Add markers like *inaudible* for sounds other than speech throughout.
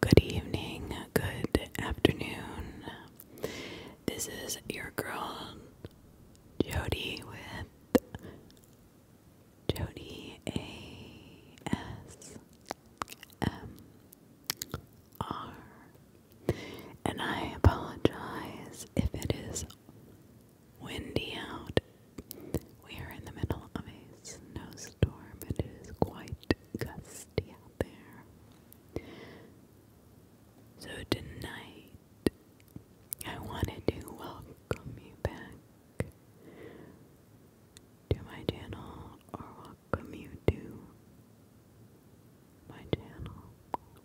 Good evening, good afternoon. This is your girl Jody with Jody A S M R. And I apologize if it is windy out. We are in the middle of a snowstorm. It is quite gusty out there. So tonight, I wanted to welcome you back to my channel, or welcome you to my channel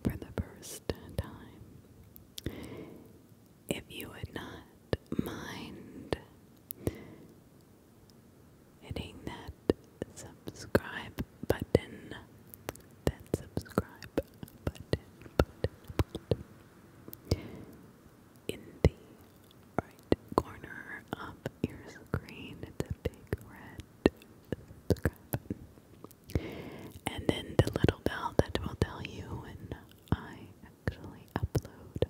for the first time. If you would not mind hitting that subscribe button. That subscribe button, In the right corner of your screen, it's a big red subscribe button. And then the little bell that will tell you when I actually upload.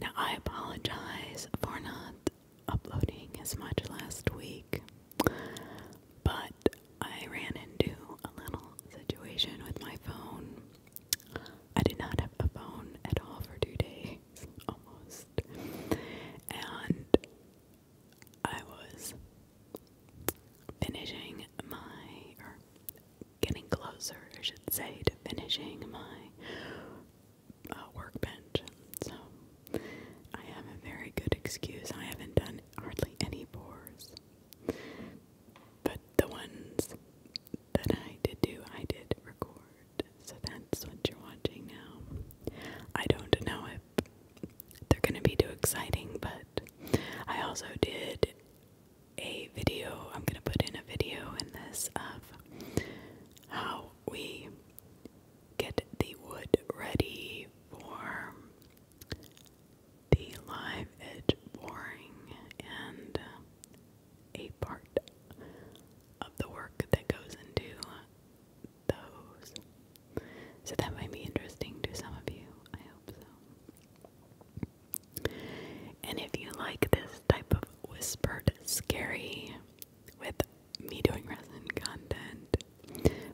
Now, I apologize for not uploading as much last week, but I ran into a little situation with my phone. I did not have a phone at all for two days, *laughs* almost. And I was finishing my, getting closer, I should say, to finishing my uh, workbench. So I have a very good excuse. I haven't done hardly any pours, but the ones that I did do, I did record. So that's what you're watching now. I don't know if they're going to be too exciting, but I also did a video. I'm gonna put in a video in this of how we get the wood ready for the live edge boring and a part of the work that goes into those. So that might be interesting to some of you. I hope so. And if you like this type of whispered scary with me doing resin content,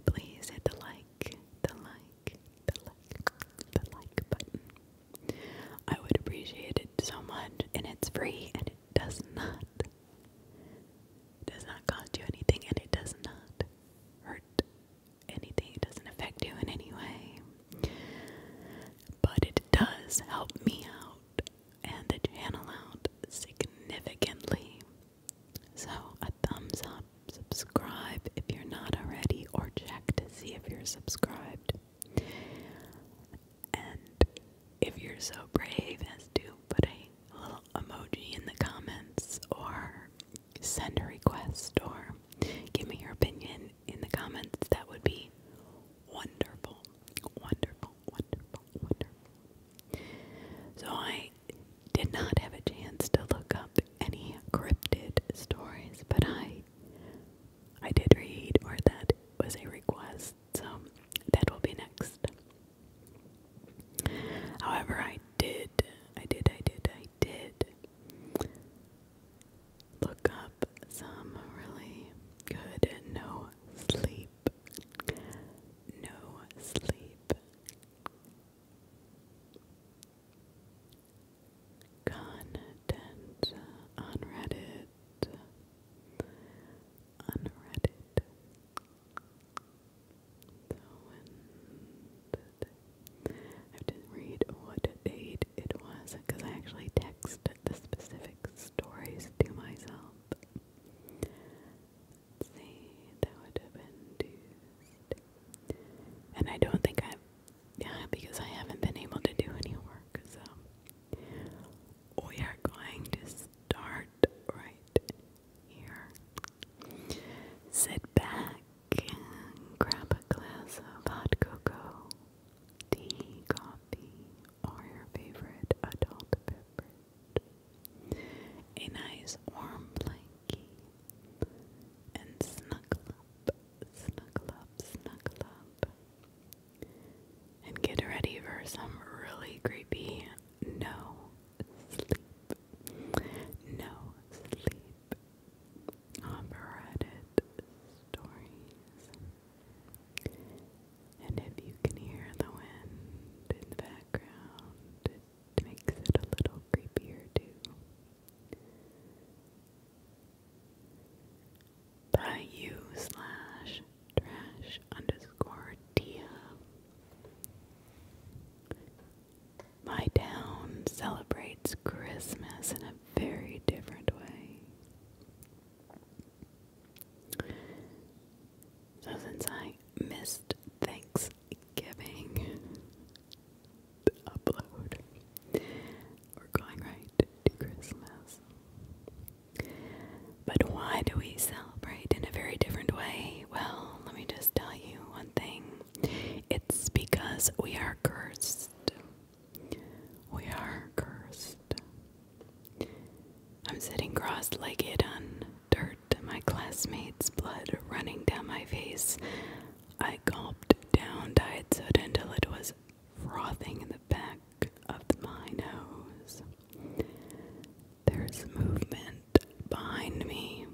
please hit the like, the like, the like, the like button. I would appreciate it so much, and it's free, and it does not, does not cost you anything, and it does not hurt anything. It doesn't affect you in any way, but it does help me out and the channel out significantly. So, a thumbs up, subscribe if you're not already, or check to see if you're subscribed. And if you're so brave as to put a little emoji in the comments, or send a request, or give me your opinion in the comments, that would be wonderful. Wonderful, wonderful, wonderful. So I did not have a chance to look up any cryptid stories, but I I did read or that was a request, so that will be next. However, I did, I did, I did, I did look up some really good no sleep, no sleep content on Reddit, on Reddit. I didn't read what date it was because I actually texted the specifics stories to myself. see, that would have been Tuesday. And I don't think I've, yeah, because I haven't been able to do any work, so we are going to start right here. Sit back grab a glass of hot cocoa tea, coffee, or your favorite adult beverage. A nice warm blankie. And snuggle up, snuggle up, snuggle up. And get ready for some really creepy no sleep. No sleep. Operated stories. And if you can hear the wind in the background, it makes it a little creepier too. By you slash trash underscore Tia. My town celebrates Christmas in a very different way. So since I missed Thanksgiving upload, we're going right to Christmas. But why do we celebrate in a very different way? Well, let me just tell you one thing. It's because we are cursed. We are cursed. I'm sitting cross legged on dirt, my classmates' blood running down my face. I gulped down diet soda until it was frothing in the back of my nose. There's movement behind me.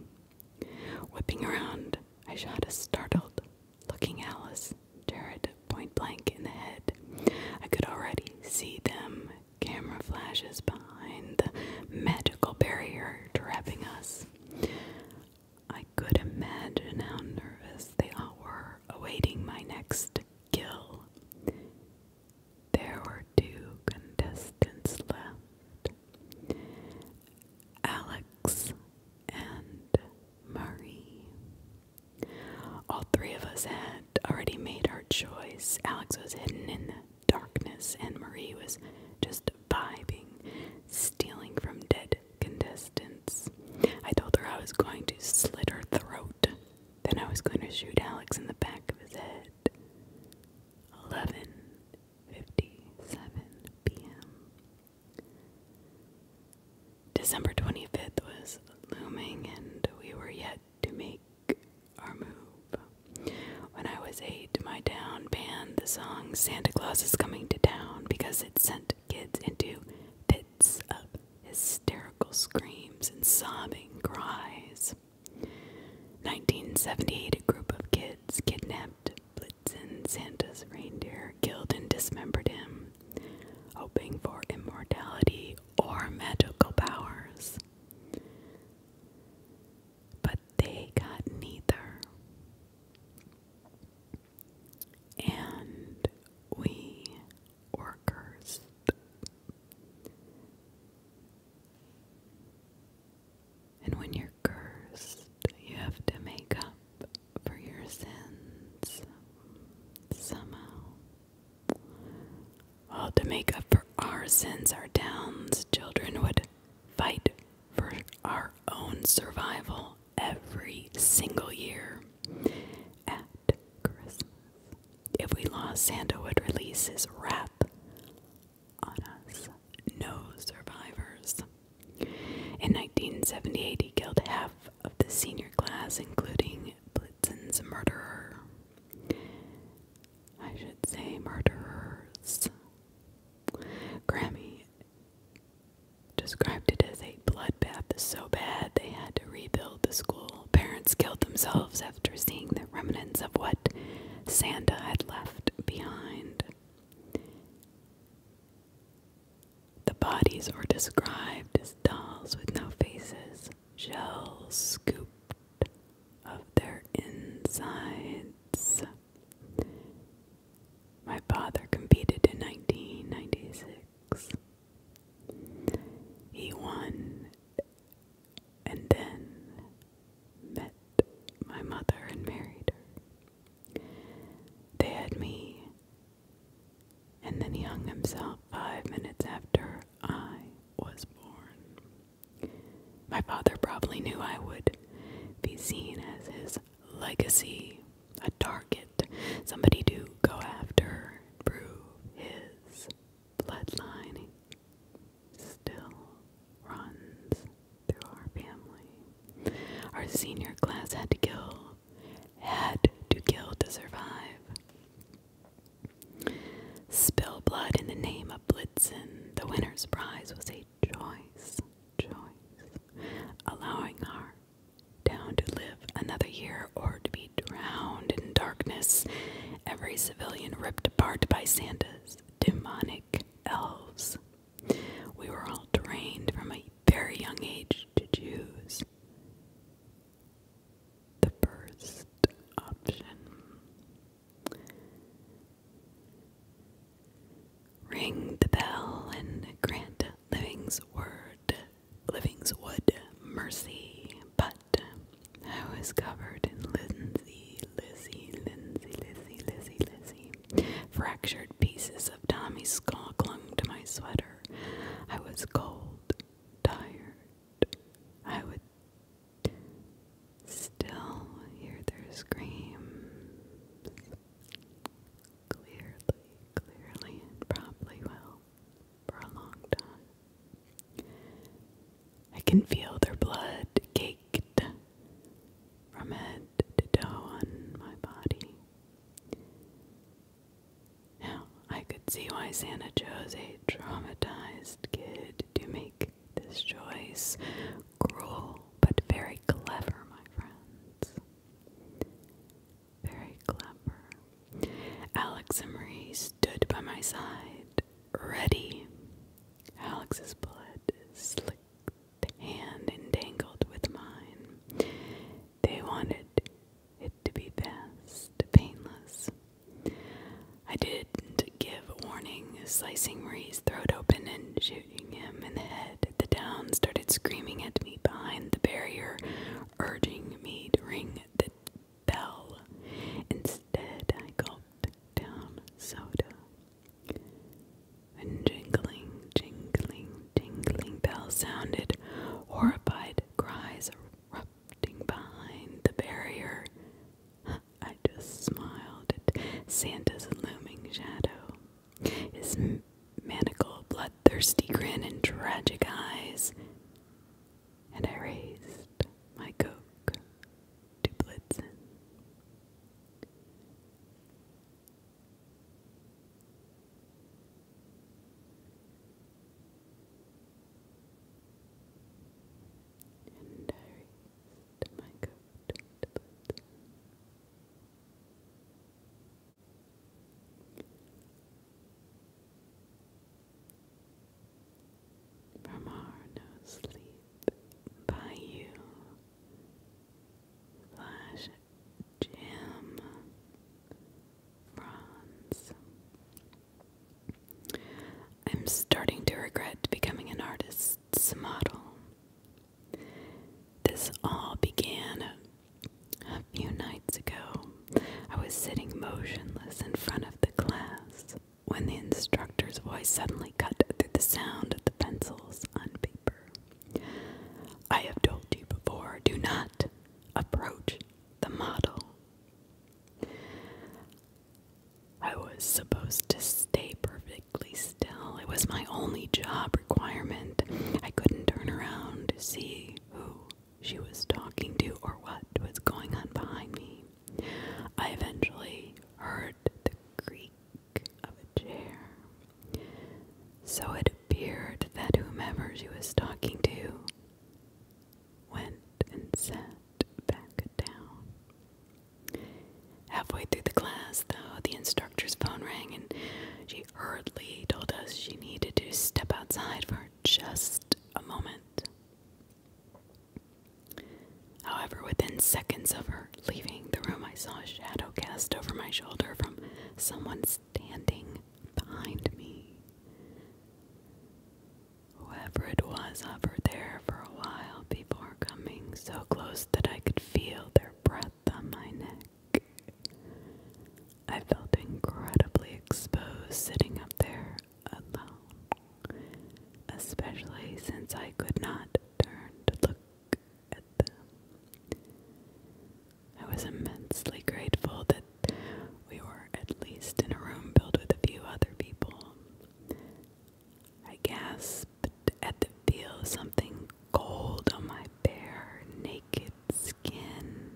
Whipping around, I shot a startled looking Alice turret point blank in the head. I could already see them, camera flashes behind the magical barrier trapping us. I could imagine how nervous they all were awaiting my next kill. There were two contestants left Alex and Marie. All three of us had already made our choice. Alex was hidden in the darkness, and Marie was just vibing, stealing from dead contestants. I told her I was going to slit her throat, then I was going to shoot Alex in the back of his head. 11:57 p.m. December 25th was looming, and we were yet to make our move. When I was eight, my town banned the song Santa Claus is Coming to Town because it sent kids into pits of hysterical screams and sobbing cries. 1978, a group of kids kidnapped Blitzen, Santa's reindeer, killed and dismembered him. Hoping for immortality, or magical powers. But they got neither. And we were And when you're cursed, you have to make up for your sins somehow to make up for our sins, our towns, children would fight for our own survival every single year at Christmas. If we lost, Santa would release his wrath on us. No survivors. In 1978, he killed half of the senior class, including Tillotson murderer. I should say murderers. Grammy described it as a bloodbath so bad they had to rebuild the school. Parents killed themselves after seeing the remnants of what Santa had left behind. The bodies are described as dolls with no faces, shell scooped of their insides. My father competed in 1996. He won and then met my mother and married her. They had me and then he hung himself five minutes after I was born. My father probably knew I would be seen as his legacy, a target, somebody to go after, and prove his bloodline still runs through our family. Our senior class had to kill, had to kill to survive. Spill blood in the name of Blitzen, the winner's prize was a choice, choice, allowing her down to live another year or to be drowned in darkness, every civilian ripped apart by Santa's demonic elves. We were all trained from a very young age to choose the first option. Ring the bell and grant Living's word, Living's wood mercy, but I was covered in Lindsay, Lizzie, Lindsay, Lizzie, Lizzie, Lizzie. Fractured pieces of Tommy's skull clung to my sweater. I was cold, tired, I would still hear their screams clearly, clearly, and probably will for a long time. I can feel their blood caked from head to toe on my body. Now, I could see why Santa chose a traumatized kid to make this choice. Cruel, but very clever, my friends. Very clever. Alex and Marie stood by my side, ready. Alex's blood slicked hand entangled with mine. They wanted it to be fast, painless. I didn't give warning, slicing Marie's throat open and shooting him in the head. The town started screaming at me behind the barrier, urging me to ring the bell. Instead, I gulped down soda. And jingling, jingling, jingling bells sounded. Horrified cries erupted behind the barrier. I just smiled at Santa's looming shadow, his manacled, bloodthirsty grin, and tragic eyes, and I raised my coke to Blitzen and I my coat From our no sleep by you, Flash Jim Bronze I'm starting to regret becoming an artist's model. This all began a few nights ago. I was sitting motionless in front of the class when the instructor's voice suddenly cut through the sound of the pencils on paper. I have told you before do not approach the model I was supposed to stay perfectly still. It was my only job requirement. I couldn't turn around to see who she was talking to or what was going on behind me. I eventually heard the creak of a chair. So it appeared that whomever she was talking to went and sat back down. Halfway through the class, though, the instructor's phone rang and she hurriedly told us she needed to step outside for just a moment. However, within seconds of her leaving the room, I saw a shadow cast over my shoulder from someone standing behind me. Whoever it was hovered there for a while before coming so close that I could feel their breath on my neck. I felt incredibly exposed sitting up there alone, especially since I could not turn to look at them. I was immensely grateful that we were at least in a room filled with a few other people. I gasped at the feel of something cold on my bare, naked skin,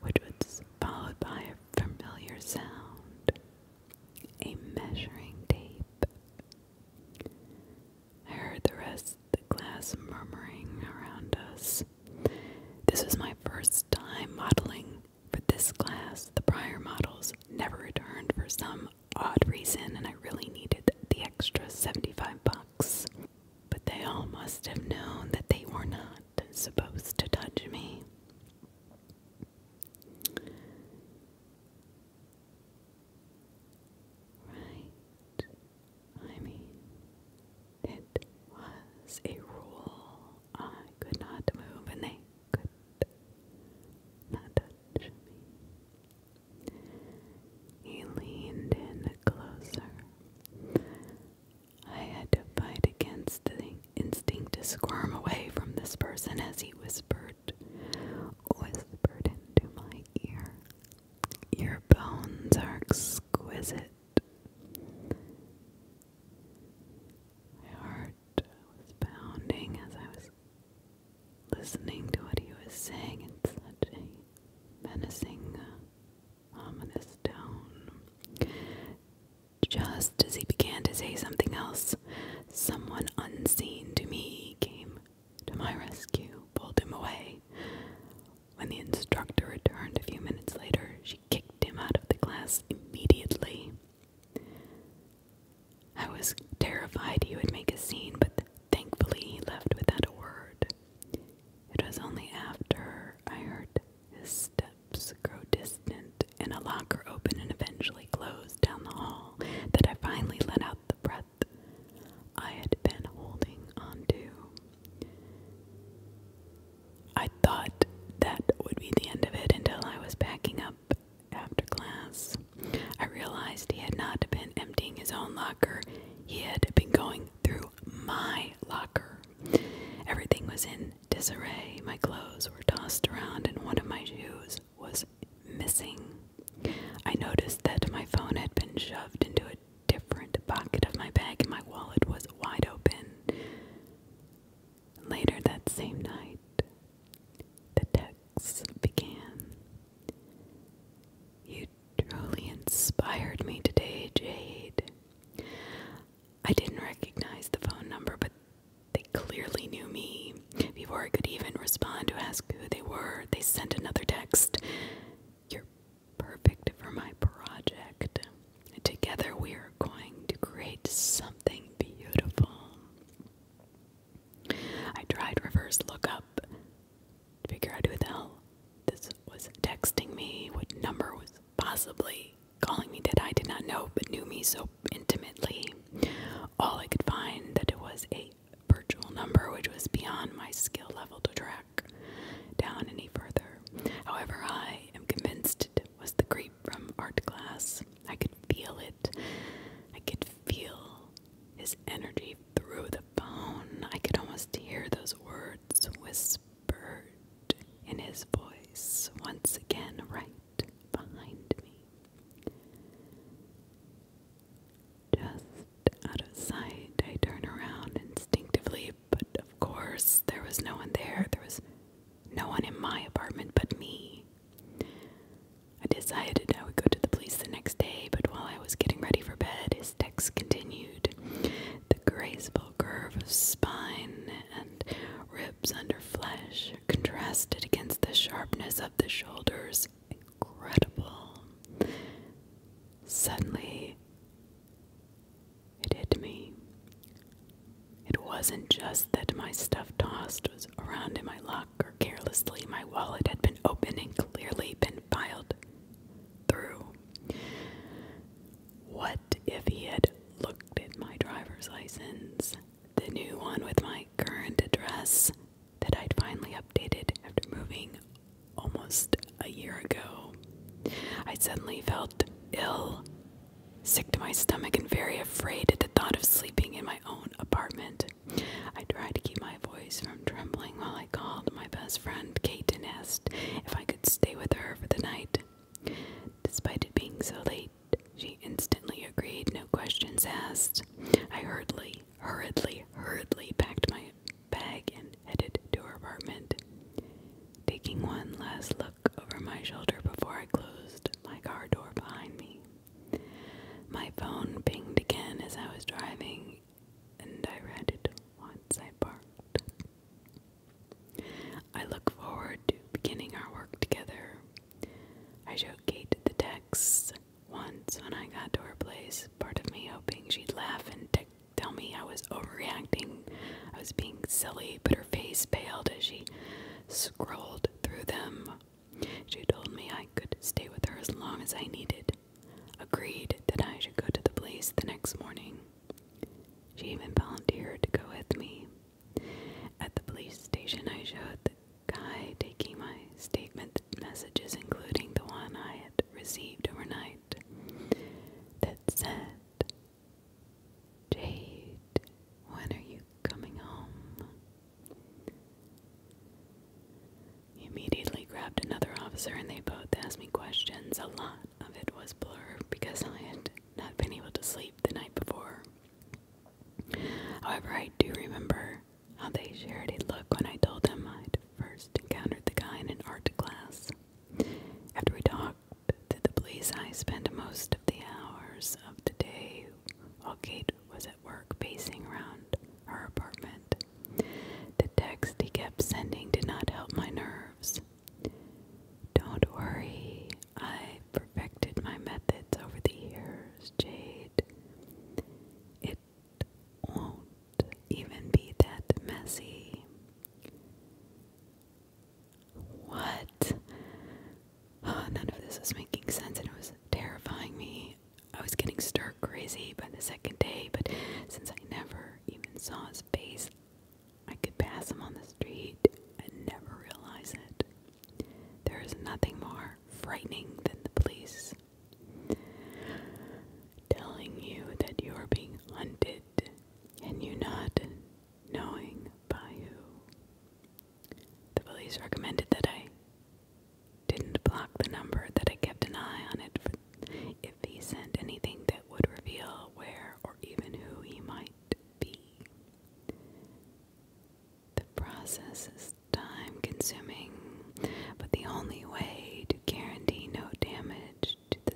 which was followed by a familiar sound a measuring tape. I heard the rest of the class murmuring around us. This was my first time modeling for this class, the prior models never returned for some odd reason, and I really needed the extra 75 bucks. But they all must have known that they were not supposed to touch me. Right. I mean, it was a rule. I could not move, and they could not touch me. He leaned in closer. I had to fight against the instinct to squirm away from this person as he whispered, whispered into my ear. Your bones are exquisite. My heart was pounding as I was listening to what he was saying in such a menacing, uh, ominous tone. Just as he began to say something else, someone unseen to me came to my rescue, pulled him away. When the instructor returned a few minutes later, she kicked him out of the class immediately. I was terrified he would make a scene, but thankfully he left without a word. It was only after I heard his steps grow distant and a locker open and eventually close down the hall that I finally let out the breath I had been holding onto. I thought that would be the end of it until I was packing up after class. I realized he had not been emptying his own locker, he had been going through my locker. Everything was in disarray. My clothes were tossed around, and one of my shoes was missing. I noticed that my phone had been shoved into a different pocket of my bag, and my wallet was wide open. Later that same night, the texts began. You truly inspired me today, Jade. I didn't recognize the phone number, but they clearly knew me. Before I could even respond to ask who they were, they sent another text. You're perfect for my project. Together we are going to create something beautiful. I tried reverse lookup to figure out who the hell this was texting me, what number was possibly calling me that I did not know but knew me so intimately. All I could find that it was a virtual number which was beyond my skill level to track down any further. However, I am convinced was the creep from art class. I could feel it. I could feel his energy through the phone. I could almost hear those words whispered in his voice once again, right behind me. Just out of sight, I turn around instinctively, but of course, there was no one there. There was no one in my apartment but me. I decided I would go to the police the next day, but while I was getting ready for bed, his text continued. The graceful curve of spine and ribs under flesh contrasted against the sharpness of the shoulders. Incredible. Suddenly, it hit me. It wasn't just that my stuff tossed was around in my locker carelessly, my wallet had been open and clearly been filed through. What if he had looked at my driver's license, the new one with my current address that I'd finally updated after moving almost a year ago? I suddenly felt ill sick to my stomach and very afraid at the thought of sleeping in my own apartment. I tried to keep my voice from trembling while I called my best friend Kate and asked if I could stay with her for the night. Despite it being so late, she instantly agreed, no questions asked. I hurriedly, hurriedly, hurriedly packed my bag and headed to her apartment. Taking one last look over my shoulder before I closed my car door behind me. My phone pinged again as I was driving, and I read it once I parked. I look forward to beginning our work together. I joked Kate the texts once when I got to her place, part of me hoping she'd laugh and tell me I was overreacting. I was being silly, but her face paled as she scrolled through them. She told me I could stay with her as long as I needed, agreed that I should go to the police the next morning. She even volunteered to go with me. At the police station, I showed the guy taking my statement messages, including the one I had received overnight, that said, Jade, when are you coming home? immediately grabbed another officer and they both asked me questions. A lot of it was blurred because I had not been able to sleep the night before. However, I do remember how they shared a look when I told them I'd first encountered the guy in an art class. After we talked to the police, I spent most of the hours of the day while Kate was at work pacing around her apartment. The text he kept sending did not help my nerves. Don't worry, I perfected my methods over the years, Jade. It won't even be that messy. What? Uh, *sighs* none of this was making sense, and it was terrifying me. I was getting stir crazy by the second day, but since I never even saw his face, I could pass him on the street and never realize it. There is nothing more frightening than the police telling you that you are being hunted and you not knowing by who. The police recommended that I didn't block the number, that I kept an eye on it for if he sent anything that would reveal where or even who he might be. The process is time consuming, but the only way to guarantee no damage to the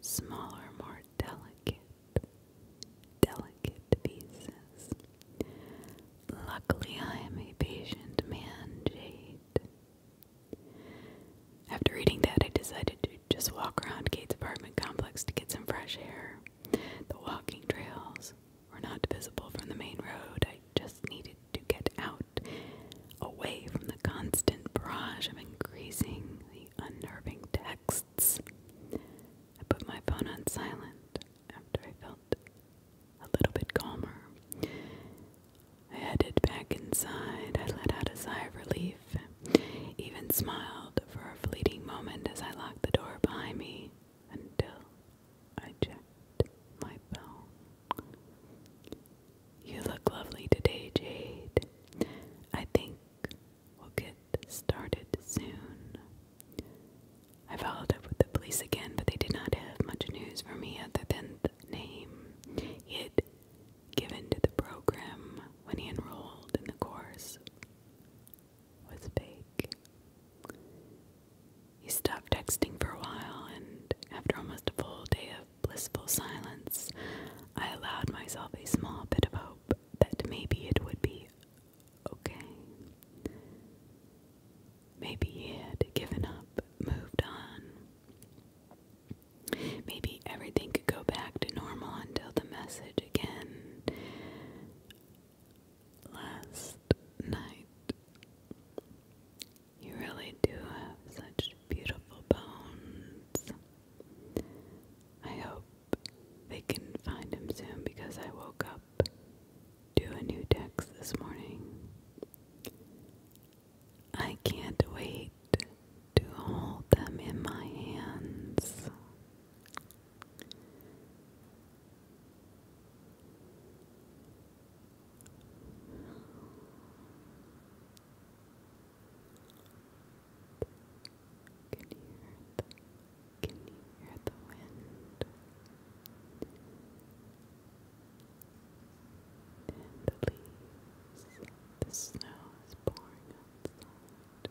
smaller, more delicate delicate pieces. Luckily, I am a patient man, Jade. After reading that, I decided to just walk around Kate's apartment complex to get some fresh air. The walking trails were not visible from the main road. I just needed to get out, away from the constant barrage of increasingly unnerving texts. I put my phone on silent after I felt a little bit calmer. I headed back inside. I let out a sigh of relief, even smiled for a fleeting moment as I locked the door behind me until I checked my phone. You look lovely today, Jade. I think we'll get started soon. I followed up with the police again, but they did not have much news for me other than the name he had given to the program when he enrolled in the course was fake. He stopped texting for a while, and after almost a full day of blissful silence, I allowed myself a small bit of hope that maybe it would be okay. Maybe he had given up, moved on. Maybe everything could go back to normal until the message again. Last night. You really do have such beautiful bones. I hope they could find him soon because I woke up to a new text this morning. I can't wait to hold them in my hands. Can you hear the wind? And the snow is pouring outside.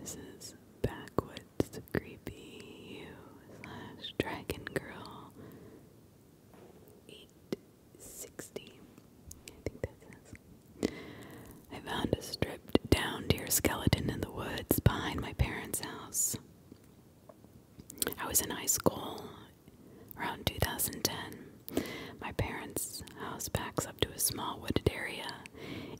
This is Backwood it's creepy you slash dragon girl eight sixty. I think that says. I found a stripped down deer skeleton in the woods behind my parents' house. I was in high school around 2010. My parents' house backs up to a small wooded area.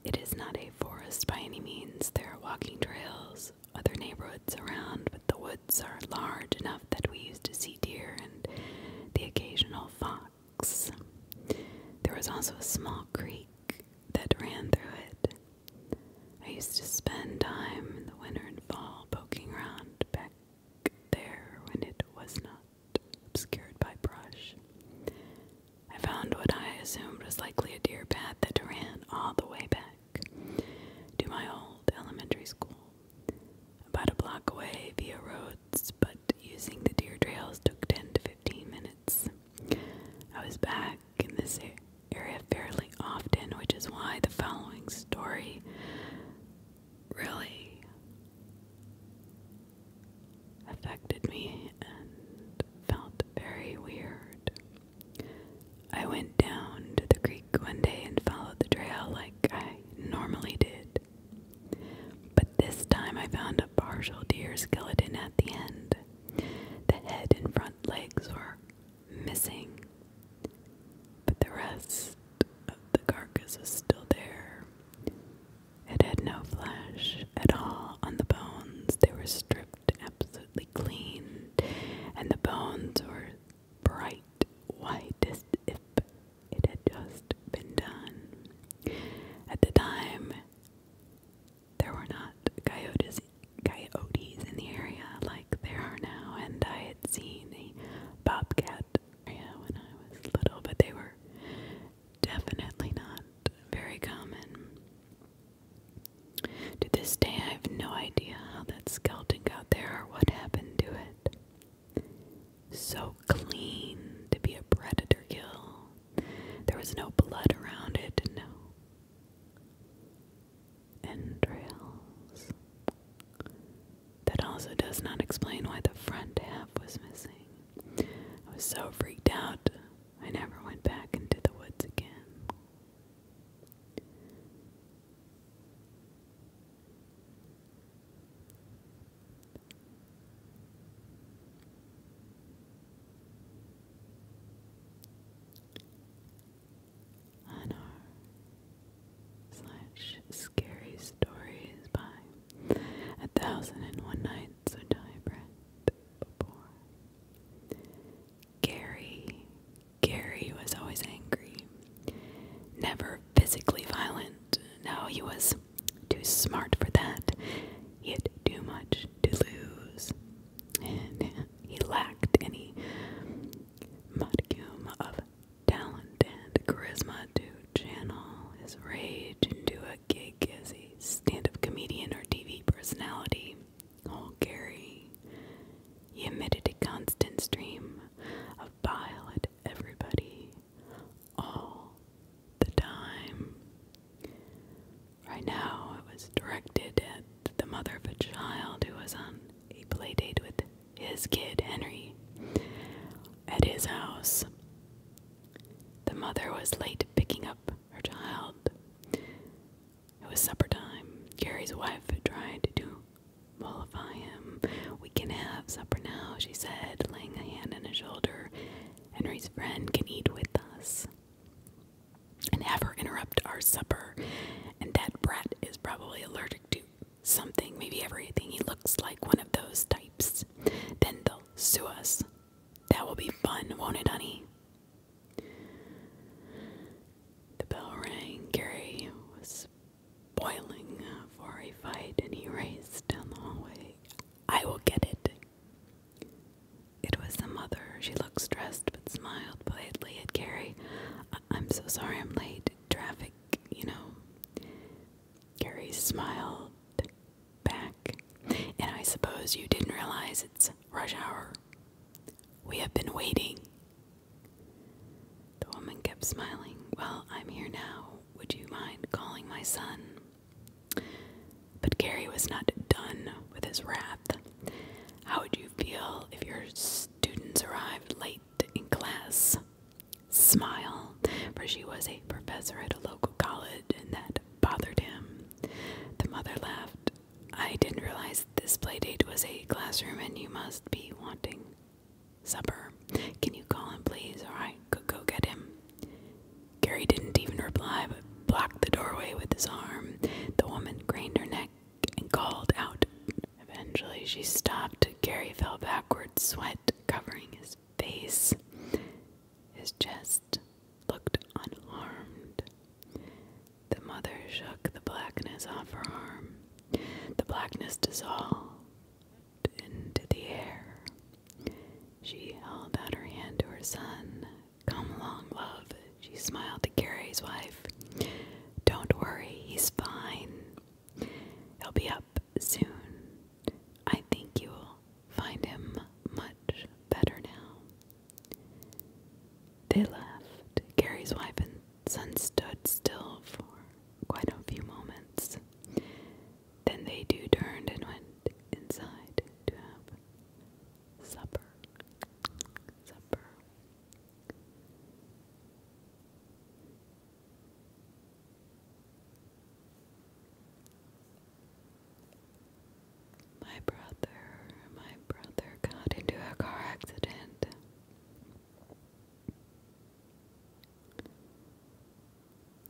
It is not a forest by any means. There are walking trails, other neighborhoods around, but the woods are large enough that we used to see deer and the occasional fox. There was also a small creek that ran through it. I used to spend time in the winter and fall poking around back there when it was not obscured by brush. I found what I assumed was likely a deer path that ran all the way back to my old elementary school. About a block away via roads, but using the deer trails took 10 to 15 minutes. I was back in this area fairly often, which is why the following story really affected me and felt very weird. I went down to the creek one day and followed the trail like I normally did. But this time I found a partial deer skeleton at the end. The head and front legs were missing, but the rest of the carcass was still there. It had no flesh at all on the bones, they were stripped absolutely clean, and the bones were bright white as if it had just been done. At the time, there were not coyotes, coyotes in the area like there are now, and I had seen a bobcat area when I was little, but they were definitely not very common. To this day, I have no idea how that skeleton got there or what happened to it. So clean to be a predator kill. There was no blood around it, no entrails. That also does not explain why the front half was missing. I was so freaked out, I never went back into the woods again. On our slash scary stories by A Thousand and One Nights, which I read before. Gary was always angry, never physically violent. No, he was too smart for that. He had too much to lose, and he lacked any modicum of talent and charisma to channel his rage into a gig as a stand up comedian or TV personality. Oh, Gary, he emitted a constant stream of bile at everybody, all the time. Right now, it was directed at the mother of a child who was on a play date with his kid, Henry, at his house. The mother was late picking up her child. It was supper time. Carrie's wife tried to mollify him. We can have supper now, she said, laying a hand on his shoulder. Henry's friend can eat with us. And have interrupt our supper. And that brat is probably allergic to something, maybe everything. He looks like one of those types. Then they'll sue us. That will be fun, won't it, honey? The bell rang. Gary was boiling for a fight and he raced down the hallway. I will get it. It was the mother. She looked stressed but smiled politely at Gary. I am so sorry I'm late. Traffic, you know. Gary smiled back. And I suppose you didn't realize it's rush hour. We have been waiting. The woman kept smiling. Well, I'm here now. Would you mind calling my son? But Gary was not done with his wrath. How would you feel if your students arrived late in class? Smile, for she was a professor at a local college and that bothered him. The mother laughed. I didn't realize this playdate was a classroom and you must be wanting supper. Can you call him, please? Or I could go get him. Gary didn't even reply but blocked the doorway with his arm. The woman craned her neck and called out. Eventually, she stopped. Gary fell backward, sweat covering his face. His chest looked unharmed. The mother shook the blackness off her arm. The blackness dissolved into the air. She held out her hand to her son. Come along, love, she smiled to Carrie's wife. Don't worry, he's fine. He'll be up soon. I think you will find him much better now. They left. Gary's wife and son stood still for quite a few moments. Then they two turned and went inside to have supper. Supper. My brother, my brother, got into a car accident.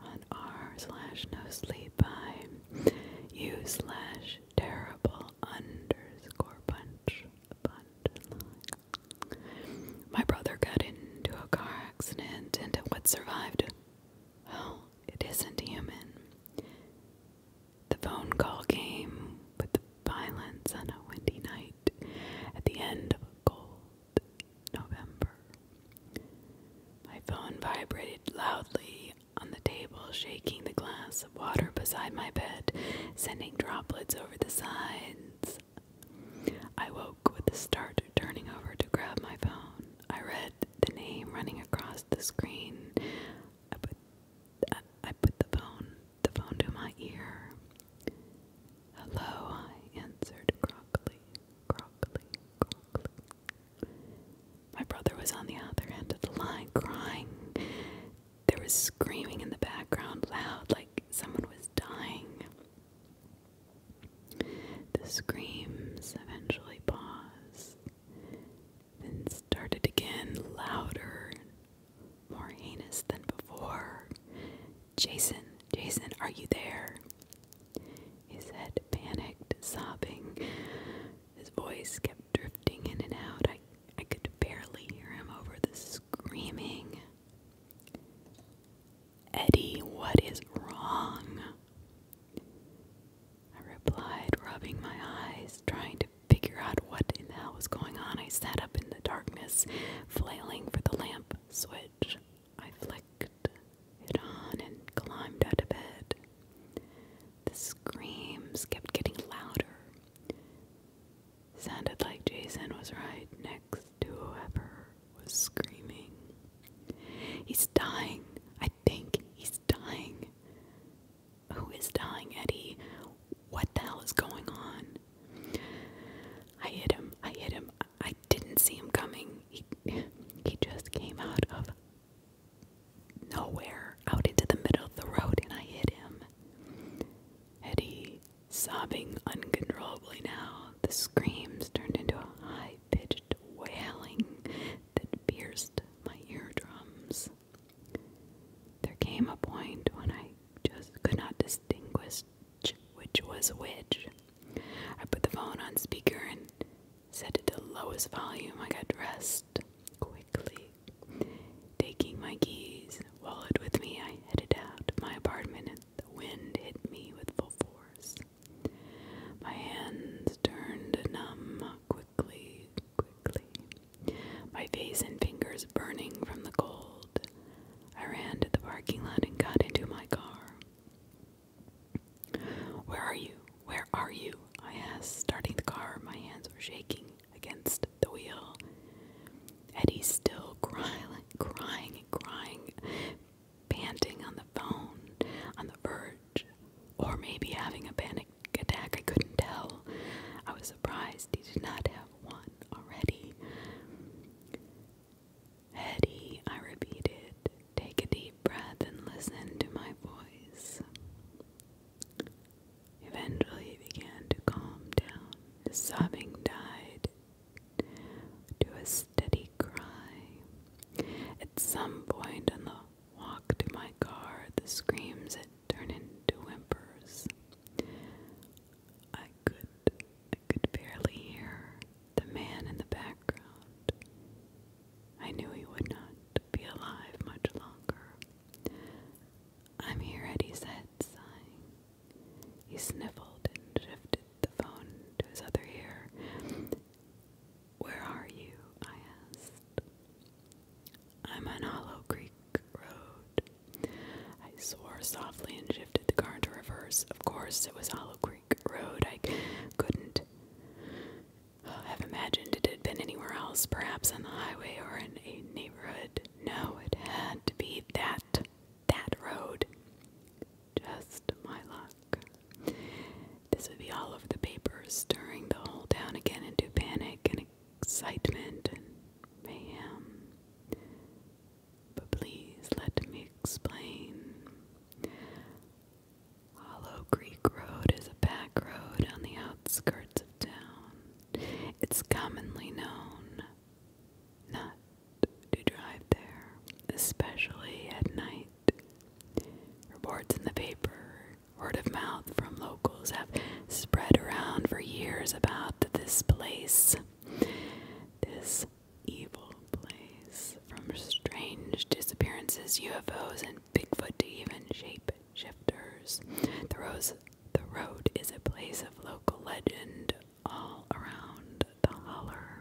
On r slash no sleep by u slash terrible underscore punch punchline. My brother got into a car accident and what survived? Well, it isn't human the phone call came with the violence on a windy night at the end of a cold November. My phone vibrated loudly on the table, shaking the glass of water beside my bed, sending droplets over the sides. I woke with a start, turning over to grab my phone. I read the name running across the screen. I put the phone the phone to my ear. Hello, I answered crockily, crockily, crockily. My brother was on the other end of the line crying. There was screaming in the background, loud, like someone was dying. The screams eventually paused. Then started again, louder, more heinous than before. Jason, Jason, are you there? He said, panicked, sobbing. His voice kept drifting in and out. I, I could barely hear him over the screaming. Eddie, what is wrong? I replied, rubbing my eyes, trying to figure out what in hell was going on, I sat up in the darkness, flailing for the lamp switch. I flicked it on and climbed out of bed. The screams kept getting louder. Sounded like Jason was right next to whoever was screaming. He's dying. I think he's dying. Who is dying, Eddie? What the hell is going on? I hit him. I hit him. I didn't see him coming. He, he just came out of nowhere, out into the middle of the road, and I hit him. Eddie, sobbing uncontrollably now, the screams turned into a high pitched wailing that pierced my eardrums. There came a point when I just could not distinguish which was which. I put the phone on speaker and set it to lowest volume. I got dressed quickly. Taking my keys, wallet with me, I headed out of my apartment and the wind hit me with full force. My hands turned numb quickly, quickly my face and fingers burning from the cold. I ran to the parking lot and got into my car. Where are you? Where are you? I asked, starting the car. My hands were shaking against the wheel. Eddie's still crying, crying, crying, panting on the phone, on the verge, or maybe having a panic attack. I couldn't tell. I was surprised he did not have one already. Hetty, I repeated, take a deep breath and listen to my voice. Eventually, he began to calm down. The sobbing died to a steady cry. At some point on the walk to my car, the screams turn into whimpers. I could I could barely hear the man in the background. I knew he would not be alive much longer. I'm here at said, sighing. He sniffled and shifted the phone to his other ear. Where are you? I asked. I'm on Hollow Creek Road. I swore softly and shifted the car to reverse. Of course, it was Hollow Creek Road. I couldn't have imagined it had been anywhere else, perhaps on the highway or in a neighborhood. No, it had to be that, that road. Just my luck. This would be all over the papers, stirring the whole town again into panic and excitement and mayhem. But please let me explain. Hollow Creek Road is a back road on the outskirts of town. It's commonly known not to drive there, especially at night. Reports in the paper, word of mouth from locals have spread around for years about this place, this evil place, from strange disappearances, UFOs, and Bigfoot to even shape shifters. the road is a place of local legend all around the holler.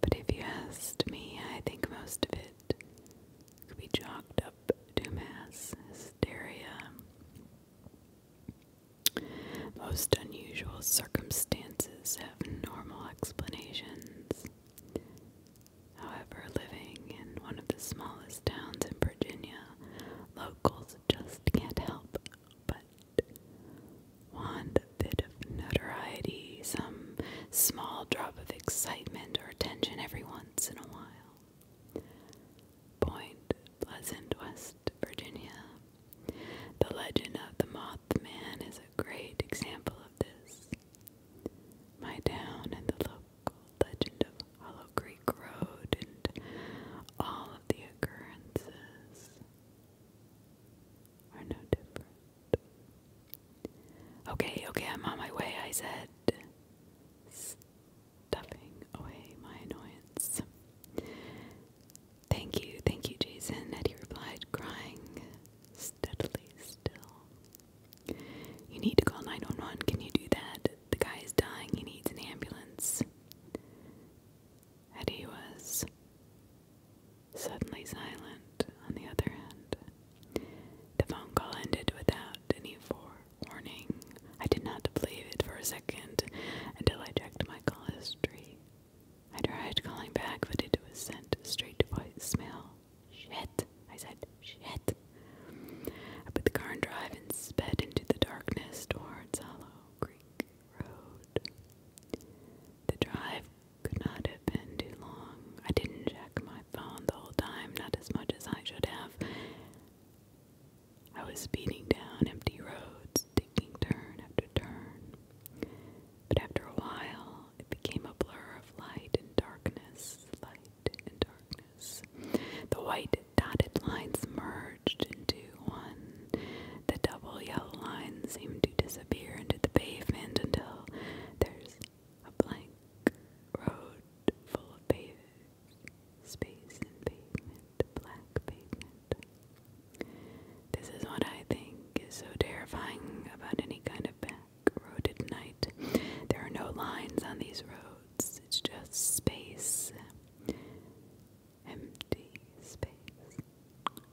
But if you asked me, I think most of it could be chalked up to mass hysteria. Most unusual circumstances have normal explanations. However, living in one of the smallest towns in Virginia, locals just can't help but want a bit of notoriety, some small drop of excitement or attention every once in a while. Point Pleasant, West Virginia. The legend of the Mothman is a great example of this. My town and the local legend of Hollow Creek Road and all of the occurrences are no different. Okay, okay, I'm on my way, I said stuffing away my annoyance. Thank you, thank you, Jason, Eddie replied, crying steadily still. You need to call 911. Can you do that? The guy is dying. He needs an ambulance. Eddie was suddenly silent on the other end. The phone call ended without any form warning. I did not believe it for a second until I checked my call history. I tried calling back, but it was sent straight to voicemail. Shit, I said, shit. I put the car in drive and sped into the darkness towards Hollow Creek Road. The drive could not have been too long. I didn't check my phone the whole time, not as much as I should have. I was speeding down empty roads, taking turn after turn. But after a while, it became a blur of light and darkness, light and darkness. The white dotted lines merged into one. The double yellow lines seemed to disappear into the pavement until there's a blank road full of paved space and pavement, black pavement. This is what I think is so terrifying about any kind of back road at night. There are no lines on these roads, it's just space. Empty space.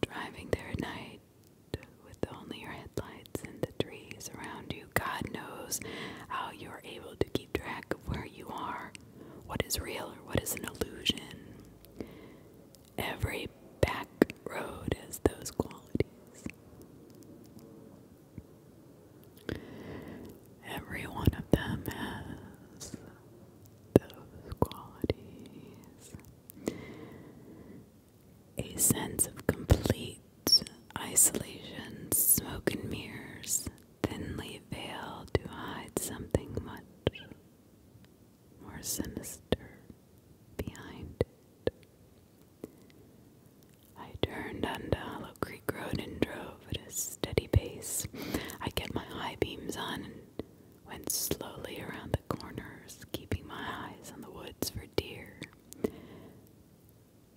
Driving there at night with only your headlights and the trees around you, God knows how you're able to keep track of where you are. What is real or what is an illusion? Every back road has those qualities. Every one of them has those qualities. A sense of complete isolation, smoke and mirrors, thinly veiled to hide something much more sinister behind it. I turned onto Hollow Creek Road and drove at a steady pace. I kept my high beams on and went slowly around the corners, keeping my eyes on the woods for deer.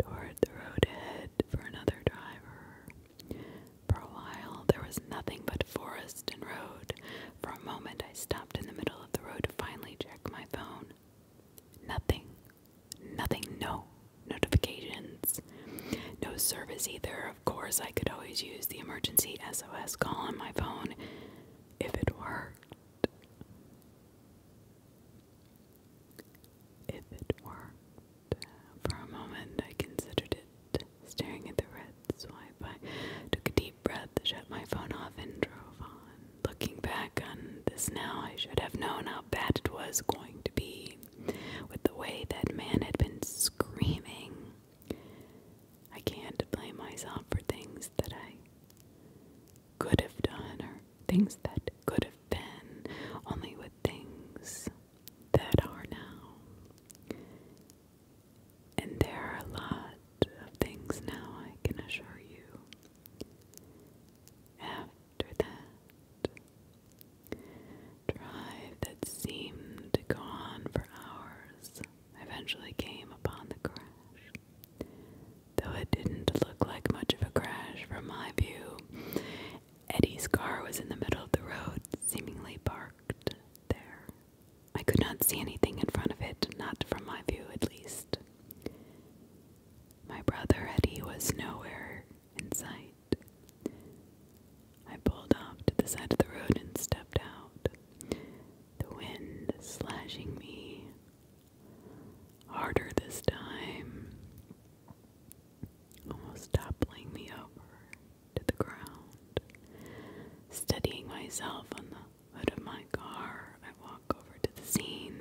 Toward the road ahead for another driver. For a while, there was nothing but forest and road. For a moment, I stopped in the middle of the road to finally check my phone. Nothing. Nothing. No notifications. No service either. Of course, I could always use the emergency SOS call on my phone if it worked. If it worked. For a moment, I considered it, staring at the red swipe. I took a deep breath, shut my phone off, and drove on. Looking back on this now, I should have known how bad it was going to be. With the way that man had been screaming, I can't blame myself for things that I could have done or things that could have been, only with things that are now. And there are a lot of things now, I can assure you. After that drive that seemed to for hours eventually came upon the crash. Though it didn't look like much of a crash from my view, Eddie's car was in the middle of the road, seemingly parked there. I could not see anything in front of it, not from my view at least. My brother Eddie was nowhere in sight. I pulled up to the side of the road and stepped out, the wind slashing me harder this time almost toppling me over to the ground. Steadying myself on the hood of my car, I walk over to the scene.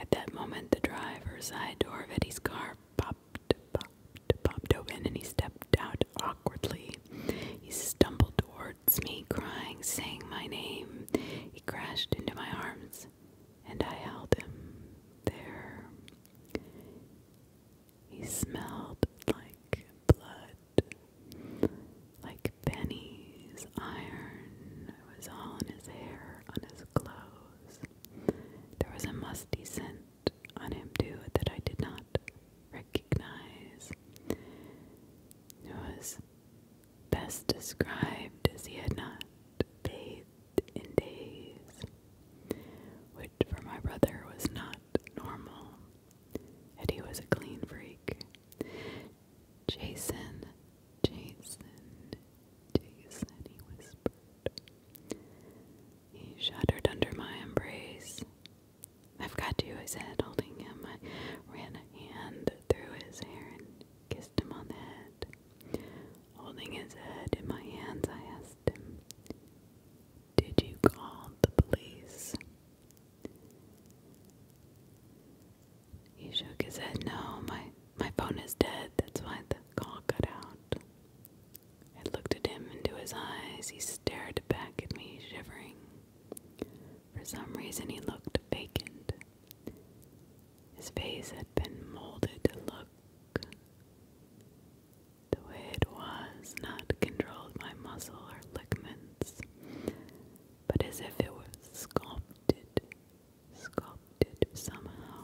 At that moment, the driver's side door of Eddie's car popped, popped, popped open, and he stepped out awkwardly. He stumbled towards me, crying, saying my name. He crashed into my arms, and I held him there. He smelled like blood, like pennies, iron. was all his hair, on his clothes. There was a musty scent on him, too, that I did not recognize. It was best described as he had not bathed in days, which for my brother was not normal, and he was a clean freak. Jason, Jason, Jason, he whispered. He shuddered under my embrace. I've got you, I said, holding him. I ran a hand through his hair and kissed him on the head. Holding his head in my hands, I asked him, Did you call the police? He shook his head. No, my, my phone is dead. That's why the call cut out. I looked at him into his eyes. He stared back at me, shivering. For some reason, he looked vacant. His face had been molded to look the way it was, not controlled by muscle or ligaments, but as if it was sculpted, sculpted somehow.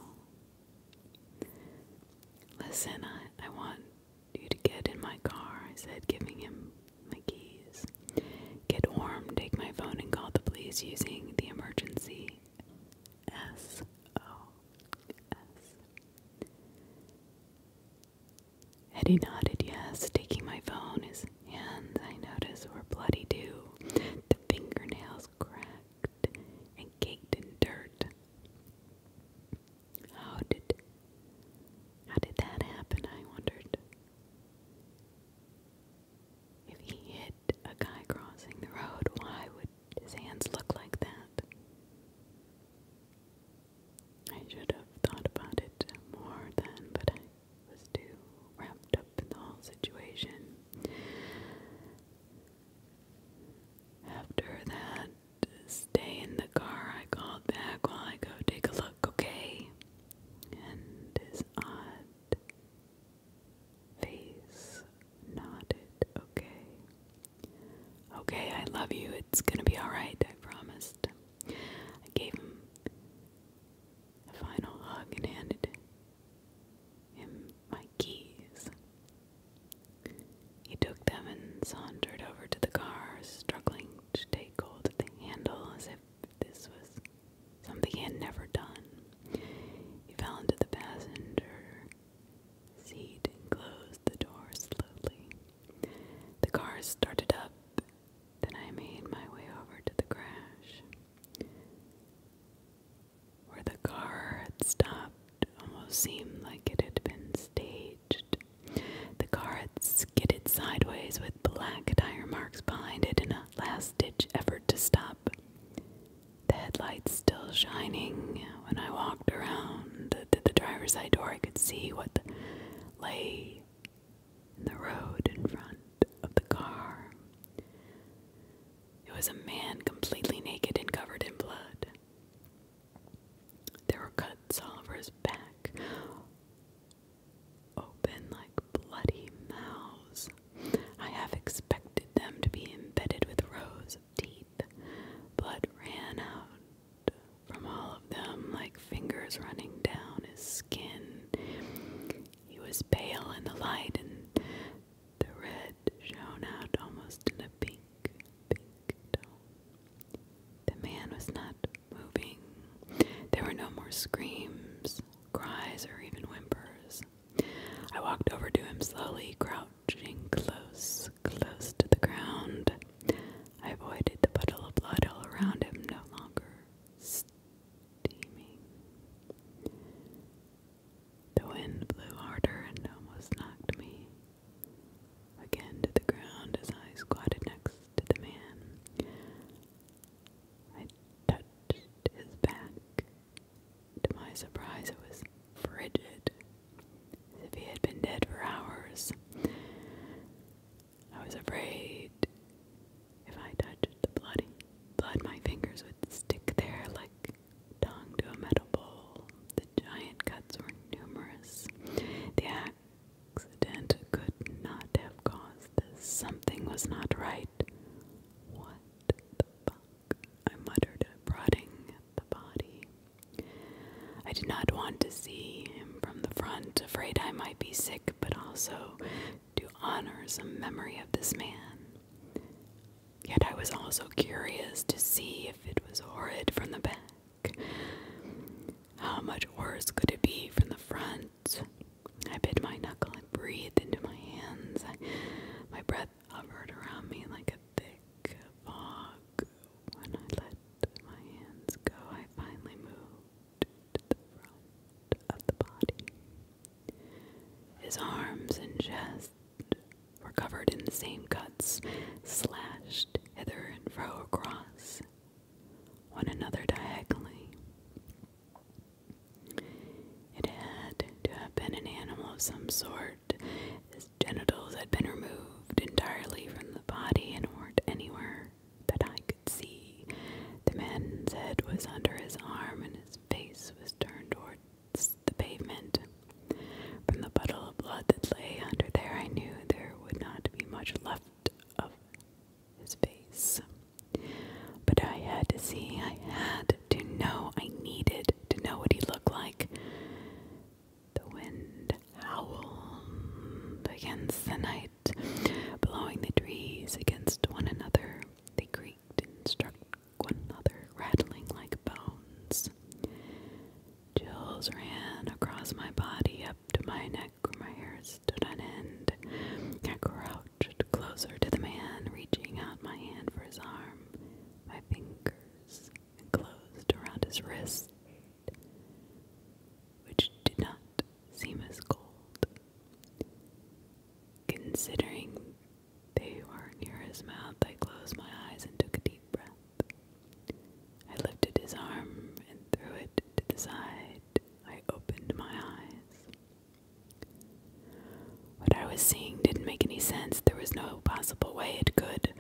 Listen, I, I want you to get in my car, I said, giving him my keys. Get warm, take my phone, and call the police using the emergency S O Eddie nodded yes, taking my phone. His hands, I noticed, were bloody too. The fingernails cracked and caked in dirt. How did how did that happen? I wondered. If he hit a guy crossing the road, why would his hands look like that. I should have thought about it more then, but I was too wrapped up in the whole situation. After that stay in the car, I called back while I go take a look, okay? And his odd face nodded, okay. Okay, I love you. It's gonna be alright, I promised. I gave him a final hug and handed him my keys. He took them and sauntered over to the car, struggling to take hold of the handle as if this was something he had never done. He fell into the passenger Seed closed the door slowly. The car started up, then I made my way over to the crash. Where the car had stopped almost seemed like it had been staged. The car had skidded sideways with black tire marks behind it in a last ditch effort to stop. The headlights still shining. When I walked around to the driver's side door, I could see what lay in the road in front of the car. It was a man completely naked and covered in blood. There were cuts all over his back, open like bloody mouths. I have expected them to be embedded with rose teeth, blood ran out from all of them like fingers running down his skin. He was pale in the light, and the red shone out almost in a pink, pink tone. The man was not moving. There were no more screams, cries, or even whimpers. I walked over to him slowly, crouched crouching close, close to the ground. I avoided the puddle of blood all around him, no longer steaming. The wind blew harder and almost knocked me again to the ground as I squatted next to the man. I touched his back. To my surprise, it was frigid as if he had been dead for hours. I was afraid if I touched the bloody blood, my fingers would stick there like tongue to a metal bowl. The giant cuts were numerous. The accident could not have caused this. Something was not right. What the fuck? I muttered, prodding at the body. I did not want to see him from the front, afraid I might be sick, but also to honor some memory of this man. Yet I was also curious to see if it was horrid from the back. How much worse could it be from the front? I bit my knuckle and breathed into my hands. my breath hovered around me like a thick fog. When I let my hands go, I finally moved the front of the body. His arms and chest were covered in the same cuts, slashed hither and fro across one another diagonally. It had to have been an animal of some sort, genitals had been removed entirely from the body and weren't anywhere that I could see. The man's head was under his arm and his face was turned towards the pavement. From the puddle of blood that lay under there, I knew there would not be much left of his face. But I had to see, I had to know, I needed to know what he looked like. The wind howled against the night, blowing the trees against one another. They creaked and struck one another, rattling like bones. Chills ran across my body up to my neck where my hair stood on end. I crouched closer to the man, reaching out my hand for his arm. My fingers enclosed around his wrist, which did not seem as cold, considering they were near his mouth. I closed my eyes and took a deep breath. I lifted his arm and threw it to the side. I opened my eyes. What I was seeing didn't make any sense. There was no possible way it could.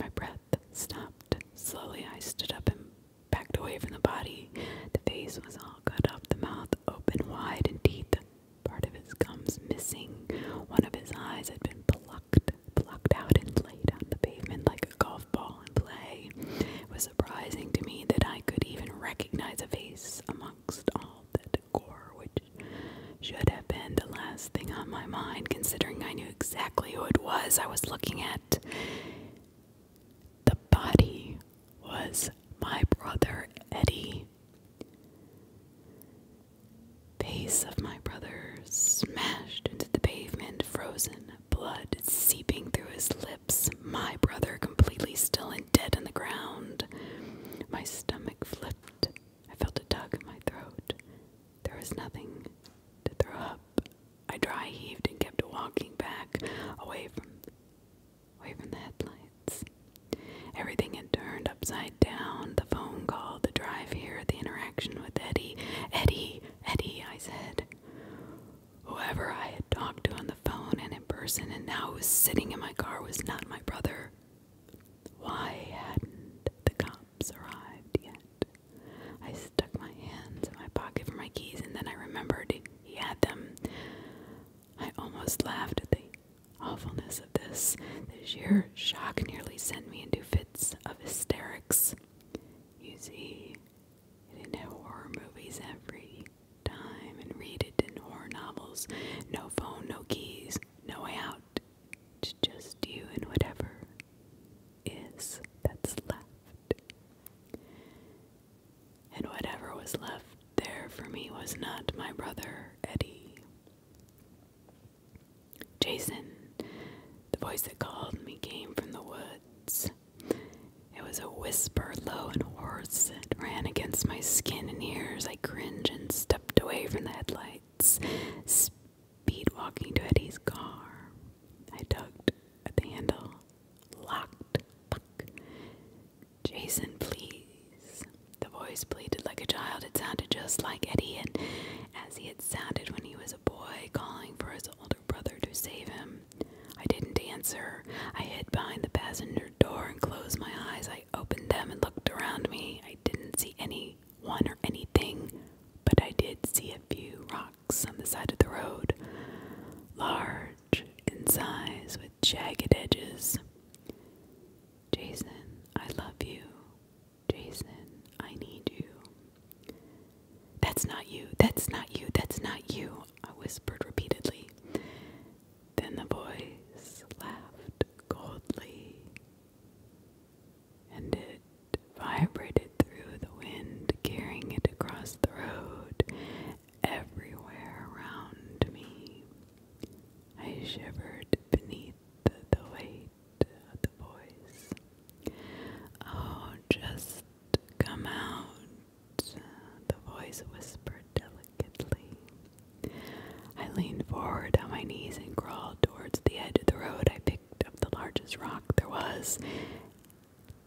My breath stopped. Slowly I stood up and backed away from the body. The face was all cut up, the mouth open wide and teeth. Part of his gums missing. One of his eyes had been plucked, plucked out and laid on the pavement like a golf ball in play. It was surprising to me that I could even recognize a face amongst all that gore which should have been the last thing on my mind, considering I knew exactly who it was I was looking at. The body was my brother Eddie. Face of my brother smashed into the pavement, frozen, blood seeping through his lips, my brother completely still and dead on the ground. My stomach flipped. I felt a tug in my throat. There was nothing to throw up. I dry heaved and kept walking back away from away from the headlights. Everything had turned upside down. The phone call, the drive here, the interaction with Eddie. Eddie, Eddie, I said. Whoever I had talked to on the phone and in person and now who was sitting in my car was not my brother. Why hadn't the cops arrived yet? I stuck my hands in my pocket for my keys, and then I remembered he had them. I almost laughed at the awfulness of this. The sheer shock nearly sent me into fits of hysterics. You see, it did horror movies every time, and read it in horror novels. No phone, no keys, no way out to just you and whatever is that's left. And whatever was left there for me was not my brother Eddie. Jason, the voice that called me, came from the woods. It was a whisper, low and hoarse. It ran against my skin and ears. I cringed and stepped away from the headlights, beat walking to Eddie's car. I tugged at the handle. Locked. Jason, please. The voice pleaded like a child. It sounded just like Eddie, and as he had sounded when he was a boy, calling for his older brother to save him. I didn't answer. I hid behind the passenger door and closed my eyes. I opened them and looked around me. I didn't see any one or anything, but I did see a few rocks on the side of the road, large in size with jagged edges. Jason, I love you. Jason, I need you. That's not you, that's not you, that's not you, I whispered repeatedly. Then the boys laughed coldly and it vibrated through the wind, carrying it across the road, everywhere around me. I shivered beneath the, weight of the voice. Oh, just come out, the voice whispered delicately. I leaned forward on my knees and crawled towards the edge of the road. I picked of the largest rock there was.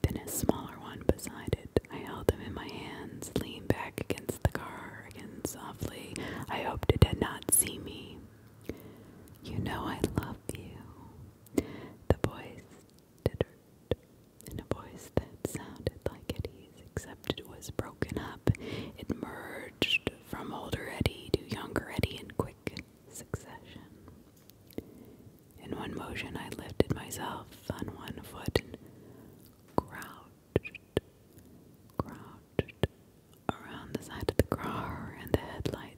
Then a smaller one beside it. I held them in my hands, leaned back against the car again softly. I hoped it did not see me. You know I love you. The voice tittered in a voice that sounded like Eddie's, except it was broken up. It merged from older Eddie to younger Eddie and quick succession. In one motion, I lifted myself on one foot and crouched, crouched around the side of the car and the headlight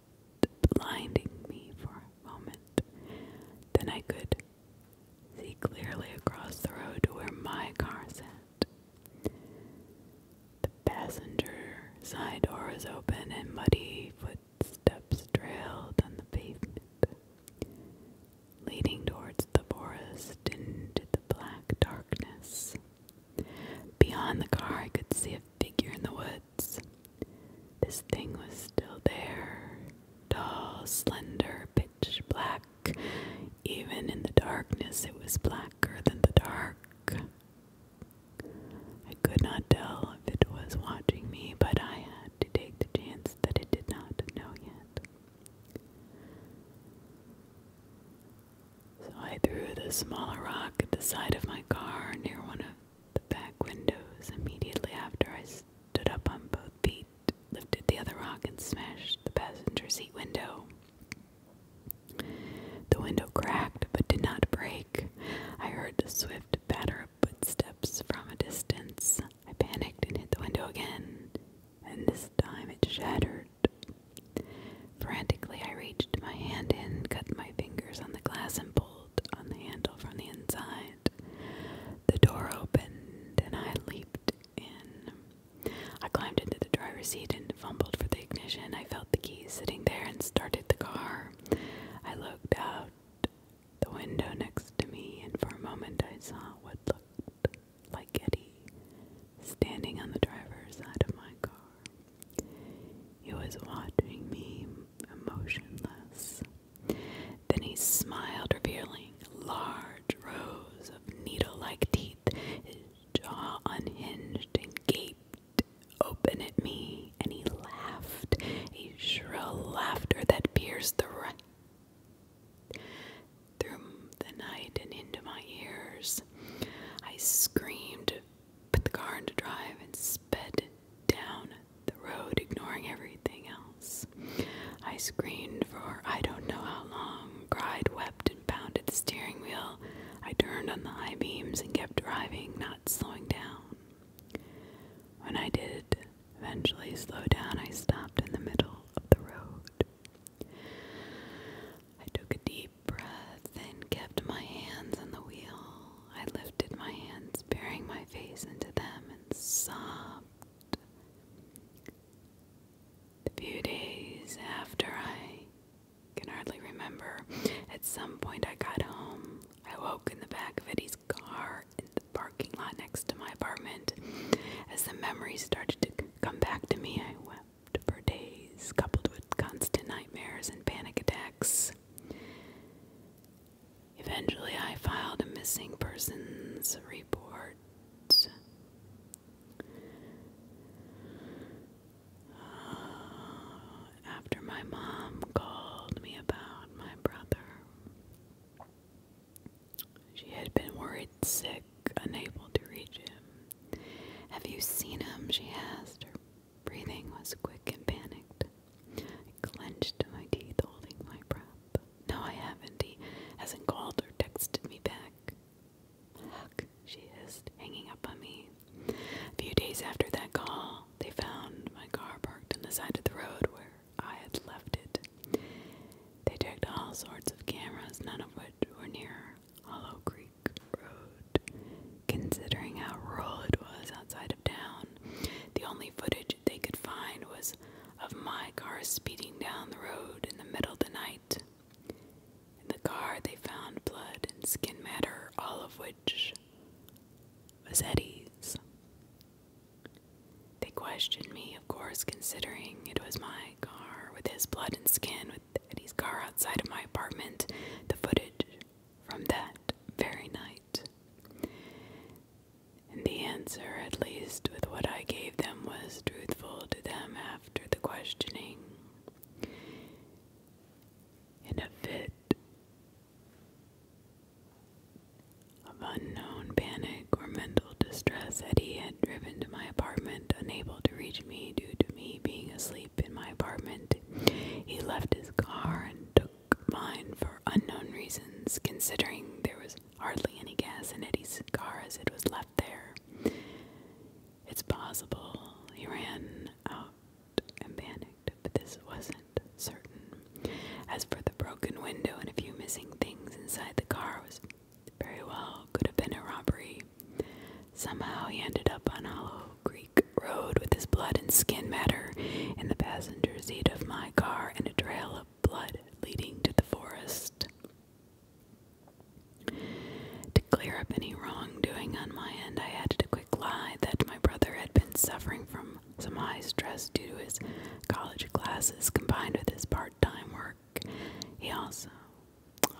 blinding me for a moment. Then I could see clearly across the road where my car sat. The passenger side door was open and muddy footsteps trailed on the pavement. Leading towards the forest into the black darkness. Beyond the car, I could see a figure in the woods. This thing was still there, tall, slender, pitch black. Even in the darkness, it was blacker than the dark. I could not tell if it was watching me, but I had to take the chance that it did not know yet. So I threw the smaller rock at the side of my car near one of the back windows. Immediately after, I stood up on both feet, lifted the other rock, and smashed the passenger seat window. The window cracked but did not break. I heard the swift patter of footsteps from a distance. I panicked and hit the window again, and this time it shattered. Frantically, I reached my hand in, cut my fingers on the glass, and pulled on the handle from the inside. The door opened, and I leaped in. I climbed into the driver's seat and fumbled for the ignition. I felt the keys sitting there and started the car. I looked out the window next to me, and for a moment I saw what looked like Eddie standing on the driver's side of my car. He was watching me, emotionless. Then he smiled, revealing large rows of needle like teeth, his jaw unhinged and gaped open at me, and he laughed, a shrill laughter that pierced the right through the night and into my ears. I screamed, put the car into drive, and sped down the road, ignoring everything else. I screamed for I don't know how long, cried, wept, and pounded the steering wheel. I turned on the high beams and kept driving, not slowing down. When I did eventually slow down, I stopped in the middle of the road. I took a deep breath and kept my hands on the wheel. I lifted my hands, burying my face into them, and sobbed. The few days after I can hardly remember. At some point, I got home. I woke in the back of Eddie's car in the parking lot next to my apartment. As the memories started to come back to me, I wept for days, coupled with constant nightmares and panic attacks. Eventually, I filed a missing persons report after my mom called me about my brother. She had been worried sick, unable to reach him. Have you seen him? she asked. Her breathing was quick and panicked. I clenched my teeth, holding my breath. No, I haven't. He hasn't called or texted me back. Huck, she hissed, hanging up on me. A few days after that call, they found my car parked on the side of the road where I had left it. They checked all sorts of cameras, none of which were near Hollow Creek Road. Considering how rural it was outside of town, the only footage they could find was of my car speeding down the road in the middle of the night. In the car, they found blood and skin matter, all of which was Eddie's. They questioned me, of course, considering it was my car with his blood and skin, with Eddie's car outside of my apartment, the footage from that very night. And the answer, at least with what I gave them, was truthful to them after the questioning. In a fit of unknown panic or mental distress, Eddie had driven to my apartment, unable to reach me due to me being asleep in my apartment. He left his car and took mine for unknown reasons, considering there was hardly any gas in Eddie's car as it was left there. It's possible he ran out and panicked but this wasn't certain. As for the broken window and a few missing things inside the car, was very well could have been a robbery. Somehow he ended up on Hollow Creek Road with his blood and skin matter and the passengers' seat of my car and a trail of blood leading to the forest. To clear up any wrongdoing on my end, I had to quick lie that my brother had been suffering from some high stress due to his college classes combined with his part time work. He also,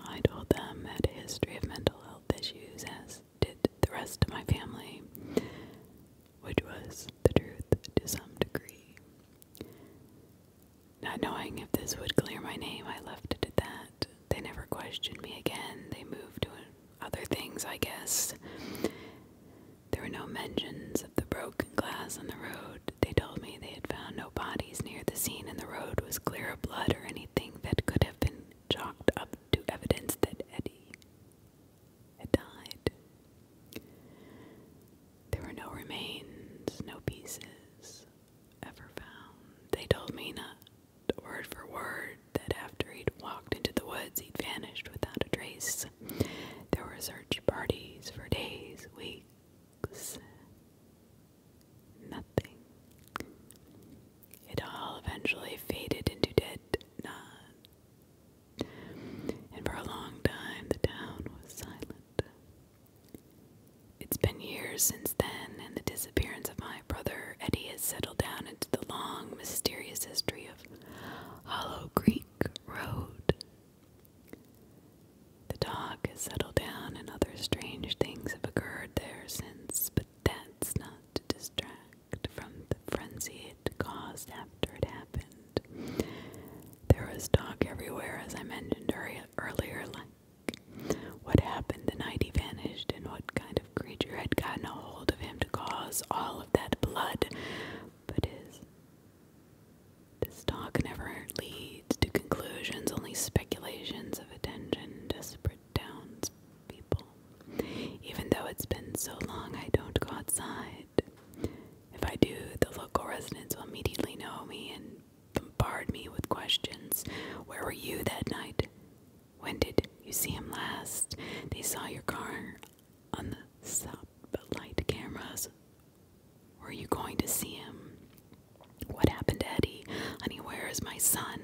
I told them, had a history of mental health issues, as did the rest of my family, which was the truth to some degree. Not knowing if this would clear my name, I left it at that. They never questioned me again. They moved to other things, I guess. There were no mentions of the broken glass on the road. They told me they had found no bodies near the scene, and the road was clear of blood or anything that could have been chalked up to evidence that Eddie had died. There were no remains, no pieces ever found. They told me not word for word that after he'd walked into the woods, he'd vanished without a trace. There were search parties for days, weeks, nothing. It all eventually faded into dead nod, and for a long time the town was silent. It's been years since then, and the disappearance of my brother Eddie has settled down into the long, mysterious history of. Hollow Creek Road. The dog has settled down, and other strange things have occurred there since, but that's not to distract from the frenzy it caused after it happened. There was talk everywhere, as I mentioned earlier, like what happened the night he vanished and what kind of creature had gotten a hold of him to cause all of that blood, but his. This talk never leads to conclusions, only speculations of attention, desperate townspeople. Even though it's been so long, I don't go outside. If I do, the local residents will immediately know me and bombard me with questions. Where were you that night? When did you see him last? They saw your car on the stoplight cameras. Were you going to see him? What happened to Eddie? Anywhere is my son?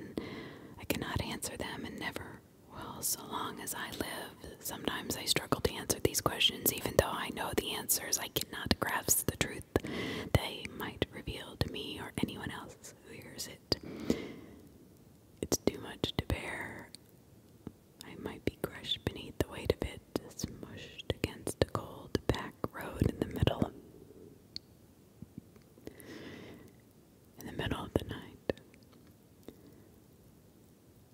I cannot answer them and never will so long as I live. Sometimes I struggle to answer these questions, even though I know the answers. I cannot grasp the truth they might reveal to me or anyone else who hears it. It's too much to bear. I might be crushed beneath the weight of it, smushed against a cold back road in the middle. In the middle of the night.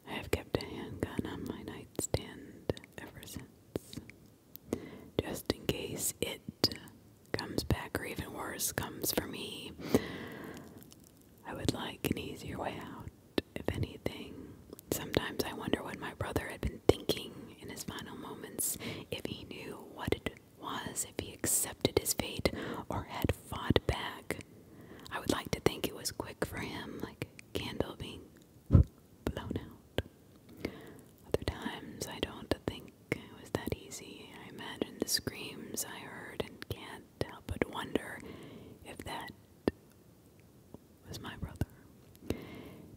I have kept a handgun on my nightstand ever since. Just in case it comes back, or even worse, comes for me. I would like an easier way out, if anything. Sometimes I wonder what my brother had been thinking in his final moments, if he knew what it was, if he accepted his fate, or had fought back. I would like to think it was quick for him, like candle being blown out. Other times I don't think it was that easy. I imagine the screams I heard and can't help but wonder if that was my brother.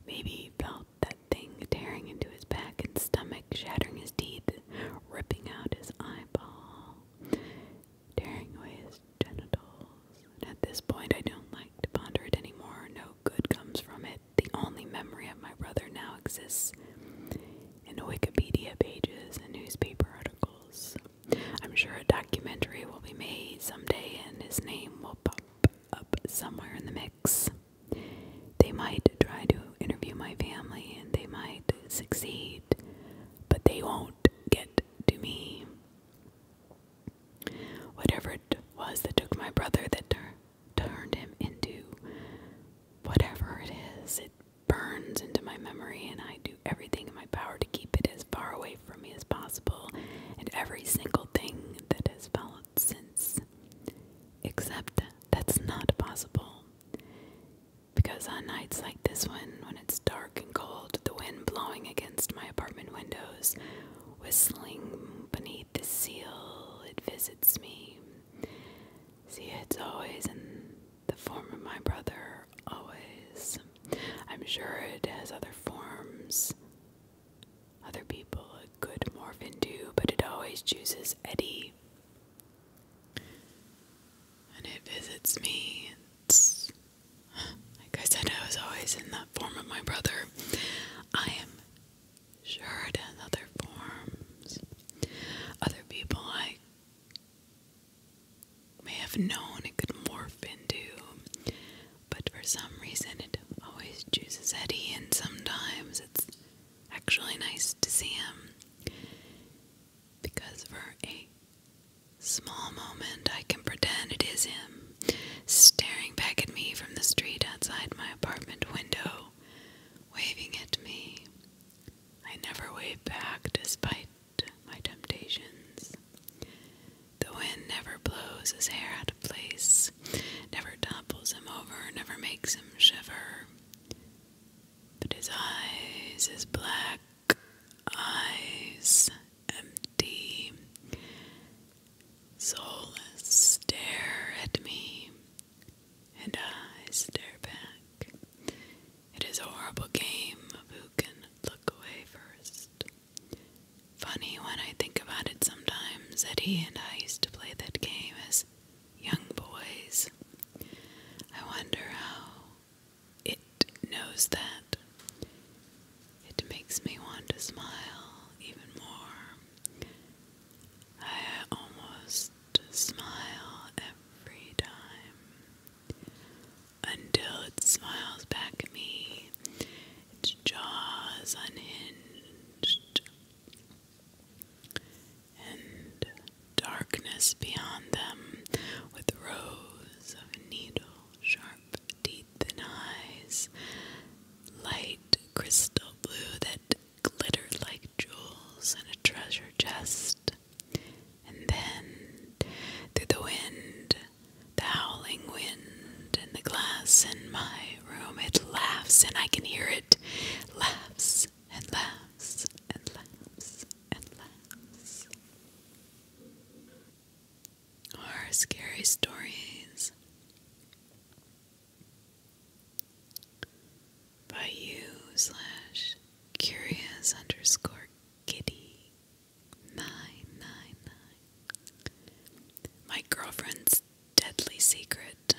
Maybe he felt that thing tearing into his back and stomach, shattering his teeth, ripping out his eyeball, tearing away his genitals. at this point, I don't like to ponder it anymore. No good comes from it. The only memory of my brother now exists in Wikipedia pages and newspaper articles. I'm sure a documentary will be made someday and his name will pop up somewhere in the mix. They might try to interview my family and they might succeed, but they won't get to me. Whatever it was that took my brother that turned him into whatever it is, it burns into my memory, and I do everything in my power to keep it as far away from me as possible, and every single thing that has followed since. Except that's not possible. Because on nights like this one, when it's dark and cold, the wind blowing against my apartment windows, whistling beneath the seal, it visits me. See, it's always in the form of my brother always. I'm sure it has other forms other people it could morph into, but it always chooses Eddie. And it visits me. It's, like I said, I was always in that form of my brother. I am sure it has other forms. Other people I may have known it could morph into, but for some reason it always chooses Eddie, and sometimes it's actually nice to see him because for a small moment I can pretend it is him staring back at me from the street outside my apartment window, waving at me. I never wave back despite my temptations. The wind never blows his hair out of place, never topples him over, never makes him shiver. But his eyes, his black eyes, empty, soulless, stare at me, and I stare back. It is a horrible game of who can look away first. Funny when I think about it sometimes that he and I used to play that game as young boys. I wonder how it knows that. It makes me want to smile even more. I almost smile every time until it smiles back at me, its jaws unhinged, and darkness beyond them with rows of needle sharp teeth and eyes, light crystal blue that glittered like jewels in a treasure chest and then through the wind, the howling wind, and the glass in my room, it laughs, and I can hear it laughs and laughs and laughs and laughs. Our scary stories by you slash curious underscore Giddy nine nine nine. My girlfriend's deadly secret.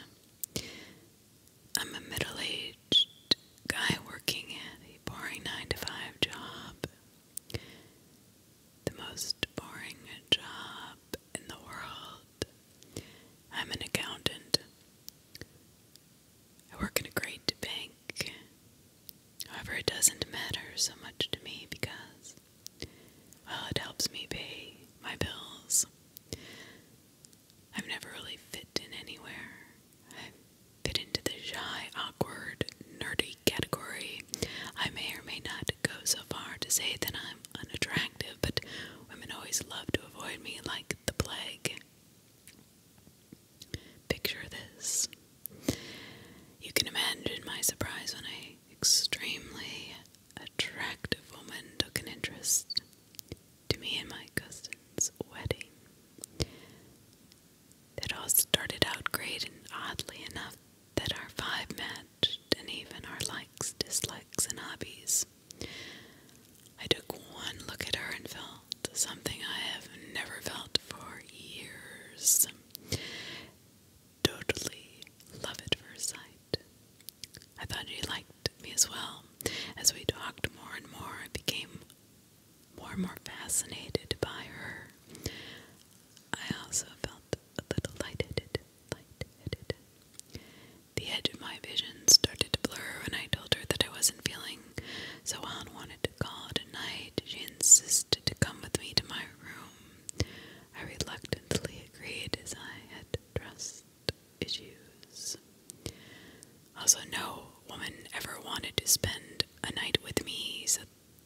I'm a middle-aged guy working at a boring nine-to-five job. The most boring job in the world. I'm an accountant. I work in a great bank. However, it doesn't matter so much to me because, well, it helps me pay my bills. I've never really fit in anywhere. I fit into the shy, awkward, nerdy category. I may or may not go so far to say that I'm unattractive, but women always love to avoid me like the plague. Picture this. You can imagine my surprise when an extremely attractive woman took an interest to me and my cousin's wedding. It all started out great, and oddly enough, that our vibe matched, and even our likes, dislikes, and hobbies. I took one look at her and fell something I have never felt for years. Totally love at first sight. I thought he liked me as well. As we talked more and more, I became more and more fascinated by her. I also felt a little light-headed, light-headed. The edge of my vision started to blur and I told her that I wasn't feeling so I wanted to call it a night. She insisted to come with me to my room. I reluctantly agreed as I had trust issues. Also, no woman ever wanted to spend a night with me, so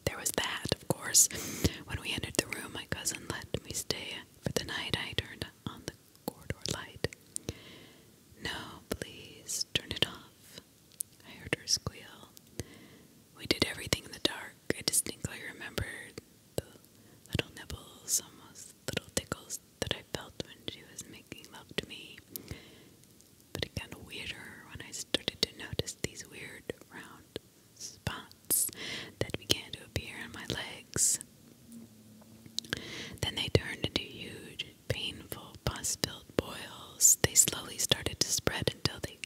there was that, of course. When we entered the room, my cousin let me stay for the night. I turned on the corridor light. No, please turn it off, I heard her squeal. We did everything in the dark. I distinctly remember the little nibbles, almost little tickles that I felt when she was making love to me. But it got weirder when I started to notice these weird round spots that began to appear on my legs. Then they turned into huge painful, pus filled boils. They slowly started to spread until they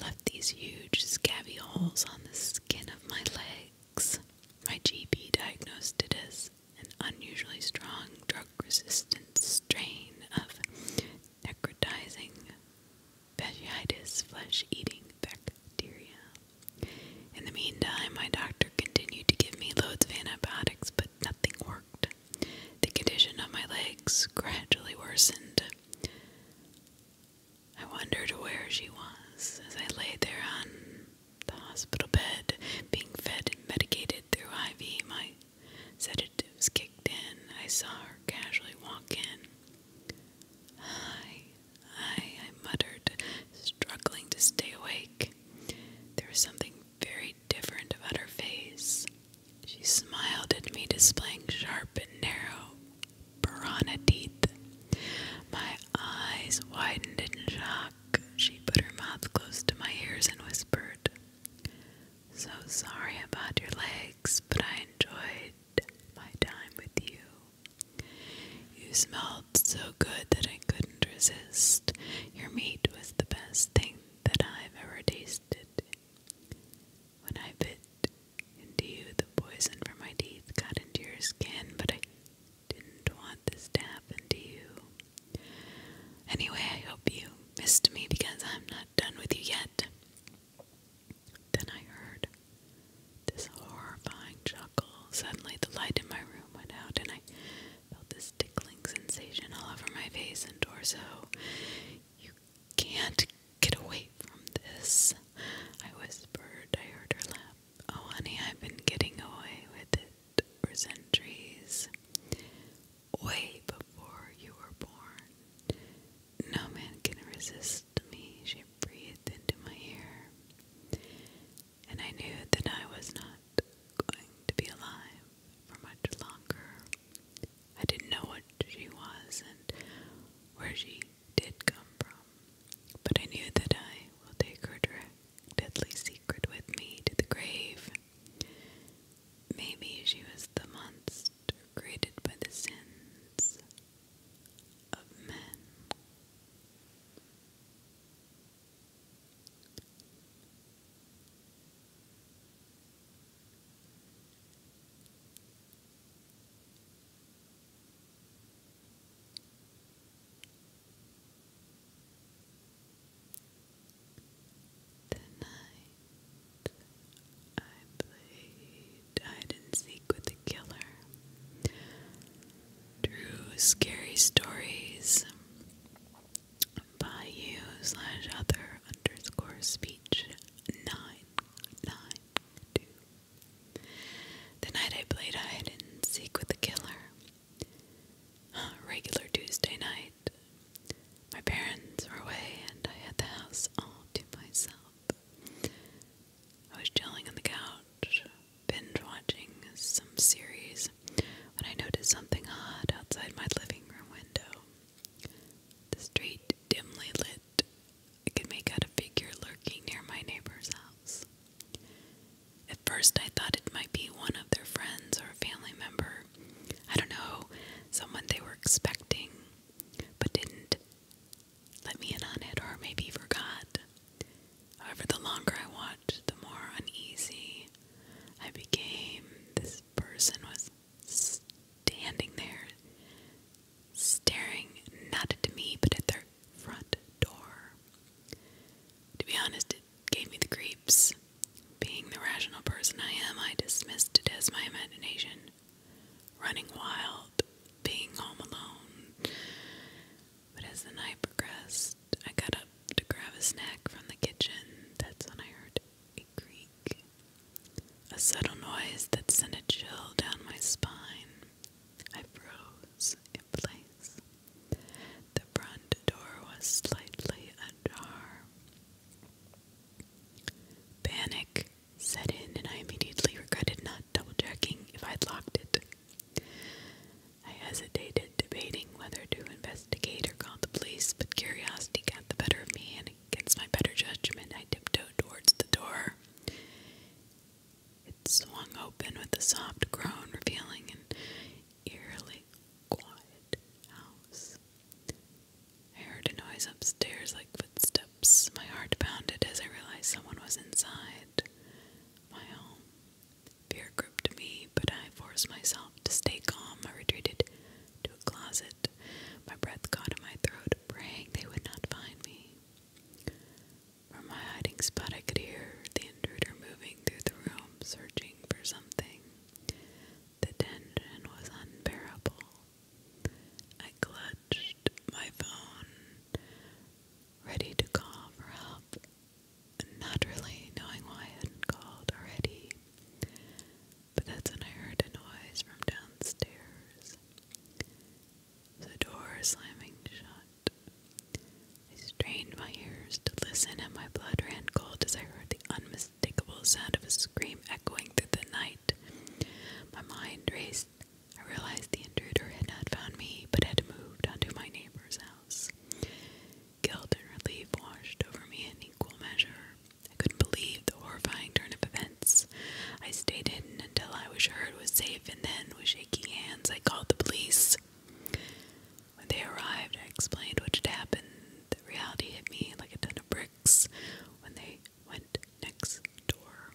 left these huge, scabby holes on the skin of my legs. My GP diagnosed it as an unusually strong drug resistant strain of necrotizing fasciitis, flesh eating bacteria. In the meantime, my doctor continued to give me loads of antibiotics, but nothing worked. The condition of my legs gradually worsened. I wondered where she was as I lay there on the hospital bed, being fed and medicated through IV. My sedatives kicked in. I saw her casually walk in. Hi, hi, I muttered, struggling to stay awake. There was something very different about her face. She smiled at me, displaying sharp and narrow piranha teeth. My eyes widened in shock. She put her mouth close to my ears and whispered, So sorry about your legs, but I enjoyed my time with you. You smelled so good that I couldn't resist. Your meat was the best thing that I have ever tasted. When I bit into you, the poison from my teeth got into your skin, but I didn't want this to happen to you. Anyway, I hope you missed me because I'm not done with you yet. Then I heard this horrifying chuckle. Suddenly, the light in my room went out, and I I felt this tickling sensation all over my face and torso. You can't get away from this, I whispered. I heard her laugh. Oh, honey, I've been getting away with it for centuries. Way before you were born. No man can resist me, she breathed into my ear. And I knew that I was not going to be alive for much longer. I didn't know what she was and where she did come from, but I knew that I will take her deadly secret with me to the grave. Maybe she was the monster created by the sins of men. Tonight I played hide and seek with the killer. Drew scary stories by you slash other underscore speech nine nine two. The night I played hide and seek with the killer. Regular Tuesday night. My parents were away and I had the house all to myself. I was chilling on the couch, binge watching some series when I noticed something odd outside my living room window. The street, dimly lit, I could make out a figure lurking near my neighbor's house. At first, I thought it might be one of their friends or a family member. I don't know, someone they were expecting, but didn't let me in on it or maybe forgot. However, the longer I watched, the more uneasy I became. This person was standing there, staring not at me but at their front door. To be honest, it gave me the creeps. Being the rational person I am, I dismissed it as my imagination. Running wild, being home alone. But as the night progressed, I got up to grab a snack from the kitchen. That's when I heard a creak, a subtle noise that sent a chill down my spine. I froze in place. The front door was slightly ajar. Panic set in, and I immediately regretted not double checking if I'd locked it. I hesitated, debating whether to investigate or call the police, but curiosity got the better of me, and against my better judgment, I tiptoed towards the door. It swung open with a soft groan, revealing an eerily quiet house. I heard a noise upstairs like footsteps. My heart pounded as I realized someone was inside my home. Fear gripped me, but I forced myself to stay calm. I retreated to a closet. My breath caught in my throat, praying they would not find me. From my hiding spot, I could hear the intruder moving through the room, searching for something. The tension was unbearable. I clutched my phone, ready to call for help, not knowing why I hadn't called already. But that's when I heard a noise from downstairs. The door slamming shut. I strained my ears to listen, and my blood ran cold as I heard the unmistakable sound of a scream echoing through the night. My mind raced. I realized the intruder had not found me, but had moved onto my neighbor's house. Guilt and relief washed over me in equal measure. I couldn't believe the horrifying turn of events. I stayed hidden until I was sure it was safe, and then, with shaking hands, I called the police. When they arrived, I explained what had happened. The reality hit me like a ton of bricks when they went next door.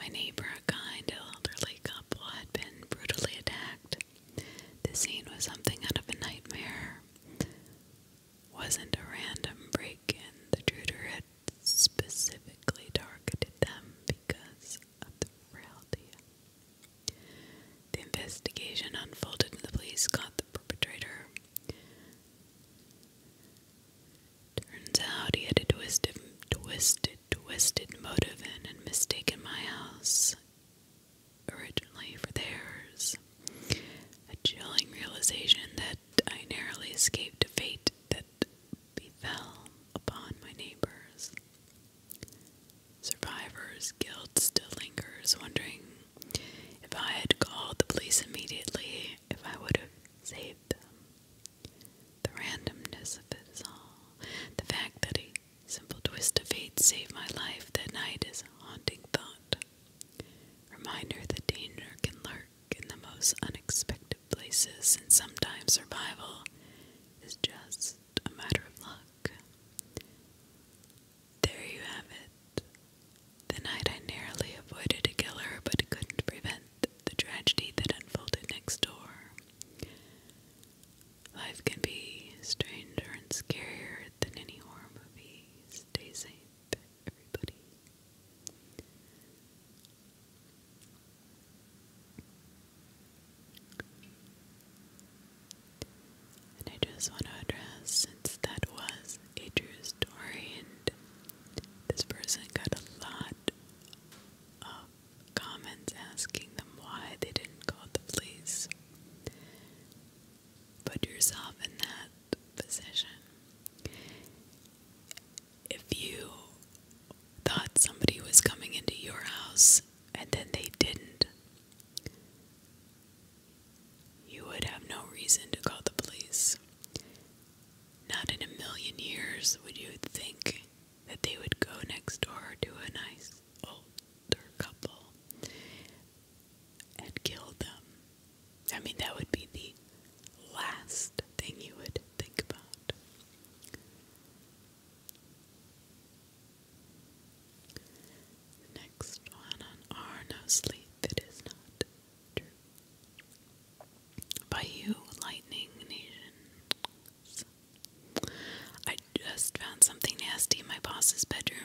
My neighbor, a kind elderly couple, had been brutally attacked. The scene was something out of a nightmare. Wasn't a random break in. The tutor had specifically targeted them because of the frailty. The investigation unfolded and the police caught the perpetrator. Turns out he had a twisted, twisted, twisted motive and and mistaken my house originally for theirs. A chilling realization that I narrowly escaped a fate that befell upon my neighbors. Survivors' guilt still lingers, wondering if I had called the police immediately, if I would have saved them. The randomness of it all, the fact that he Simple twist of fate saved my life that night is a haunting thought. Reminder that danger can lurk in the most unexpected places, and sometimes survival is just a matter of luck. There you have it. The night I narrowly avoided a killer but couldn't prevent the tragedy that unfolded next door. Life can be stranger and scarier than any horror coffee. Stay safe, everybody. And I just want to address, since that was a true story, and this person got a lot of comments asking them why they didn't call the police put yourself in that position. If you thought somebody was coming into your house and then they didn't, you would have no reason to call the police. Not in a million years would you think that they would go next door to a nice old couple and killed them. I mean, that would be the last thing you would think about. Next one on Are No Sleep, It Is Not True. By you, Lightning Nation. I just found something nasty in my boss's bedroom.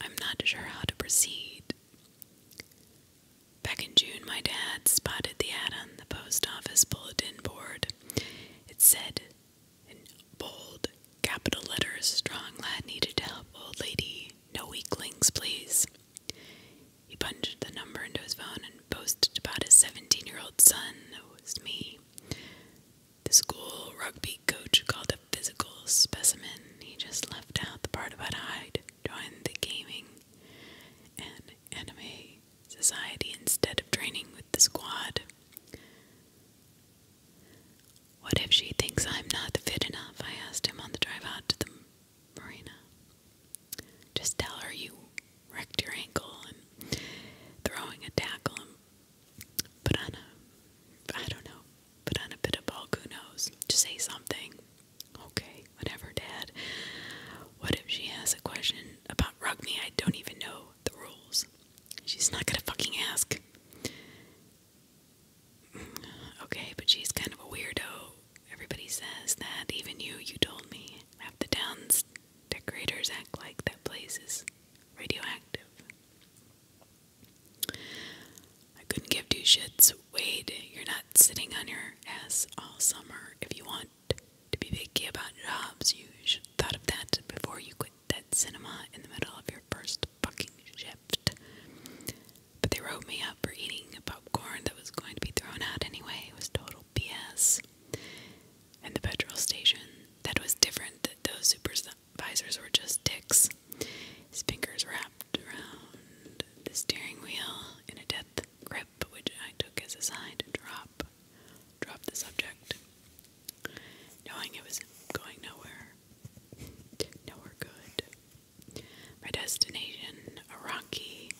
I'm not sure how to proceed. Back in June, my dad spotted the ad on the post office bulletin board. It said, in bold capital letters, strong lad needed help, old lady, no weaklings, please. He punched the number into his phone and posted about his 17 year old son, It was me. The school rugby coach called a physical specimen. He just left out the part about Hyde joined the gaming and anime society instead of training with the squad. What if she thinks I'm not fit enough? I asked him on the drive out to the marina. Just tell her you wrecked your ankle and throwing a tackle but on a, I don't know, but on a bit of bulk, who knows? Just say something. Okay, whatever, Dad. What if she has a question about Rugby? I don't even know the rules. She's not gonna fucking ask. Mm, okay, but she's kind of a weirdo. Everybody says that, even you, you told me. Half the town's decorators act like that place is radioactive. I couldn't give two shits. Wade, you're not sitting on your ass all summer. If you want to be picky about jobs, you should have thought of that before you quit that cinema in the middle of your first fucking shift. But they wrote me up for eating popcorn that was going to be thrown out anyway. It was total BS. And the petrol station, that was different. Those super visors were just dicks. His fingers wrapped around the steering wheel in a death grip, which I took as a sign to drop, drop the subject, knowing it was going nowhere, nowhere good. My destination, a rocky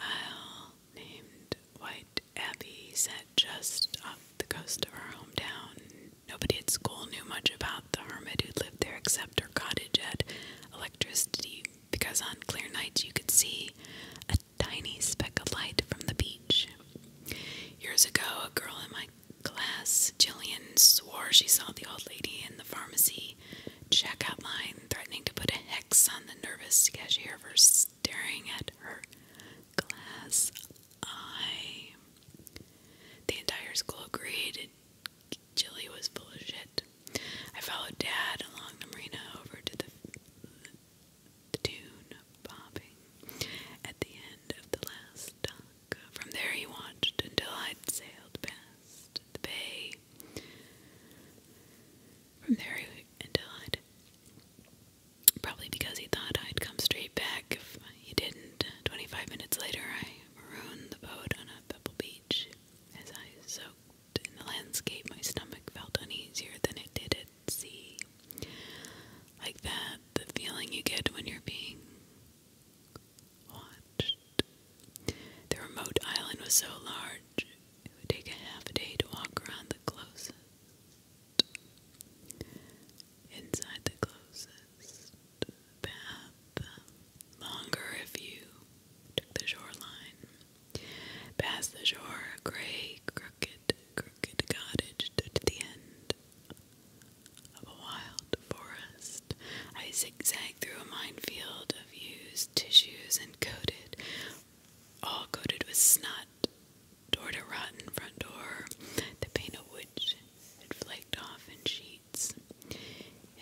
isle named White Abbey, set just off the coast of our hometown. Nobody at school knew much about the hermit who lived there except her cottage had electricity because on clear nights you could see a tiny speck of light from the beach. Years ago, a girl in my class, Jillian, swore she saw the old lady in the pharmacy checkout line threatening to put a hex on the nervous cashier for staring at her glass I. The entire school agreed Jilly was full of shit. I followed Dad along the marina over to the, the tune bobbing at the end of the last dock. From there he watched until i sailed past the bay. From there he, until i Probably because he thought I'd come straight back you didn't. 25 minutes later, I marooned the boat on a pebble beach. As I soaked in the landscape, my stomach felt uneasier than it did at sea. Like that, the feeling you get when you're being watched. The remote island was so large, it would take a half a day to walk around the closest. Inside the closest bath, longer if you took the shoreline. Past the shore, a gray, crooked, crooked cottage stood the end of a wild forest. I zigzagged through a minefield of used tissues and coated, all coated with snot. Toward a rotten front door, the paint of it flaked off in sheets,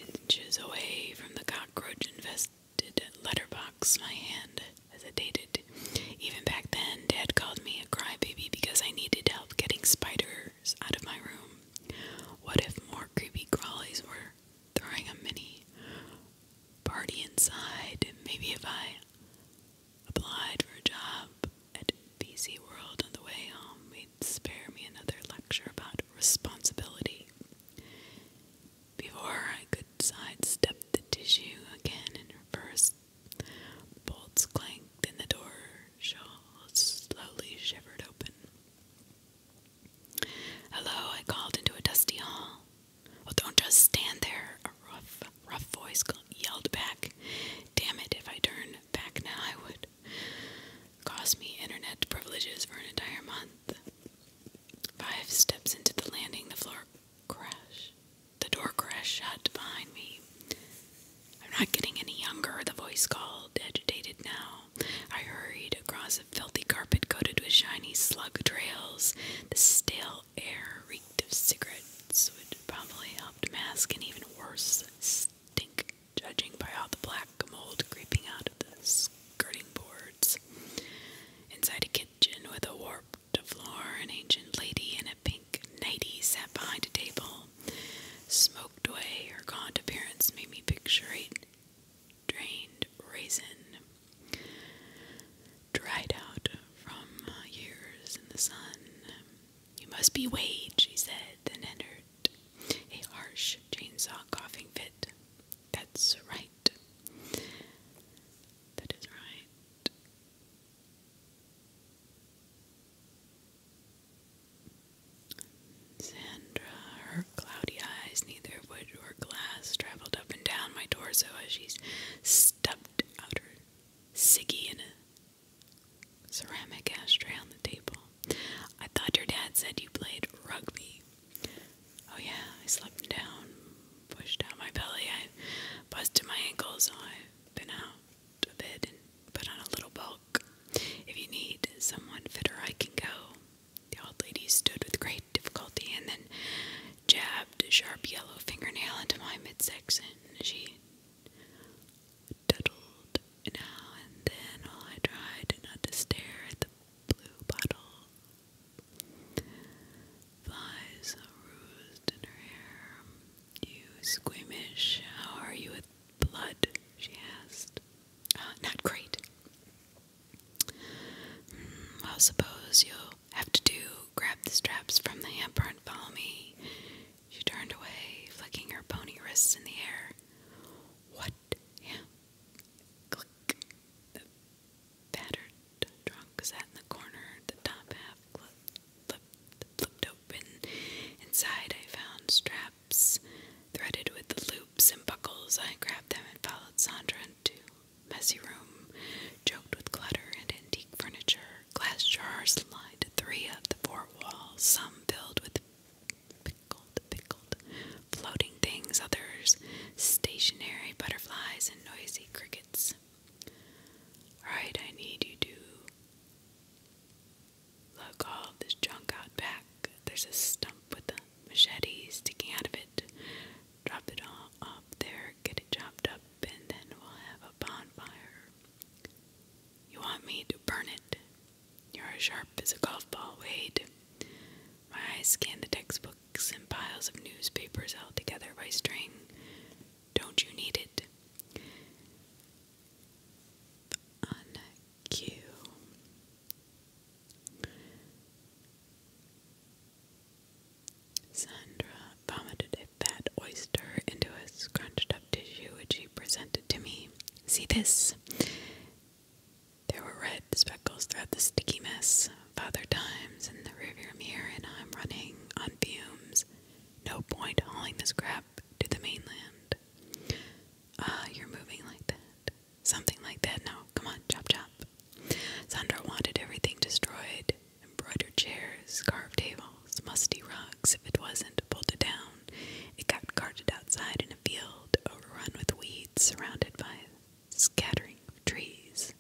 inches away from the cockroach infested letterbox my hand hesitated. Even back then, Dad called me a crybaby because I needed help getting spiders out of my room. What if more creepy crawlies were throwing a mini party inside? Maybe if I applied for a job at busy World on the way home spare me another lecture about responsibility. Before I could sidestep the tissue again and reverse, bolts clanked and the door slowly shivered open. Hello, I called into a dusty hall. Oh, don't just stand there, a rough, rough voice yelled back. Damn it, if I turn back now, I would Cost me internet privileges for an entire month. Five steps into the landing, the floor crashed. The door crashed shut behind me. I'm not getting any younger, the voice called, agitated now. I hurried across a filthy carpet coated with shiny slug trails. The stale air reeked of cigarettes, which probably helped mask an even worse stink judging by all the black mold creeping out of the skirting boards. Inside a kitchen with a warped floor, an ancient lady in a pink nightie sat behind a table. Smoked away, her gaunt appearance made me picture a drained raisin, dried out from years in the sun. You must be Wade, she said, then entered. A harsh chainsaw coughing fit. That's right. That is right. Sandra, her cloudy eyes, neither wood or glass, traveled up and down my torso as she stuffed out her ciggy in a ceramic ashtray on the table. I thought your dad said you played rugby. Oh yeah, I slept down, pushed out my belly, I busted my ankles. I've been out a bit and put on a little bulk. If you need someone fitter, I can go. The old lady stood with great difficulty and then jabbed a sharp yellow fingernail into my midsection. She doodled now and then while I tried not to stare at the blue bottle. Flies roused in her hair. You squeamish, how are you with blood? she asked. Ah, not great. well, hmm, suppose you'll have to do. Grab the straps from the hamper and follow me. She turned away, flicking her bony wrists in the air. What? Yeah. Click. The battered trunk sat in the corner, the top half flipped, flipped open. Inside, I found straps threaded with the loops and buckles. I grabbed them and followed Sandra into a messy room, choked with clutter and antique furniture. Glass jars lined three of the four walls, some filled with pickled, pickled, floating things, others stationary butterflies and noisy crickets. Right, I need you to lug all this junk out back. There's a stump with a sticking out of it. Drop it all up there, get it chopped up, and then we'll have a bonfire. You want me to burn it? You're as sharp as a golf ball, Wade. My eyes scan the textbooks and piles of newspapers held together by string. Don't you need it? On Sandra vomited a fat oyster into a scrunched up what tissue which he presented to me. See this? There were red speckles throughout the sticky mess. Father Time's in the rearview mirror, and I'm running on fumes. No point hauling this crap to the mainland. Ah, you're moving like that. Something like that. No, come on, chop chop. Sandra wanted everything destroyed embroidered chairs, carved tables, musty rugs if it wasn't bolted down. It got carted outside in a field overrun with weeds, surrounded by scattering of trees.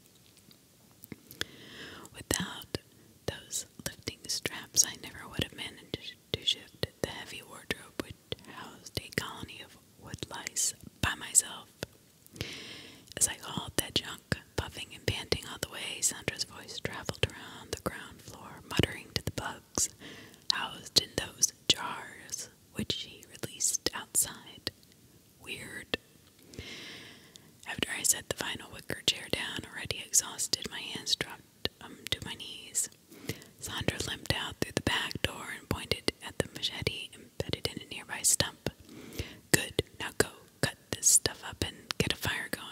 Without those lifting straps, I never would have managed to shift the heavy wardrobe which housed a colony of woodlice by myself. As I hauled that junk, puffing and panting all the way, Sandra's voice traveled around the ground floor, muttering to the bugs, housed in those jars which she released outside. Weird. After I set the final wicker chair down, already exhausted, my hands dropped um, to my knees. Sandra limped out through the back door and pointed at the machete embedded in a nearby stump. Good, now go cut this stuff up and get a fire going.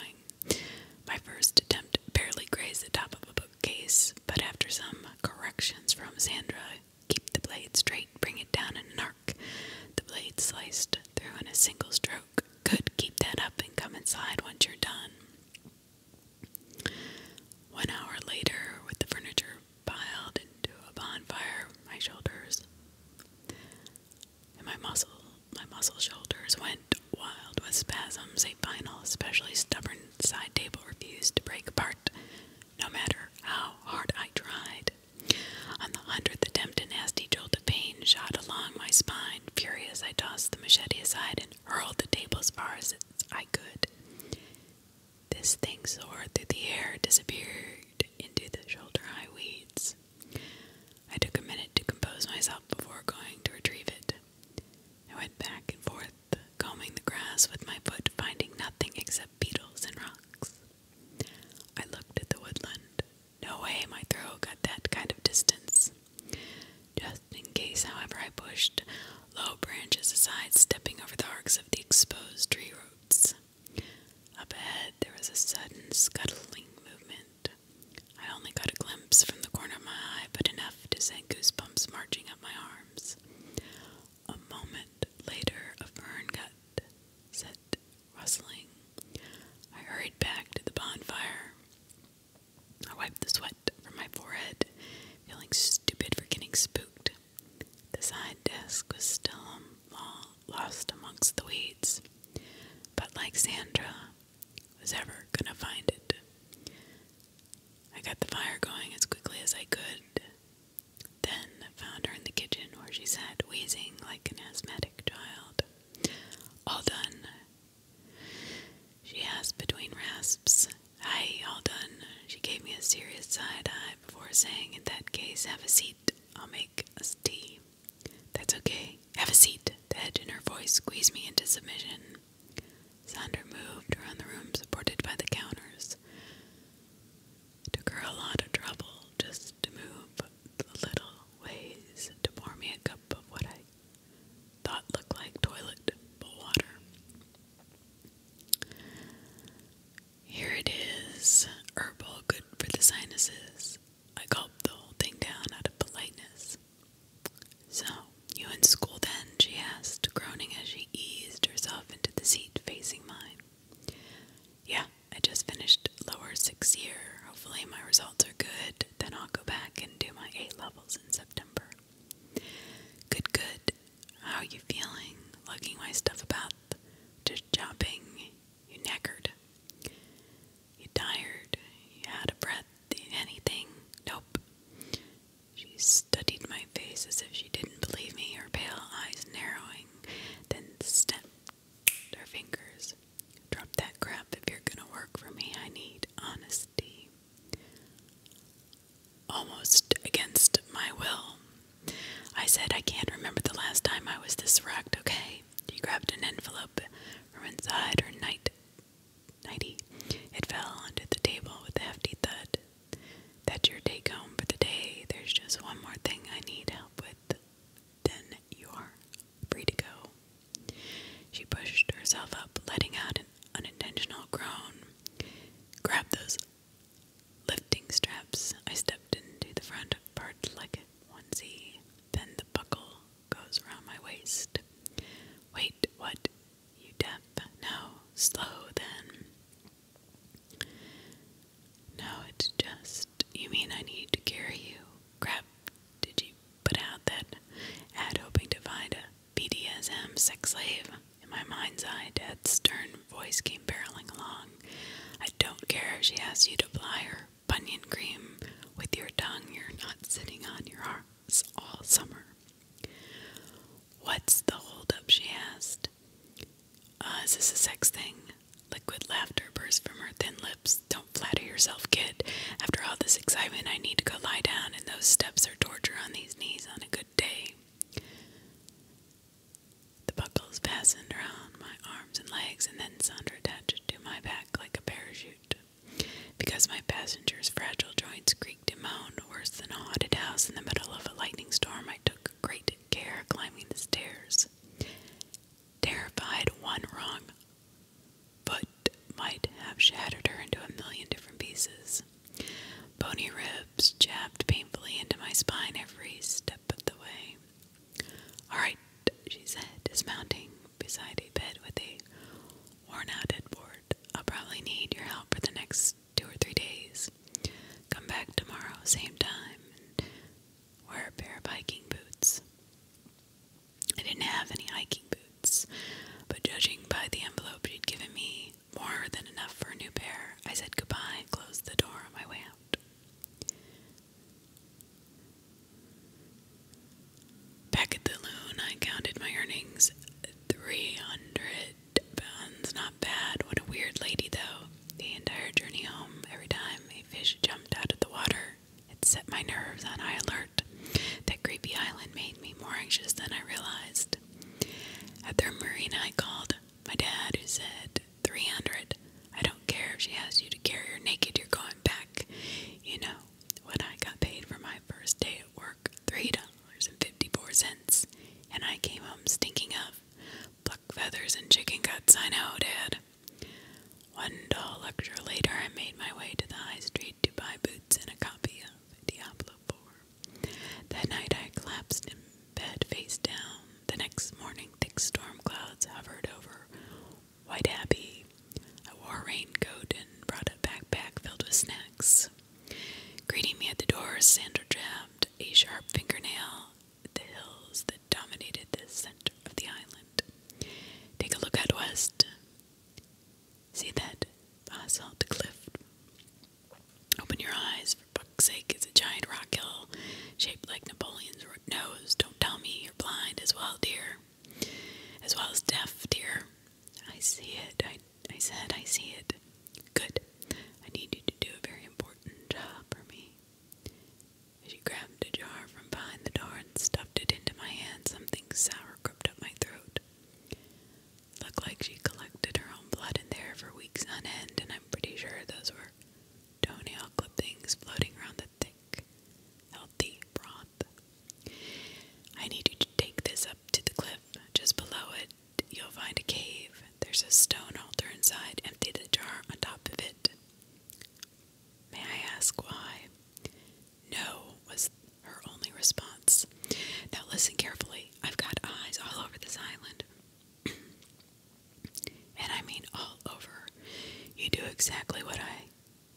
My first attempt barely grazed the top of a bookcase, but after some corrections from Sandra, keep the blade straight, bring it down in an arc. The blade sliced through in a single stroke. Good, keep that up and come inside once you're done. One hour later, with the furniture piled into a bonfire, my shoulders my muscle my muscle shoulders went wild with spasms, a final, especially stubborn side table refused to break apart, no matter how hard I tried. On the hundredth attempt, a nasty jolt of pain shot along my spine. Furious, I tossed the machete aside and hurled the table as far as I could. This thing soared through the air, disappeared into the shoulder high weeds. I took a minute to compose myself before going to retrieve it. I went back and forth, combing the grass with my foot, finding nothing except beetles and rocks. I looked at the woodland. No way my throw got that kind of distance. Just in case, however, I pushed low branches aside, stepping over the arcs of the exposed tree roots. Up ahead, there was a sudden scuttling movement. I only got a glimpse from the corner of my eye, but enough to send goosebumps marching up my arms. A moment later, a fern cut set rustling. I hurried back to the bonfire. I wiped the sweat from my forehead, feeling stupid for getting spooked. The side desk was still um, lost amongst the weeds, but like Sandra was ever gonna find it. I got the fire going as quickly as I could. Then found her in the kitchen where she sat wheezing like an asthmatic child. All done. She asked between rasps. Aye, all done. She gave me a serious side eye before saying, In that case, have a seat. I'll make us tea. That's okay. Have a seat. The edge in her voice squeezed me into submission. Sander moved around the room supported by the counters. took her a lot of trouble just to move the little ways to pour me a cup of what I thought looked like toilet water. Here it is, herbal, good for the sinuses. I gulped the whole thing down out of politeness. So, you in school then? she asked, groaning as she eased herself into the seat facing mine. Yeah, I just finished lower sixth year. Hopefully, my results are good. Then I'll go back and do my eight levels in September. Good, good. How are you feeling? Lugging my stuff about? Just jumping? You knackered? You tired? You out of breath? Anything? Nope. She studied my face as if she didn't believe me, her pale eyes narrowing, then snapped her fingers. Drop that crap if you're gonna work for me. I need honesty. Almost against my will. I said, I can't remember the last time I was this wrecked, okay? She grabbed an envelope from inside her night nighty. It fell onto the table with a hefty thud. That's your take home for the day. There's just one more thing I need help with. Then you're free to go. She pushed herself up, letting out an unintentional groan. Grab those lifting straps. I stepped into the front part like a onesie. Then the buckle goes around my waist. Wait, what? You deaf, no, slow then. No, it's just, you mean I need to carry you? Crap, did you put out that ad hoping to find a BDSM sex slave? In my mind's eye, Dad's stern voice came barreling along. I don't care if she asks you to apply her bunion cream with your tongue. You're not sitting on your arms all summer. What's the holdup? she asked. Uh, is this a sex thing? Liquid laughter burst from her thin lips. Don't flatter yourself, kid. After all this excitement, I need to go lie down, and those steps are torture on these knees on a good day. The buckles fastened around my arms and legs, and then Sandra attached to my back like a parachute. Because my passenger's fragile joints creak creaked worse than a haunted house in the middle of a lightning storm. I took great care climbing the stairs. Terrified, one wrong foot might have shattered her into a million different pieces. Bony ribs jabbed painfully into my spine every step of the way. All right, she said, dismounting beside a bed with a Worn out and I'll probably need your help for the next two or three days. Come back tomorrow, same time, wear a pair of hiking boots. I didn't have any hiking boots, but judging by the envelope she'd given me, more than enough for a new pair, I said goodbye and closed the door on my way out. Back at the loon, I counted my earnings 300 Bun's not bad. What a weird lady, though. The entire journey home, every time a fish jumped out of the water, it set my nerves on high alert. That creepy island made me more anxious than I realized. At their marina, I called my dad, who said, 300. I don't care if she asks you to carry her naked, you're going back. You know, when I got paid for my first day work three dollars and fifty four cents, and I came home stinking of pluck feathers and chicken guts. I know, Dad. One dull lecture later, I made my way to the high street to buy boots and a copy of Diablo Four. That night, I collapsed in bed face down. The next morning, thick storm clouds hovered over White Abbey. I wore a raincoat and brought a backpack filled with snacks. Greeting me at the door, Sandra jabbed a sharp fingernail at the hills that dominated the center of the island. Take a look out west. See that basalt cliff? Open your eyes, for fuck's sake, it's a giant rock hill shaped like Napoleon's nose. Don't tell me you're blind as well, dear. As well as deaf, dear. I see it, I I said, I see it. Good. I need you to do a very important job for me. She grabbed a jar from behind the door and stuffed it into my hand. Something sour crept up my throat. It looked like she collected her own blood in there for weeks on end, and I'm pretty sure those were toenail things floating around the thick, healthy broth. I need you to take this up to the cliff. Just below it, you'll find a cave. There's a stone altar inside. Empty the jar on top of it. May I ask why? No, was her only response. Now listen carefully. I've got eyes all over this island. *clears throat* and I mean all over. You do exactly what I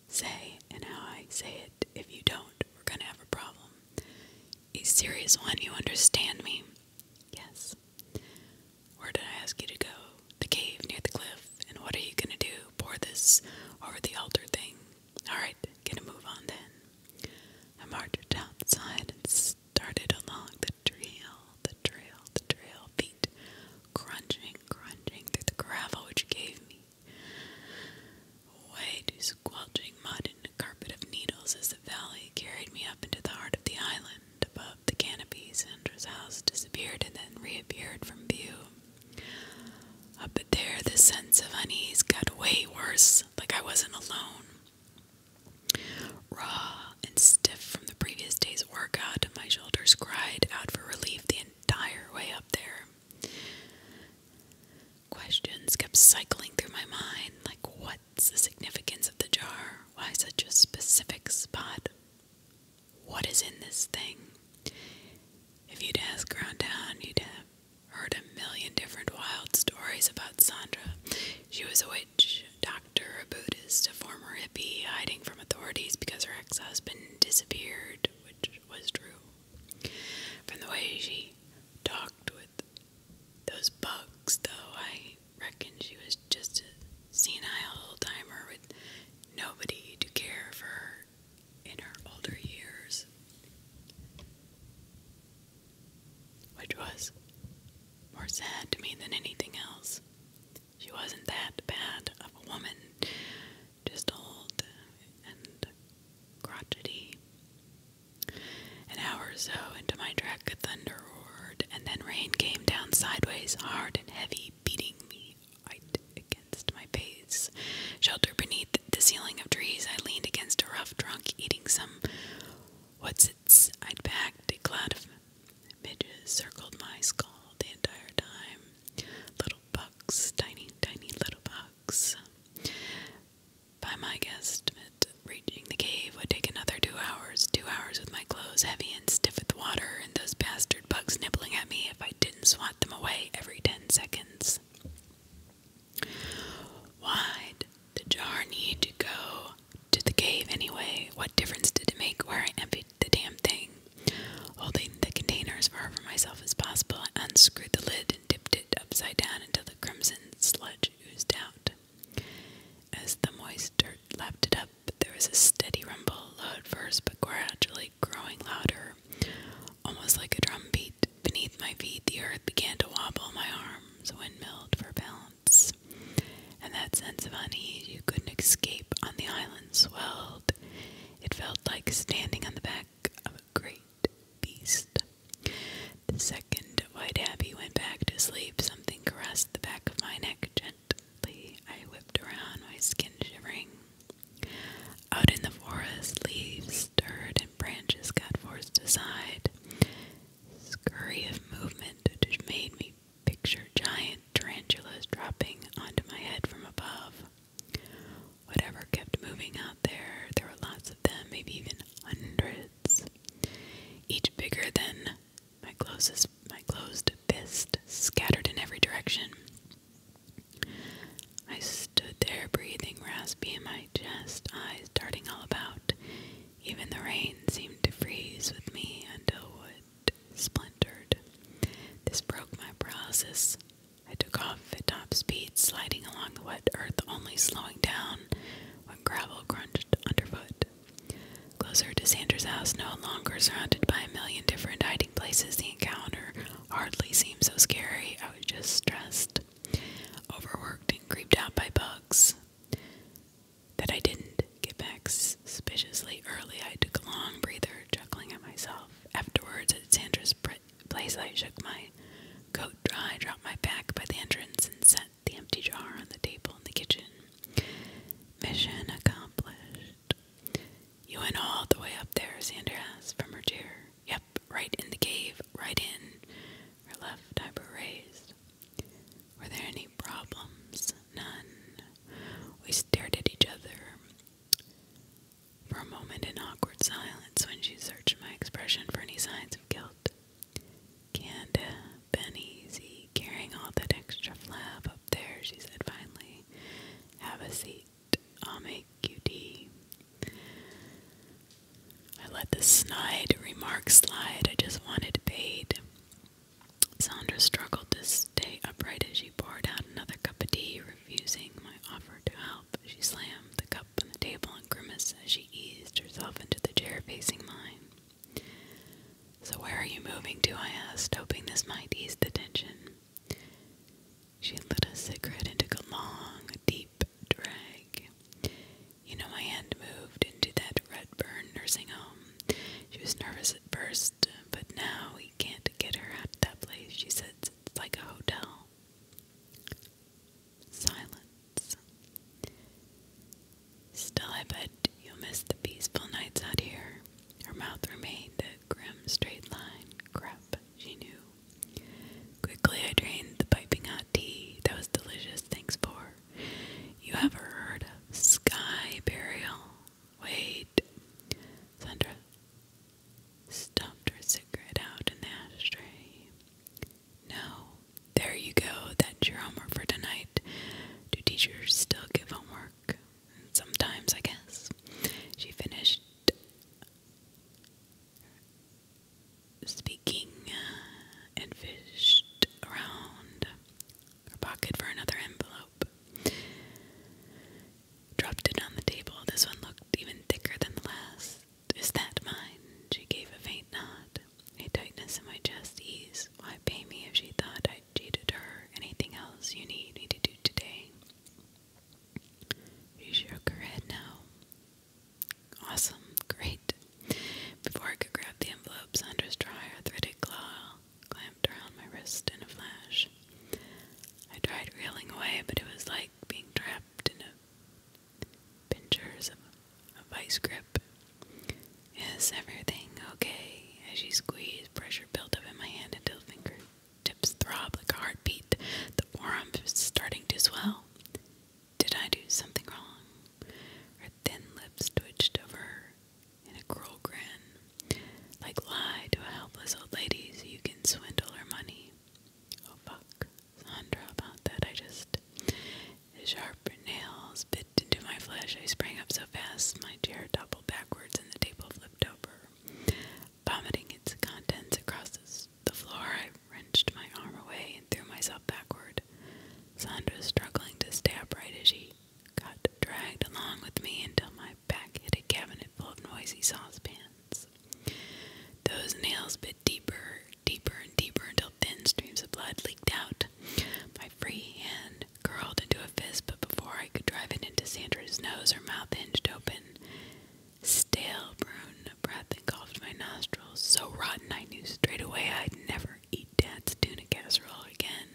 say and how I say it. If you don't, we're going to have a problem a serious one. You understand me? Yes. Where did I ask you to go? The cave near the cliff. And what are you gonna do? Pour this over the altar thing. Alright, gonna move on then. I marched outside and started along the trail, the trail, the trail, feet crunching, crunching through the gravel which gave me White, squelching mud and a carpet of needles as the valley carried me up into the heart of the island. Above the canopies, Sandra's house disappeared and then reappeared from view. Up at there, the sense of unease got way worse, like I wasn't alone. Raw and stiff from the previous day's workout, my shoulders cried out for relief the entire way up there. Questions kept cycling through my mind like, what's the significance of the jar? Why such a specific spot? What is in this thing? If you'd asked around town, you'd have heard a million different wild stories about Sandra. She was a witch, a doctor, a Buddhist, a former hippie, hiding from authorities because her ex husband disappeared, which was true. From the way she talked with those bugs, though. I reckon she was just a senile old timer with nobody to care for her in her older years. Which was more sad to me than anything else. She wasn't that bad of a woman, just old and crotchety. An hour or so into my trek, thunder roared, and then rain came down sideways, hard and heavy, beating me right against my face. Sheltered beneath the ceiling of trees, I leaned against a rough trunk, eating some what's its I'd packed. A cloud of midges circled my skull the entire time. Little bugs, tiny, tiny little bugs. By my guesstimate, reaching the cave would take another two hours. Two hours with my clothes heavy and stiff with water, and those bastard bugs nibbling at me if I didn't swat them away every ten seconds. Why did the jar need to go to the cave anyway? What difference did it make where I emptied the damn thing? Holding the container as far from myself as possible, I unscrewed the lid and dipped it upside down into the crimson sludge as the moist dirt lapped it up, there was a steady rumble, low first but gradually growing louder, almost like a drum Beneath my feet, the earth began to wobble, my arms windmilled for balance. And that sense of unease you couldn't escape on the island swelled. It felt like standing on the back of great beast. The second white abbey went back to sleep. Something caressed the back of my neck gently. I whipped around, my skin shivering. Out in the forest, leaves stirred and branches got forced aside. Scurry of movement which made me picture giant tarantulas dropping onto my head from above. Whatever kept moving out there, there were lots of them, maybe even hundreds each bigger than my closest my closed fist, scattered in every direction. I stood there breathing raspy in my chest, eyes darting all about. Even the rain seemed to freeze with me until it splintered. This broke my paralysis. I took off at top speed, sliding along the wet earth, only slowing down when gravel crunched underfoot. Closer to Sandra's house, no longer surrounded by a million different hiding places, the encounter hardly seemed so scary. I was just stressed, overworked, and creeped out by bugs. That I didn't get back suspiciously early, I took a long breather, chuckling at myself. Afterwards, at Sandra's place, I shook my coat dry, dropped my pack by the entrance, and sat the empty jar on the table in the kitchen. Mission accomplished. You went all the way up there, Sandra asked from her chair. Yep, right in the cave, right in. Her left eyebrow raised. Were there any problems? None. We stared at each other. For a moment in awkward silence when she searched my expression for any signs of guilt. Canada, been easy, carrying all that extra flab up there, she said finally. Have a seat. I'll make you tea. I let the snide remark slide. I just wanted paid. Sandra struggled to stay upright as she poured out another cup of tea, refusing my offer to help. She slammed the cup on the table grimace as she eased herself into the chair facing mine. So, where are you moving to? I asked, hoping this might ease the tension. She lit a cigarette and took a long, deep drag. You know, my hand moved into that red burn nursing home. She was nervous at first, but now we can't get her out of that place. She said, it's like a hotel silence. Still, I bet you'll miss the peaceful nights out here. Her mouth remained a grim straight line. Crap, she knew. Quickly, I drained the piping hot tea. That was delicious, thanks for. You ever heard of sky burial? Wait. Sandra stuffed her cigarette out in ashtray. No. There you go. That's your homework for tonight. Do teachers still give homework? Sometimes, I guess. She finished speaking uh, and fished around her pocket for another envelope. Dropped it on the table. This one looked even thicker than the last. Is that mine? She gave a faint nod. A tightness in my chest eased. Why pay me if she thought I cheated her? Anything else you need me to do today? She shook her head now. Awesome. Great. Before I could grab the envelope, Sandra's dry arthritic claw clamped around my wrist in a flash. I tried reeling away, but it was like being trapped in a Pinchers of a vice grip. Is everything okay? As you squeeze, pressure built up in my hand until fingertips throb like a heartbeat. The forearm was starting to swell. Did I do something wrong? Her thin lips twitched over her in a cruel grin. Like lie to a helpless old lady so you can swindle her money. Oh fuck, Sandra about that. I just. His sharp nails bit into my flesh. I sprang up so fast, my chair toppled backwards and the table flipped over. Vomiting its contents across the floor, I wrenched my arm away and threw myself backward. Sandra, was struggling to stay upright as she got dragged along with me until my back hit a cabinet full of noisy saucepans. Those nails bit deeper, deeper, and deeper until thin streams of blood leaked out. My free hand curled into a fist, but before I could drive it into Sandra's nose, her mouth hinged open. Stale brown breath engulfed my nostrils, so rotten I knew straight away I'd never eat Dad's tuna casserole again.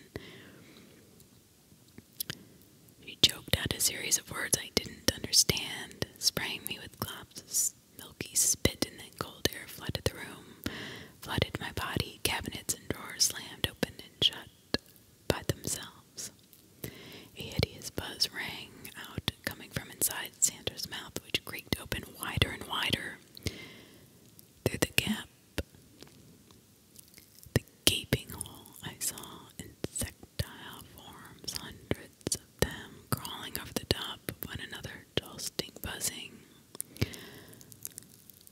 He choked out a series of words I didn't understand, spraying me with globs Milky spit and then cold air flooded the room, flooded my body. Cabinets and drawers slammed open and shut by themselves. A hideous buzz rang out, coming from inside Sanders' mouth, which creaked open wider and wider. Through the gap, the gaping hole, I saw insectile forms, hundreds of them crawling over the top of one another, jolting, buzzing.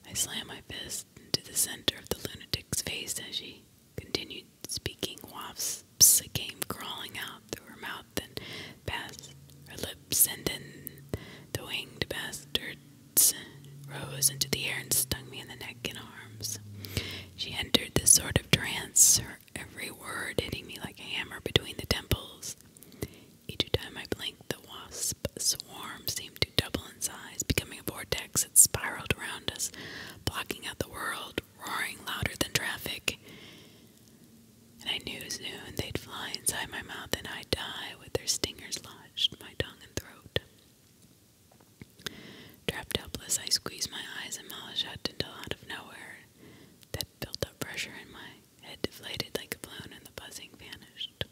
I slammed my fist into the center of the lunatic's face as she continued speaking. Wafts came crawling out through her mouth and past her lips, and then the winged bastards rose into the air and stung me in the neck and arms. She entered this sort of trance, her every word hitting me like a hammer between the temples. Each time I blinked, the wasp swarm seemed to double in size, becoming a vortex that spiraled around us, blocking out the world, roaring louder than traffic. And I knew soon they'd fly inside my mouth and I'd die with their stingers lodged in my tongue and throat. Trapped helpless, I squeezed my eyes and mouth shut until out of nowhere that built up pressure in my head deflated like a balloon, and the buzzing vanished.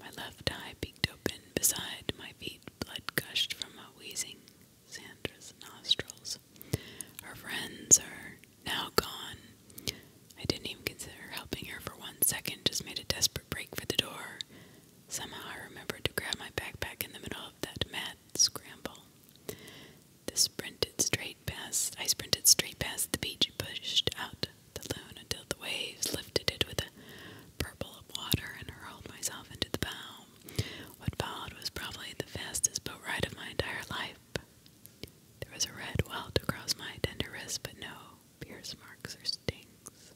My left eye peeked open beside my feet. Blood gushed from a wheezing Sandra's nostrils. Her friends are now gone. I didn't even consider helping her for one second, just made a desperate break for the door. Somehow I remembered to grab my backpack in the middle of that mad scramble. This sprinted straight past. I sprinted straight past the beach, pushed out the loon until the waves lifted it with a purple of water, and hurled myself into the bow. What followed was probably the fastest boat ride of my entire life. There was a red welt across my tender wrist, but no pierce marks or stings.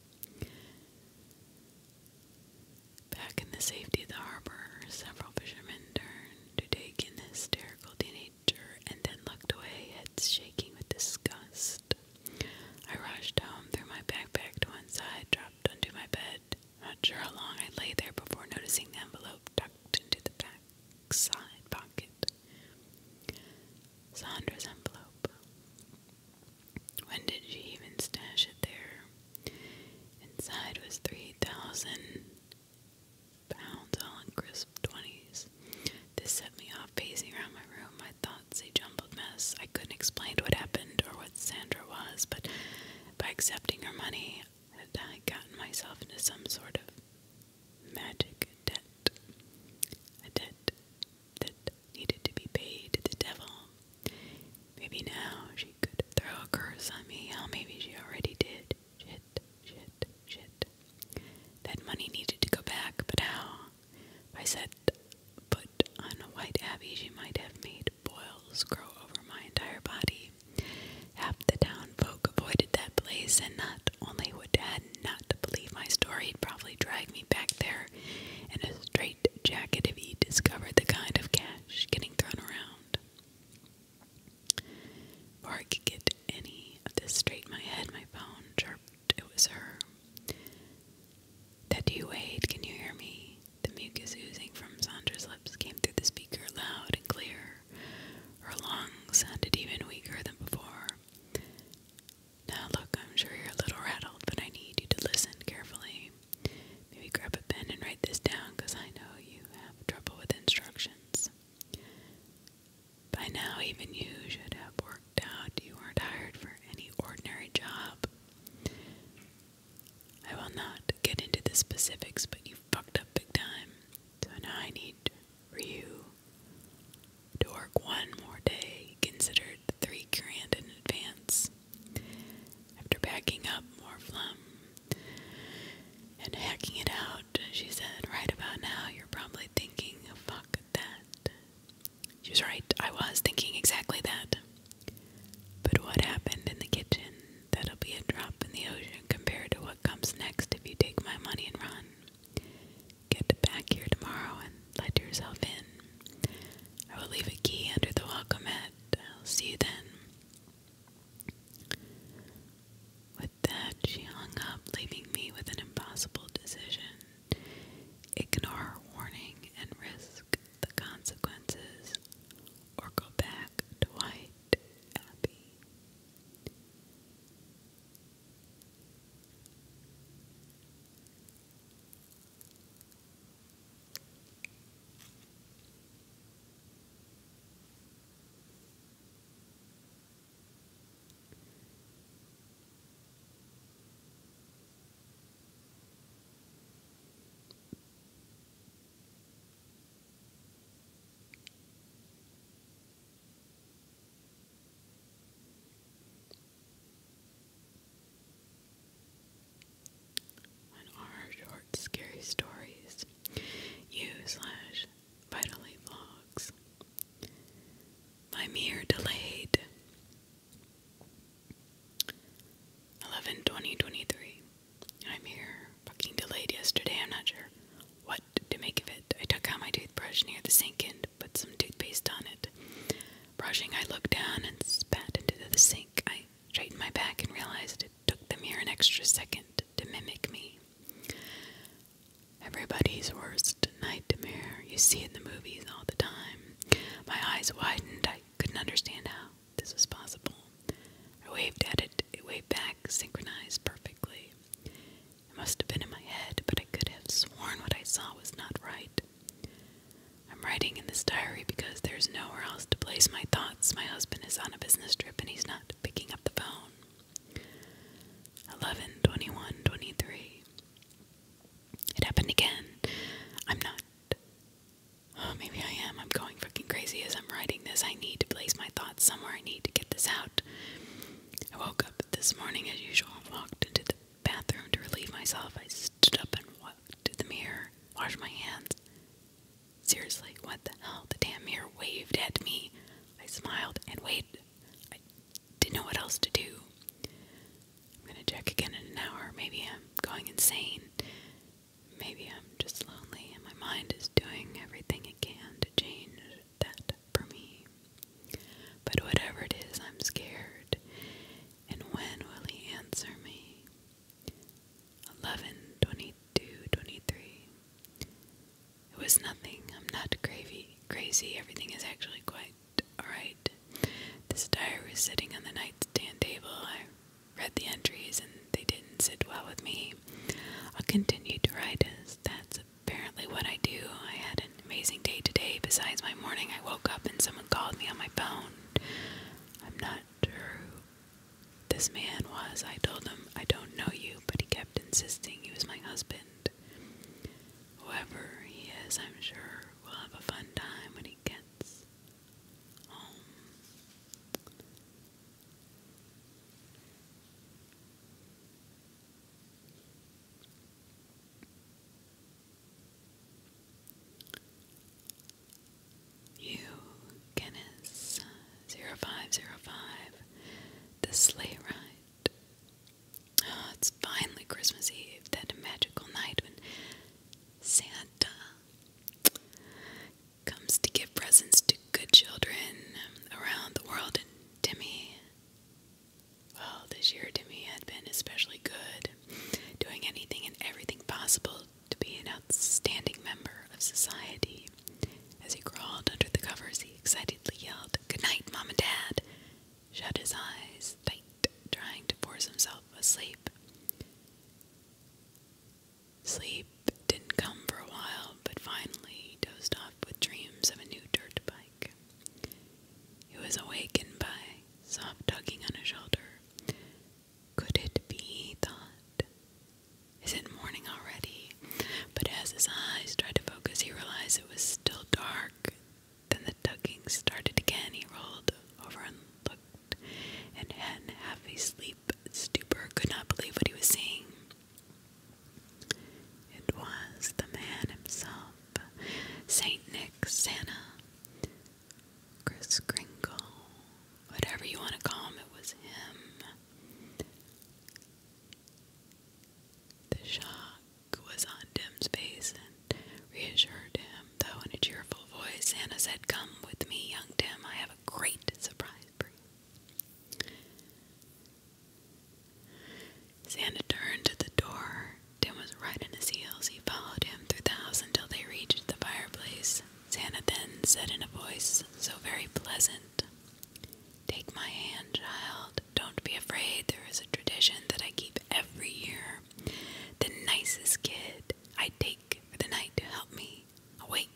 Back in the safety of the harbor, several fishermen turned to take in the hysterical teenage and then looked away, head shaking with disgust. I rushed home, threw my backpack to one side, dropped onto my bed. Not sure how long I lay there before noticing the envelope tucked into the back side pocket. Sandra's envelope. When did she even stash it there? Inside was three thousand pounds, all in crisp 20s. This set me off, pacing around my room, my thoughts a jumbled mess. I couldn't explain what happened or what Sandra was, but by accepting her money, had I gotten myself into some sort of magic debt. A debt that needed to be paid to the devil. Maybe now she could throw a curse on me, or maybe she already did shit, shit, shit. That money needed to go back, but how? I said, "Put on a white abbey, she might have made boils grow over my entire body. Half the town folk avoided that place, and not only would Dad not believe my story, he'd probably drag me back there in a straight jacket if he discovered the kind of cash getting thrown around. Before I could get any of this straight in my head, my phone chirped. It was her. Daddy Wade, can you hear me? The mucus oozing from Sandra's lips came through the speaker loud and clear. Her lungs sounded even weaker than before. Now, look, I'm sure you're a little rattled, but I need you to listen carefully. Maybe grab a pen and write this down because I know you have trouble with instructions. By now, even you should have worked out you aren't hired for any ordinary job. I will not get into the specifics, but you fucked up big time. So now I need for you to work one more day, considered three grand in advance. After backing up more flum and hacking it out, she said. Right about now, you're probably thinking, fuck that. She was right, I was thinking exactly that. But what happened in the kitchen? That'll be a drop in the ocean compared to what comes next if you take my money and run. Get back here tomorrow and let yourself in. I will leave a key under the welcome mat. I'll see you then that, she hung up, leaving me with an impossible decision ignore her warning and risk the consequences, or go back to White Abbey. What are short, scary stories? You slash Vitally Vlogs. I'm here delayed. 11 2023. I'm here fucking delayed yesterday. I'm not sure what to make of it. I took out my toothbrush near the sink and put some toothpaste on it. Brushing, I looked down and spat into the sink. I straightened my back and realized it took the mirror an extra second to mimic me. Everybody's worst nightmare. You see in the movies all the time. My eyes widened. I couldn't understand how this was possible. I waved at it. It waved back, synchronized perfectly. It must have been in my head, but I could have sworn what I saw was not right. I'm writing in this diary because there's nowhere else to place my thoughts. My husband is on a business trip and he's not picking up the phone. 11, 21, 23. It happened again. I'm not. Oh, maybe I am. I'm going fucking crazy as I'm writing this. I need to place my thoughts somewhere. I need to get this out. I woke up this morning as usual, walked into the bathroom to relieve myself. I stood up and walked to the mirror, washed my hands. Seriously, what the hell? The damn mirror waved at me. I smiled and waited I didn't know what else to do. I'm gonna check again in an hour. Maybe I'm going insane. Maybe I'm just lonely and my mind is doing everything it can to change that for me. But whatever it is, I'm scared. And when will he answer me? 11, it was nothing. I'm not crazy. Crazy. Everything is actually quite all right. This diary was sitting on the nightstand table. I read the entries, and they didn't sit well with me. I'll continue to write as that's apparently what I do. I had an amazing day today. Besides my morning, I woke up and someone called me on my phone. I'm not sure this man was. I told him I don't know you, but he kept insisting he was my husband. Whoever he is, I'm sure, we will have a fun time when he gets home. You, Guinness, 0505, the sleigh ride Oh, it's finally Christmas Eve, that magical night when Santa comes to give presents to good children around the world. And Timmy, well, this year Timmy had been especially good, doing anything and everything possible to be an outstanding member of society. As he crawled under the covers, he she excitedly yelled. Good night, Mom and Dad. Shut his eyes tight, trying to force himself asleep. Sleep didn't come for a while, but finally he dozed off with dreams of a new dirt bike. He was awakened by soft tugging on his shoulder. Could it be, he thought? Is it morning already? But as his eyes tried to focus, he realized it was still dark, then the tugging started again. He rolled over and looked, and in half a sleep stupor could not believe what he was seeing. It was the man himself, Saint Nick, Santa, Chris Kringle, whatever you want to call him, it was him. The shock was on Dim's face and reassured him, though in a cheerful voice Santa said, Come with me, young Dim, I have a great surprise for you. Santa turned to the door. Dim was right in his heels. He followed him through the house until they reached the fireplace. Santa then said in a voice so very pleasant Take my hand, child. Don't be afraid. There is a tradition that I keep every year. The nicest kid I take for the night to help me awake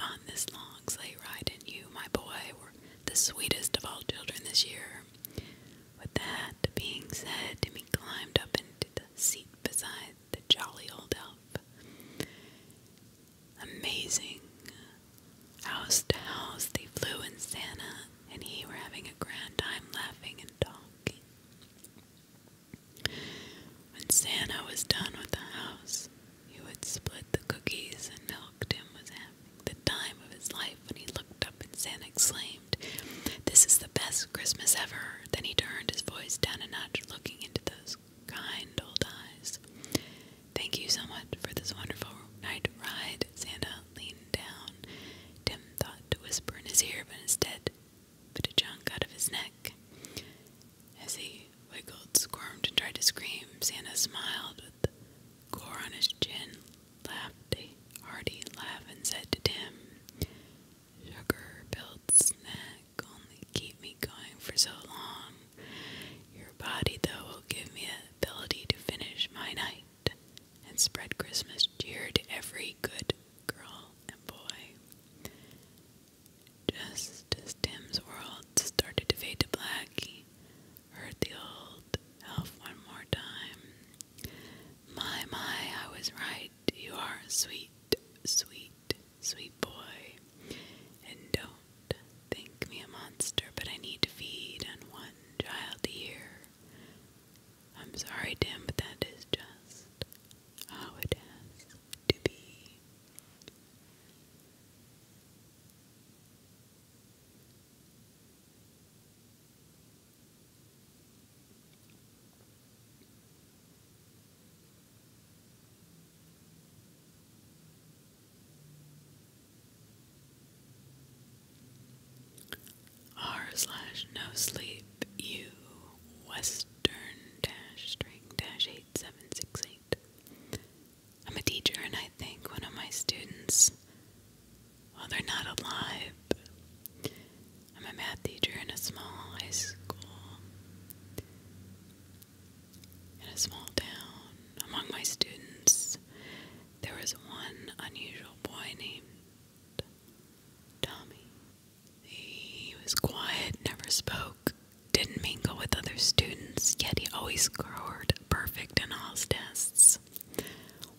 on this long sleigh ride, and you, my boy, were the sweetest of all children this year. With that being said, Timmy climbed up into the seat beside the jolly old elf. Amazing House to house they flew, and Santa and he were having a grand time laughing and talking. When Santa was done with the house, he would split the cookies and milk. Tim was having the time of his life when he looked up and Santa exclaimed, This is the best Christmas ever. Then he turned his voice down a notch, looking into those kind old eyes. Thank you so much for this wonderful night ride. Santa leaned down. Tim thought to whisper in his ear, but instead bit a chunk out of his neck. As he wiggled, squirmed, and tried to scream, Santa smiled with gore on his chin, laughed a hearty laugh, and said to Tim, Sugar-filled snack, only keep me going for so long. Your body, though, will give me ability to finish my night and spread Christmas cheer to every good girl and boy. Just as Tim's world started to fade to black, he heard the old elf one more time. My, my, I was right. You are sweet, sweet, sweet boy. And don't think me a monster, but I need to feed on one child a year. I'm sorry, Tim, but that is just how it has to be. R slash no sleep U Western dash string dash eight seven six eight. I'm a teacher and I think one of my students while they're not alive. I'm a math teacher in a small high school in a small town. Among my students there was one unusual boy named Tommy. He was quiet, never spoke, didn't mingle with other students, yet he always scored perfect in all his tests.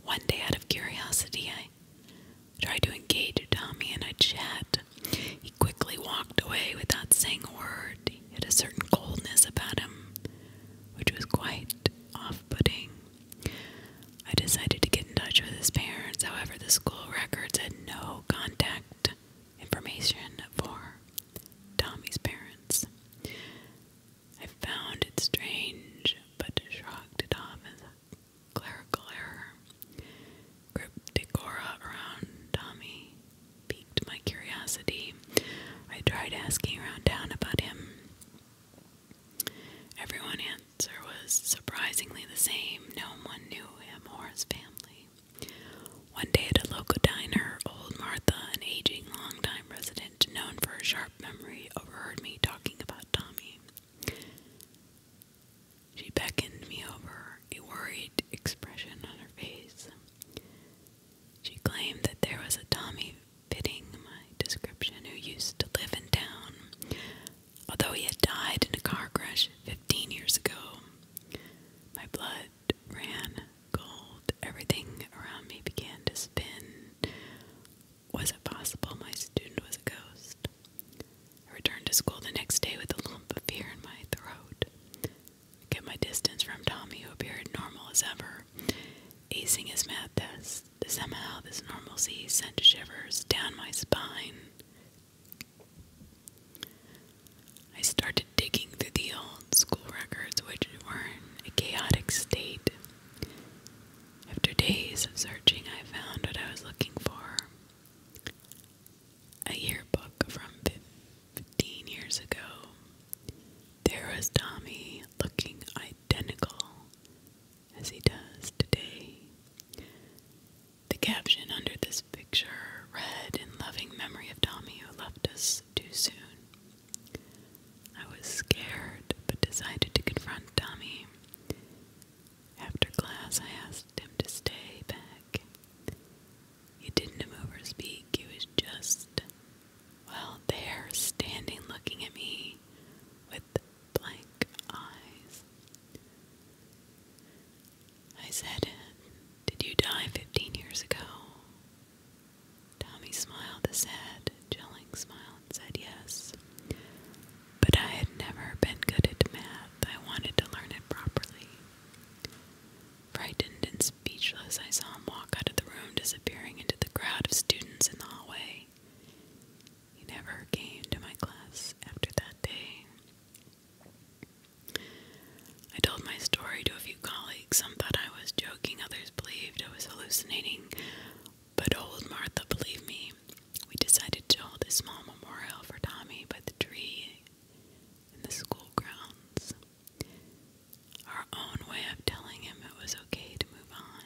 One day, out of curiosity, I tried to engage Tommy in a chat. He quickly walked away without saying a word. He had a certain coldness about him, which was quite off putting. I decided to get in touch with his parents, however, the school records had no contact information for Tommy's parents. I found it strange, but shrugged it off as a clerical error. Crypticora around Tommy piqued my curiosity. I tried asking around town about him. Everyone's answer was surprisingly the same. No one knew him or his family. One day at a local diner, old Martha, an aging longtime resident known for her sharp memory, overheard me talking about Tommy. She beckoned me over, a worried expression on her face. She claimed that there was a Tommy fitting my description who used to live in town, although he had died in a car crash 15 years ago. My blood ran cold. Everything around me began to spin. Was it possible my student was a ghost? I returned to school the next day with a lump of fear in my throat. I kept my distance from Tommy, who appeared normal as ever. Shiver, his math test. Somehow, this normalcy sent shivers down my spine. I started digging through the old school records, which were in a chaotic state. After days of searching, I found what I was looking for a yearbook from 15 years ago. There was Tommy looking, I identical as he does today. The caption under this picture read in loving memory of Tommy who left us too soon. I was scared but decided to confront Tommy. After class, I asked him to stay back. He didn't move or speak, he was just well, they're standing looking at me with blank eyes. I said, Did you die 15 years ago? Tommy smiled a sad, chilling smile and said yes. But I had never been good at math. I wanted to learn it properly. Frightened and speechless, I saw him walk out of the room, disappearing into the crowd of students in the hallway. He never came to my class after that day. I told my story to a few colleagues. Some thought I was joking, others believed I was hallucinating. But old Martha believed me. We decided to hold a small memorial for Tommy by the tree in the school grounds our own way of telling him it was okay to move on.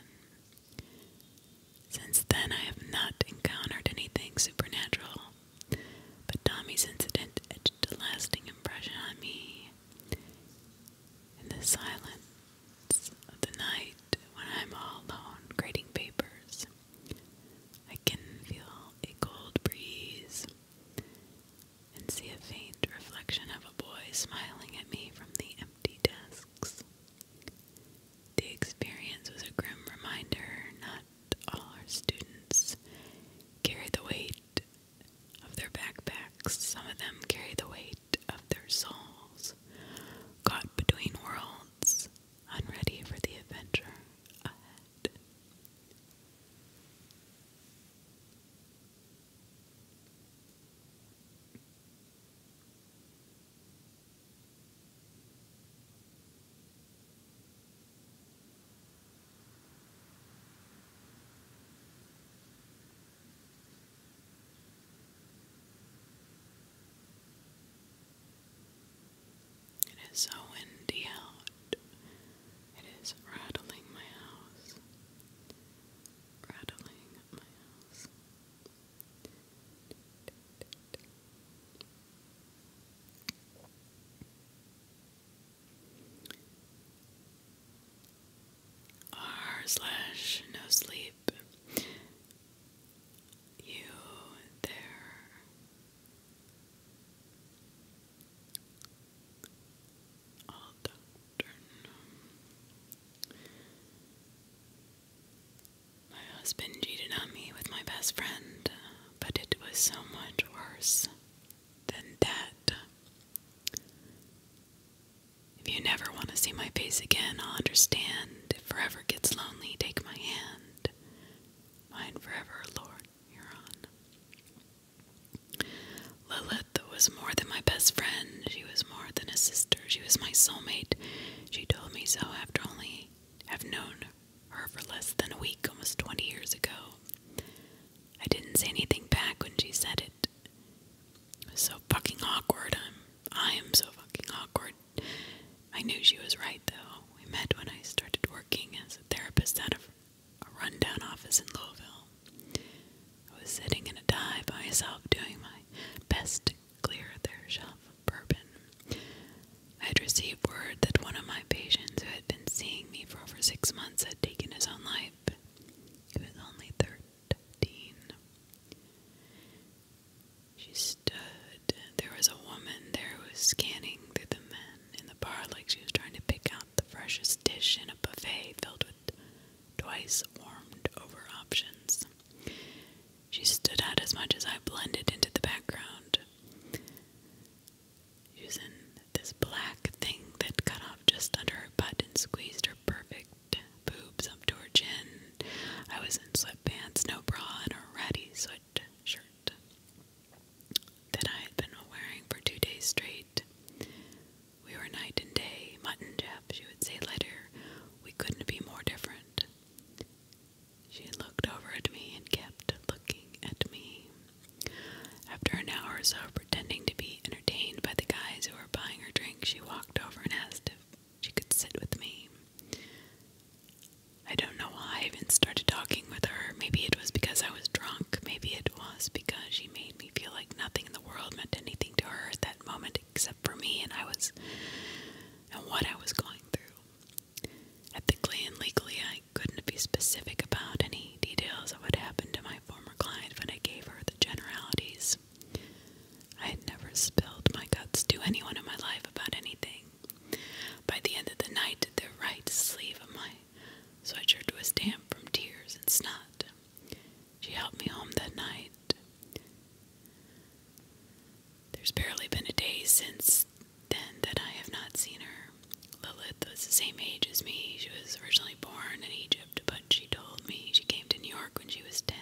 Since then, I have not encountered anything supernatural, but Tommy's incident etched a lasting impression on me. In the silence of the night, when I'm all alone grading papers, I can feel a cold breeze and see a faint reflection of a boy smiling at me from the empty desks. The experience was a grim reminder not all our students carry the weight of their backpacks, some of them carry the weight of their souls, caught between worlds, unready for the adventure ahead. It is so windy out. It is rattling my house rattling at my house. R slash no sleep. You there. Aldernum. My husband cheated on me with my best friend, but it was so much worse than that. If you never want to see my face again, I'll understand. If forever gets lonely, take my hand. Mine forever, Lord, you're on. Lilith was more than my best friend. She was more than a sister. She was my soulmate. She told me so after only have known her for less than a week, almost 20 years ago. I didn't say anything back when she said it. so fucking awkward. I'm, I am so fucking awkward. I knew she was right, though. We met when I started working as a therapist out of a rundown office in Louisville. I was sitting in a dive by myself doing my best to clear their shelf of bourbon. I had received word that one of my patients who had been seeing me for over six months had taken his own life. He was only thirteen. She stood. There was a woman there who was scanning through the men in the bar like she was trying to pick out the freshest dish in a buffet filled with twice warmed over options. She stood out as much as I blended into the background. Using this black thing that cut off just under her butt and squeezed her perfect boobs up to her chin. I was in sweatpants, no bra, and a ratty sweatshirt that I had been wearing for two days straight. We were night and day, mutton chap, she would say later. We couldn't be more different. She looked over at me and kept looking at me. After an hour or so pretending to be entertained by the guys who were buying her drink, she walked over and asked if she could sit with me. I don't know why I even started talking with her. Maybe it was because I was drunk. Maybe it was because she made me feel like nothing in the world meant anything to her at that moment except for me and I was and what I was going through. Ethically and legally I couldn't be specific about any details of what happened to my former client, but I gave her the generalities. I had never spilled my guts to anyone in my life about anything. By the end of the night, the right sleeve of my sweatshirt was damp from tears and snot. She helped me home that night. There's barely been a day since then that I have not seen her. Lilith was the same age as me. She was originally born in Egypt, but she told me she came to New York when she was 10.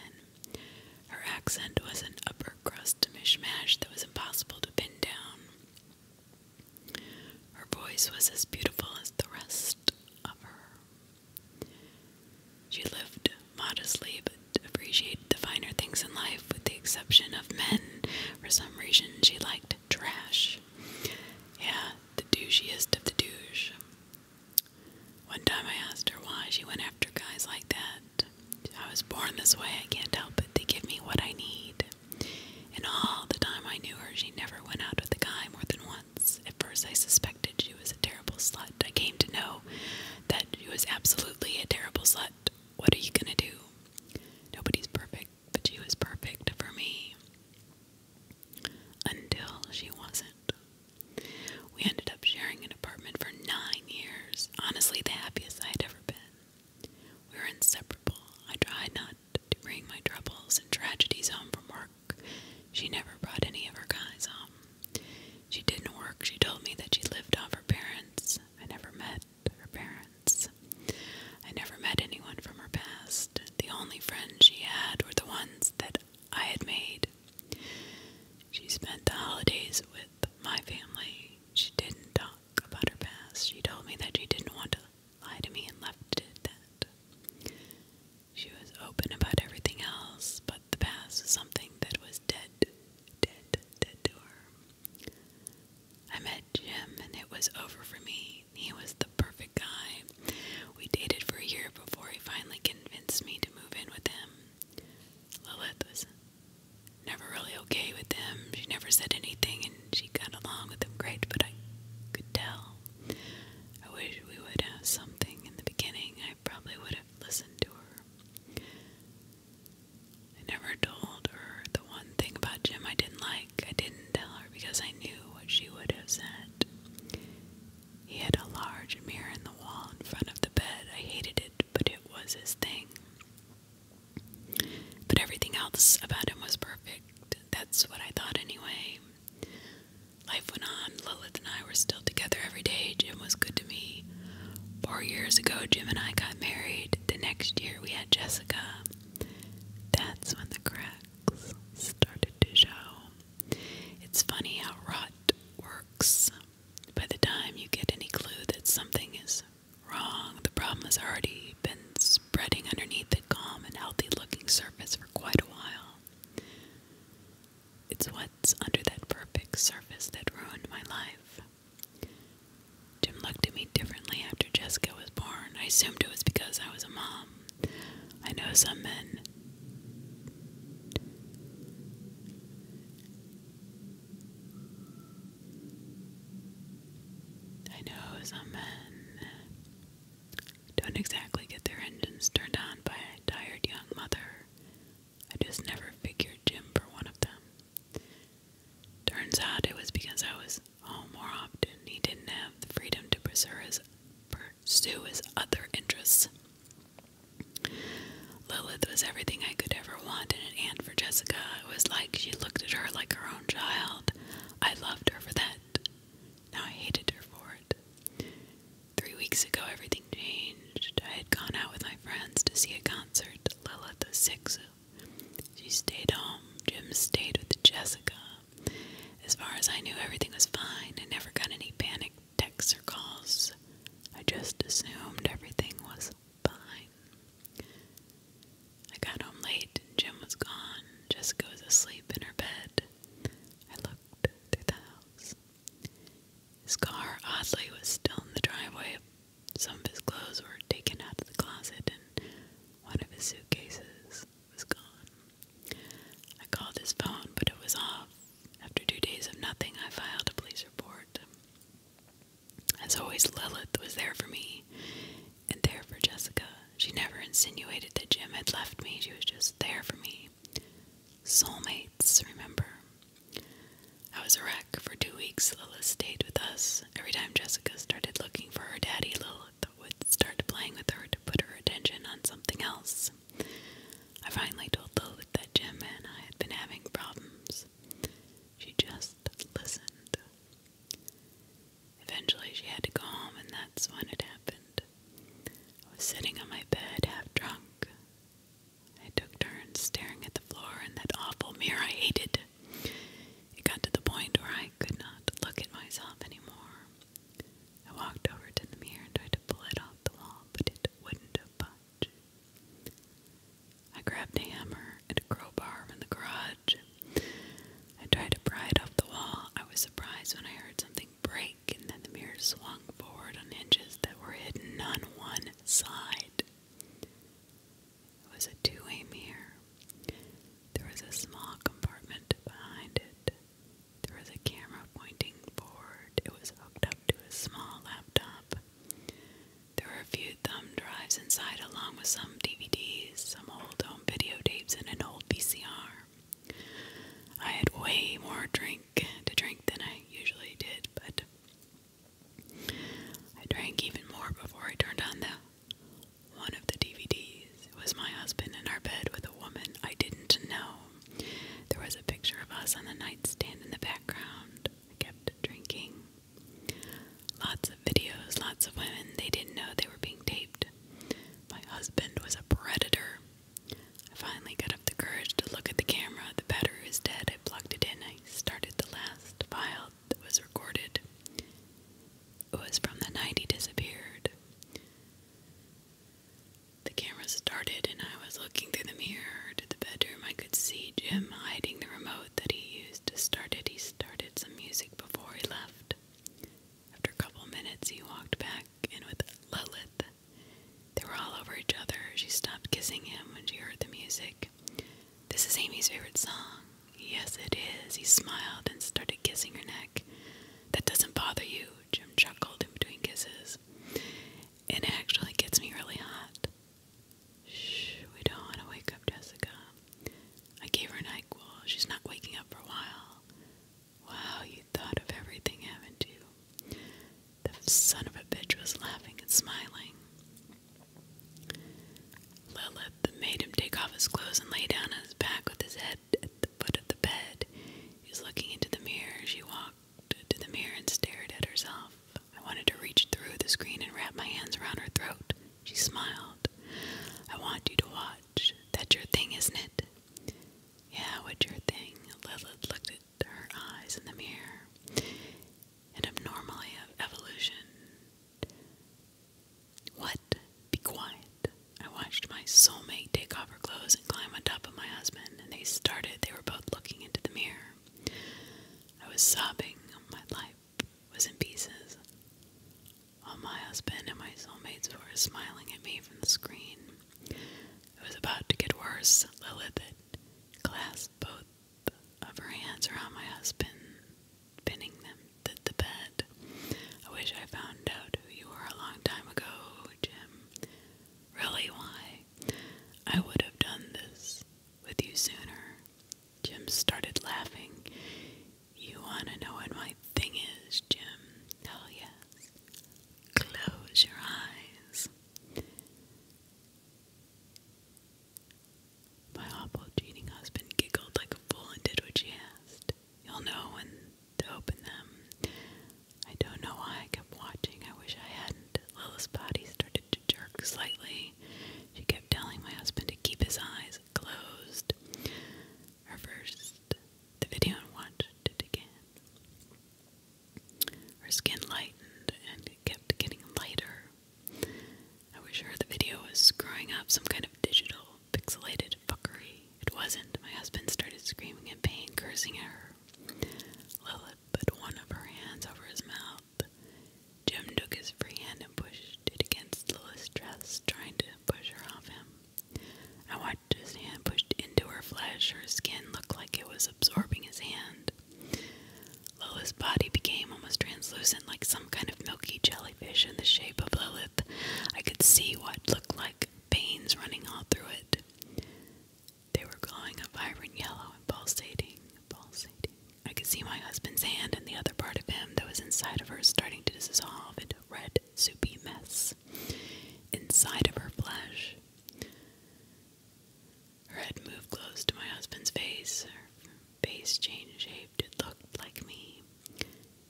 Her accent was an upper crust mishmash that was impossible to pin down. Her voice was as beautiful as the rest of her. She lived modestly but appreciated the finer things in life, with the exception of men. For some reason, she liked trash. Yeah, the douchiest of the douche. One time I asked her why she went after guys like that. I was born this way, I can't help it. They give me what I need. And all the time I knew her, she never went out with a guy more than once. At first, I suspected she was a terrible slut. I came to know that she was absolutely a terrible slut. What are you gonna do? Nobody's perfect, but she was perfect for me. Until she wasn't. We ended up sharing an apartment for nine years. Honestly, the happiest I'd ever been. We were inseparable. I tried not to bring my troubles and tragedies home from work she never brought any of her guys home. She didn't work. She told me that she lived off her parents. I never met her parents. I never met anyone from her past. The only friends she had were the ones that I had made. She spent the holidays with my family. She didn't talk about her past. She told me that she didn't want to lie to me and left it at that. She was open about everything else, but the past was something that was dead, dead, dead to her. I met Jim, and it was over for me. He was the perfect guy. We dated for a year before he finally convinced me to move in with him. Lilith was never really okay with him. She never said anything, and she got along with him great, but I could tell. I wish we would have something in the beginning. I probably would have listened to her. I never told her the one thing about Jim I didn't like. I didn't tell her because I knew what she would have said. He had a large mirror in the wall in front of the bed. I hated it, but it was his thing. But everything else about him was perfect. That's what I thought anyway. Life went on. Lilith and I were still together every day. Jim was good to me. Four years ago, Jim and I got married. The next year, we had Jessica. That's when the cracks started to show. It's funny how rot works. By the time you get any clue that something is wrong, the problem has already been spreading underneath the calm and healthy looking surface for quite a while. It's what's under that perfect surface that ruined my life. Jim looked at me differently after Jessica was born. I assumed it was because I was a mom. I know some men. I know some men don't exactly get their engines turned on by a tired young mother. I just never figured Jim for one of them. Turns out it was because I was home more often. He didn't have the freedom to pursue his, other interests. Lilith was everything I could ever want and an aunt for Jessica. It was like she looked at her like her own child. I loved her for that. Now I hated her for it. Three weeks ago, everything changed. I had gone out with my friends to see a concert, Lila, the Sixu. She stayed home. Jim stayed with Jessica. As far as I knew, everything was fine. I never got any panic texts or calls. I just assumed everything was fine. I got home late and Jim was gone. Jessica was asleep in her bed. I looked through the house. His car, oddly, was still in the driveway. Some of his clothes were taken out of the closet, and one of his suitcases was gone. I called his phone, but it was off. After two days of nothing, I filed a police report. As always, Lilith was there for me and there for Jessica. She never insinuated that Jim had left me, she was just there for me. Soulmates, remember? I was a wreck for two weeks. Lilith stayed with us. Every time Jessica started looking for her daddy, Lilith would start playing with her to put her attention on something else. I finally told Lilith that Jim and I had been having problems. She just listened. Eventually, she had to go home, and that's when it happened. I was sitting on my bed, half drunk. I took turns staring at the floor and that awful mirror I hated. It got to the point where I could not look at myself anymore. I walked over to the mirror and tried to pull it off the wall, but it wouldn't budge. I grabbed a hammer and a crowbar from the garage. I tried to pry it off the wall. I was surprised when I heard something break, and then the mirror swung slung forward on hinges that were hidden on one side. It was a two way mirror. There was a small compartment behind it. There was a camera pointing forward. It was hooked up to a small laptop. There were a few thumb drives inside, along with some DVDs, some old home videotapes, and an old VCR. I had way more drink drink to drink than I usually did, but I drank even more before I turned on the one of the DVDs. It was my husband in our bed with a woman I didn't know. There was a picture of us on the nightstand in the background. I kept drinking. Lots of videos, lots of women. They didn't know they were being taped. My husband was a predator. I finally got up the courage to look at the camera. The battery was dead. I plugged it in. I started the last file that was recorded. It was from the night he disappeared. The camera started, and I was looking through the mirror to the bedroom. I could see Jim hiding the remote that he used to start it. He started some music before he left. After a couple minutes, he walked back in with Lilith they were all over each other. She stopped kissing him when she heard the music. This is Amy's favorite song. Yes, it is. He smiled and started kissing her neck. That doesn't bother you, Jim chuckled in between kisses. It actually gets me really hot. Shh, we don't want to wake up Jessica. I gave her an NyQuil. She's not waking up for a while. Wow, you thought of everything, haven't you? The son of a bitch was laughing and smiling. Lilith made him take off his clothes and lay down on his back with his head at the foot of the bed. He was looking into the mirror. She walked to the mirror and stared at herself. I wanted to reach through the screen and wrap my hands around her throat. She smiled. I want you to watch. That's your thing, isn't it? Yeah, what's your thing? Lilith looked at her eyes in the mirror, an abnormality of evolution. What? Be quiet. I watched my soulmate take off her clothes and climb on top of my husband, and they started. They were both looking into the mirror. I was sobbing. My life was in pieces. While my husband and my soulmates were smiling at me from the screen. It was about to get worse. Lilith clasped both of her hands around my husband, pinning them to the bed. I wish I found out who you were a long time ago, Jim. Really, why? I would have done this with you sooner. Jim started laughing. You want to know what my thing is, Jim? Oh, yes. Close your eyes. My awful cheating husband giggled like a fool and did what she asked. You'll know when to open them. I don't know why I kept watching. I wish I hadn't. Lila's body started to jerk slightly. She kept telling my husband to keep his eyes closed. Reversed the video and watched it again. Her skin lightened and it kept getting lighter. I was sure the video was screwing up some kind of digital, pixelated fuckery. It wasn't. My husband started screaming in pain, cursing at her. Lilith put one of her hands over his mouth. Jim took his free hand and pushed it against Lilith's dress, trying to push her off him. I watched his hand push into her flesh. Her skin looked like it was absorbing his hand. Lilith's body became almost translucent, like some kind of milky jellyfish in the shape of Lilith. I could see what looked like veins running all through it. They were glowing a vibrant yellow and pulsating, pulsating. I could see my husband's hand and the other part of him that was inside of her starting to dissolve into a red, soupy mess inside of her flesh. Her head moved close to my husband's face. Her face changed shape. It looked like me.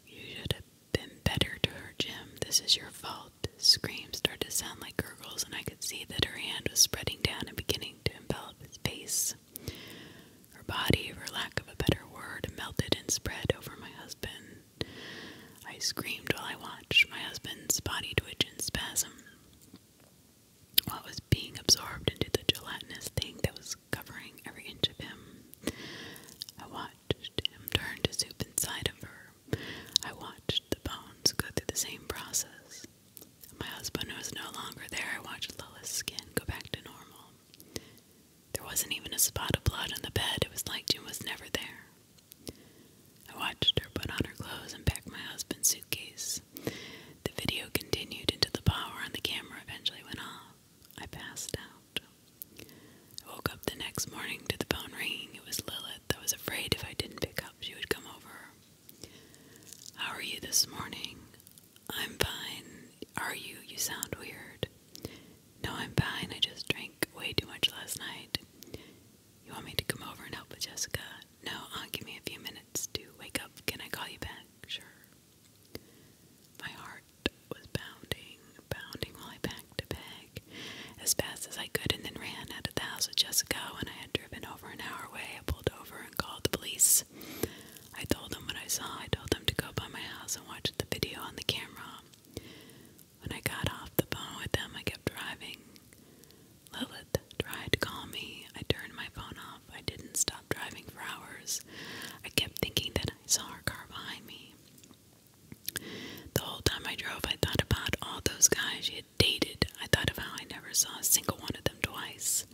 You should have been better to her, Jim. This is your fault. Screams started to sound like gurgles, and I could see that her hand was spreading down and beginning to envelop his face. Her body, for lack of a better word, melted and spread over my husband. I screamed while I watched my husband's body twitch in spasm while it was being absorbed into the gelatinous thing that was covering every inch of him. I watched him turn to soup inside of her. I watched the bones go through the same process. My husband was no longer there. I watched Lola's skin go back to normal. There wasn't even a spot of blood on the bed. It was like Jim was never there. I watched her put on her clothes and pack my husband's suitcase. The video continued until the power and the camera eventually went off. I passed out. I woke up the next morning to the phone ringing. It was Lilith. I was afraid if I didn't pick up, she would come over. How are you this morning? I'm fine. Are you? You sound weird. No, I'm fine. I just drank way too much last night. You want me to come over and help with Jessica? No, uh, give me a few minutes to wake up. Can I call you back? Sure. My heart was pounding, pounding while I packed a bag as fast as I could and then ran out of the house with Jessica. And I had driven over an hour away, I pulled over and called the police. I told them what I saw. I told them to go by my house and watch the video on the camera. When I got off the phone with them, I kept driving. Lilith tried to call me. I turned my phone off. I didn't stop driving for hours. I kept thinking that I saw her car behind me. The whole time I drove, I thought about all those guys she had dated. I thought of how I never saw a single one of them twice.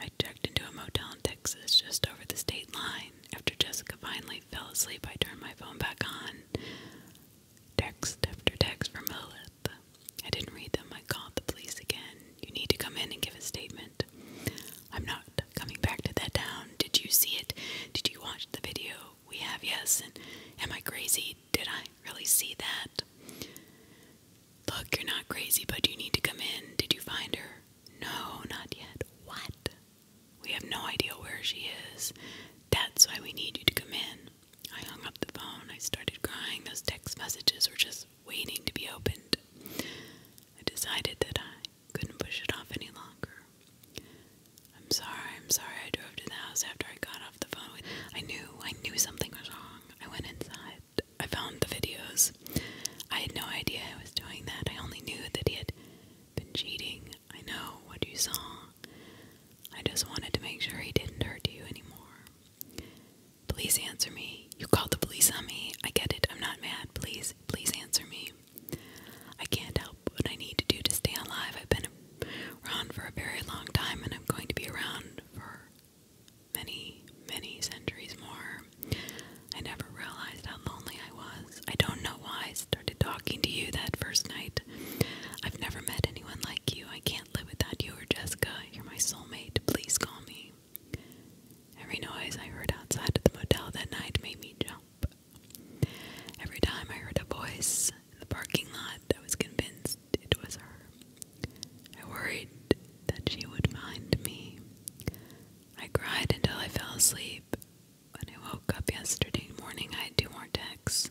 I checked into a motel in Texas just over the state line. After Jessica finally fell asleep, I turned my phone back on. Text after text from Lilith. I didn't read them. I called the police again. You need to come in and give a statement. I'm not coming back to that town. Did you see it? Did you watch the video? We have, yes. And am I crazy? Did I really see that? Look, you're not crazy, but you need to come in. Did you find her? No, not yet. What? We have no idea where she is. That's why we need you to come in. I hung up the phone. I started crying. Those text messages were just waiting to be opened. I decided that I couldn't push it off any longer. I'm sorry, I'm sorry. I drove to the house after I got off the phone. I knew, I knew something was wrong. I went inside. I found the videos. I had no idea I was doing that. I only knew that he had been cheating. I know what you saw. I just wanted to make sure he didn't hurt you anymore. Please answer me. You called the police on me. I get it. I'm not mad. Please, please answer me. I can't help what I need to do to stay alive. I've been around for a very long time and I'm going to be around for many, many centuries more. I never realized how lonely I was. I don't know why I started talking to you that first night. I've never met anyone like you. I can't live without you or Jessica you're my soulmate, please call me. Every noise I heard outside of the motel that night made me jump. Every time I heard a voice in the parking lot, I was convinced it was her. I worried that she would find me. I cried until I fell asleep. When I woke up yesterday morning, I had two more texts.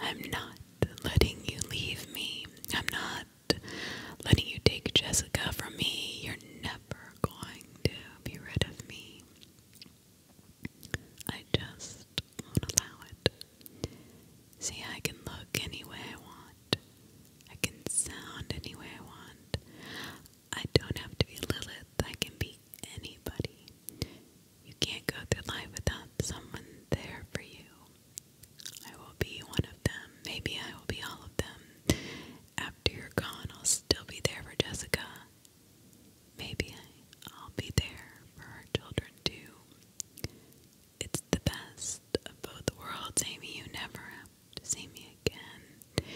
I'm not letting you leave me. I'm not letting you take Jessica from me. You're never going to be rid of me. I just won't allow it. See, I can look any way I want. I can sound any way I want. I don't have to be Lilith. I can be anybody. You can't go through life without someone there for you. I will be one of them. Maybe I will be all of them. After you're gone, I'll still be there for Jessica. Maybe I'll be there for our children too. It's the best of both worlds, Amy. You never have to see me again.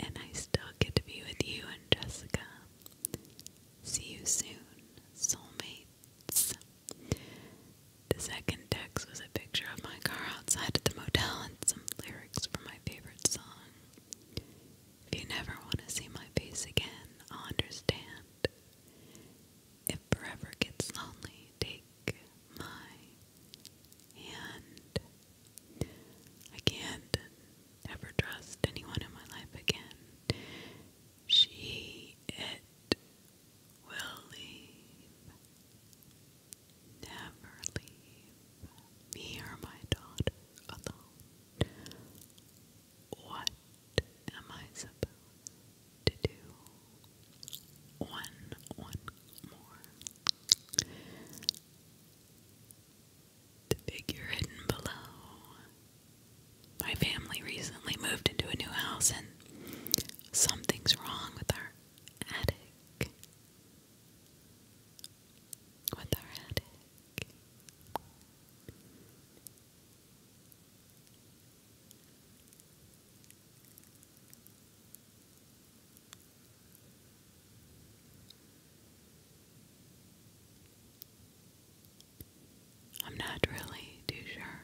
And I still get to be with you and Jessica. See you soon, soulmates. The second text was a picture of my car outside of the motel and some lyrics from my favorite song. If you never want to see my face again, I'll understand. If forever gets lonely, take my hand. I can't ever trust anyone in my life again. She, it, will leave. Never leave me my daughter alone. What am I supposed to do? One, one more. The figure hidden below my family recently moved into a new house and something's wrong with our attic. With our attic. I'm not really too sure.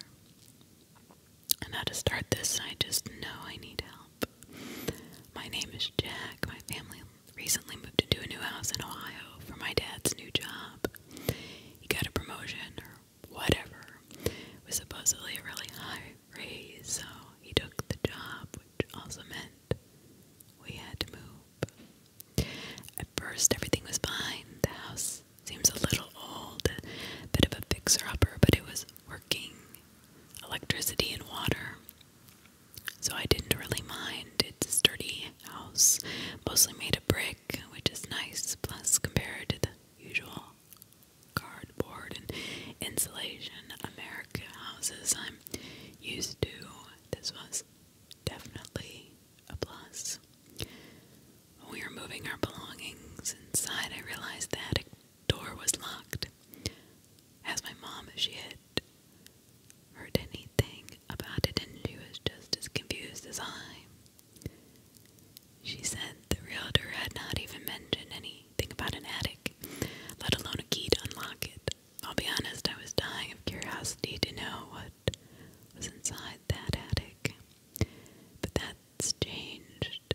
And how to start this, I just know I need help. My name is Jack. My family recently moved into a new house in Ohio for my dad's new job. He got a promotion or whatever. It was supposedly a really high raise, so he took the job, which also meant we had to move. At first, everything was fine. The house Seems a little old, bit of a fixer-upper, but it was working. Electricity and water. So I didn't really mind. It's a sturdy house, mostly made of brick, which is nice, plus compared to the usual cardboard and insulation American houses I'm used to. This was definitely a plus we were moving our belongings inside, I realized the attic door was locked. As my mom she had heard anything about it, and she was just as confused as I. She said the realtor had not even mentioned anything about an attic, let alone a key to unlock it. I'll be honest, I was dying of curiosity to know what was inside that attic. But that's changed.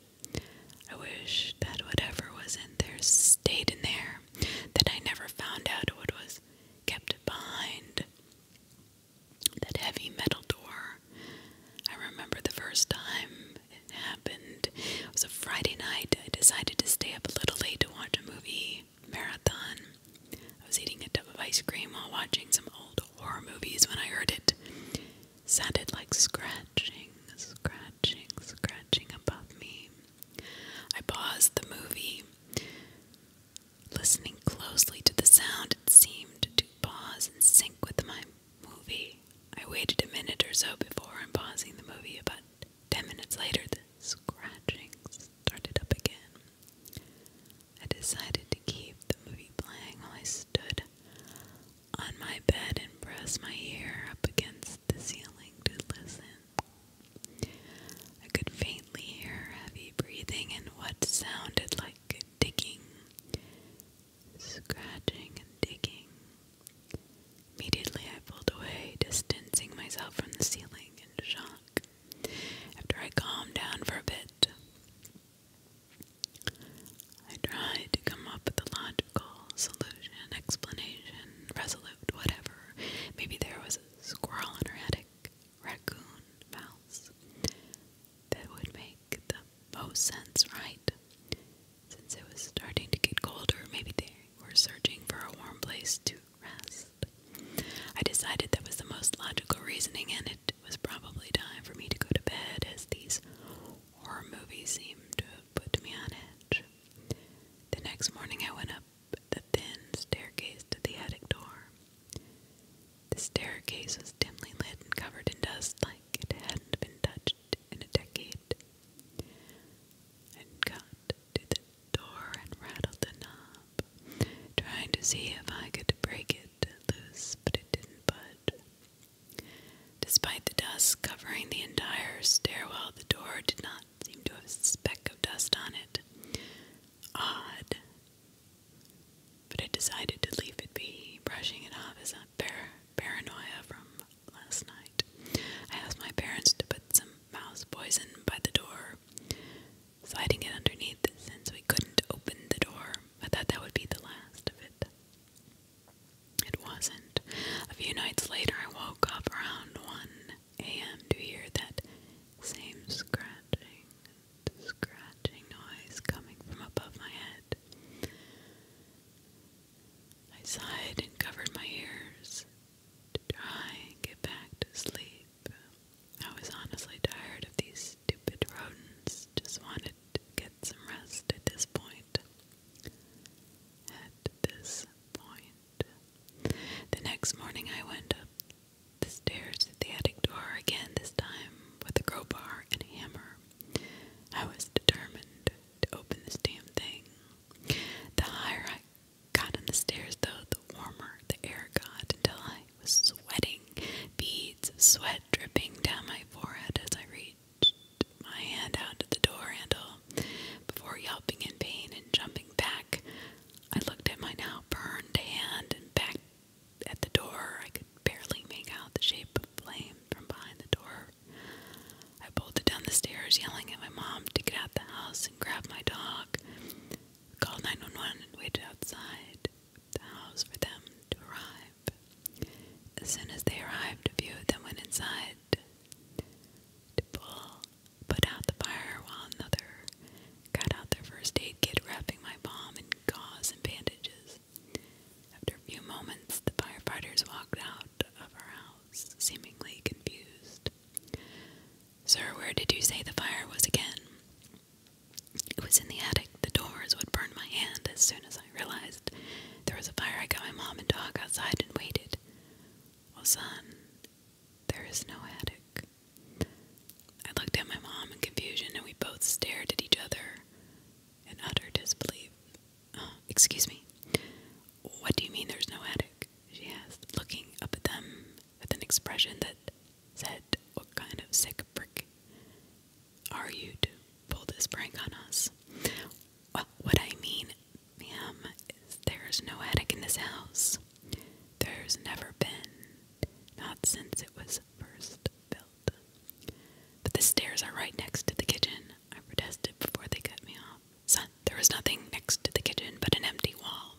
I wish that whatever was in there stayed in there, that I never found out what was kept behind that heavy metal door. I remember the first time it happened. It was a Friday night. I decided to stay up a little late to watch a movie marathon. I was eating a tub of ice cream while watching some old horror movies when I heard it. Sounded like scratching, scratching, scratching above me. I paused the movie. Listening closely to the sound, it seemed to pause and sync with my movie. I waited a minute or so before unpausing the movie. About ten minutes later, the scratching started up again. I decided to keep the movie playing while I stood on my bed and pressed my ear up against the ceiling to listen. I could faintly hear heavy breathing and what sounded like digging, scratching, and digging. Immediately, I pulled away, distancing myself from the ceiling in shock after I calmed down for a bit. I tried to come up with a logical solution, explanation, resolute, whatever. Maybe there was a squirrel in her attic, raccoon, mouse. That would make the most sense, right? Since it was starting to get colder, maybe they were searching for a warm place to rest. I decided that was the most logical reasoning, and it it was probably time for me to go to bed as these horror movies seemed to have put me on edge. The next morning I went up the thin staircase to the attic door. The staircase was dimly lit and covered in dust like it hadn't been touched in a decade. I got to the door and rattled the knob, trying to see if I could break it loose, but it didn't budge. Despite the dust covering the entire stairwell, the door did not seem to have a speck of dust on it. Odd. But I decided to leave it be, brushing it off as a fair paranoia from last night. I asked my parents to put some mouse poison by the door, sliding it underneath since we couldn't open the door. I thought that would be the last of it. It wasn't. A few nights later, I woke up around 1 a.m. to hear that same scratching, scratching noise coming from above my head. I sighed and covered my ears to try and get back to sleep. I was honestly tired of these stupid rodents just wanted to get some rest at this point. At this point. The next morning, I went up the stairs at the attic door again, this time with a crowbar and hammer. I was determined to open this damn thing. The higher I got on the stairs, though, the warmer the air got until I was sweating beads of sweat dripping down my forehead as I reached my hand out to the door handle. Before yelping in pain and jumping back, I looked at my now burned hand and back at the door. I could barely make out the shape of flame from behind the door. I bolted down the stairs, yelling at my mom to get out the house and grab my dog. Called 911 and waited outside the house for them to arrive. As soon as they arrived, a few of them went inside to put out the fire, while another got out their first aid kit, wrapping my palm in gauze and bandages. After a few moments, the firefighters walked out of our house, seemingly confused. Sir, where did you say the fire was again? It was in the attic. The doors would burn my hand as soon as I realized there was a fire. I got my mom and dog outside and waited. Well, son, there is no attic. I looked at my mom in confusion, and we both stared at each other in utter disbelief. Uh, excuse me. What do you mean there's no attic? She asked, looking up at them with an expression that said, What kind of sick prick are you to pull this prank on us? Well, what I mean, ma'am, is there's no attic in this house. There's never been, not since it was first built. But the stairs are right next to the kitchen. I protested before they cut me off. Son, there was nothing next to the kitchen but an empty wall.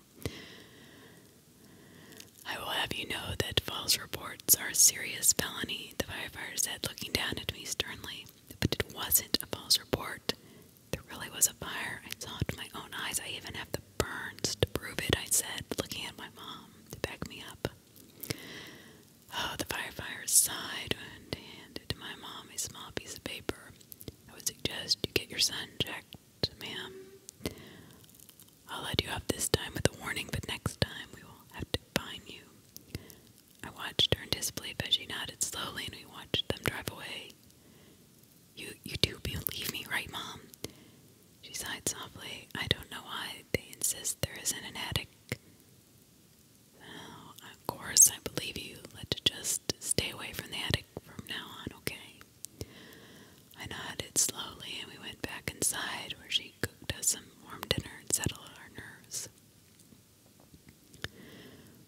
I will have you know that false reports are a serious felony, the firefighter said, looking down at me sternly. But it wasn't a false report. There really was a fire. I saw it with my own eyes. I even have the burns to prove it, I said, looking at my mom to back me up. Oh, the firefighter sighed and handed to my mom a small piece of paper. I would suggest you get your son checked, ma'am. I'll let you off this time with a warning, but next time we will have to fine you. I watched her in disbelief as she nodded slowly, and we watched them drive away. You, you do believe me, right, Mom? She sighed softly. I don't know why they insist there isn't an attic. of course, I believe you. Let's just stay away from the attic from now on, okay? I nodded slowly, and we went back inside where she cooked us some warm dinner and settle our nerves.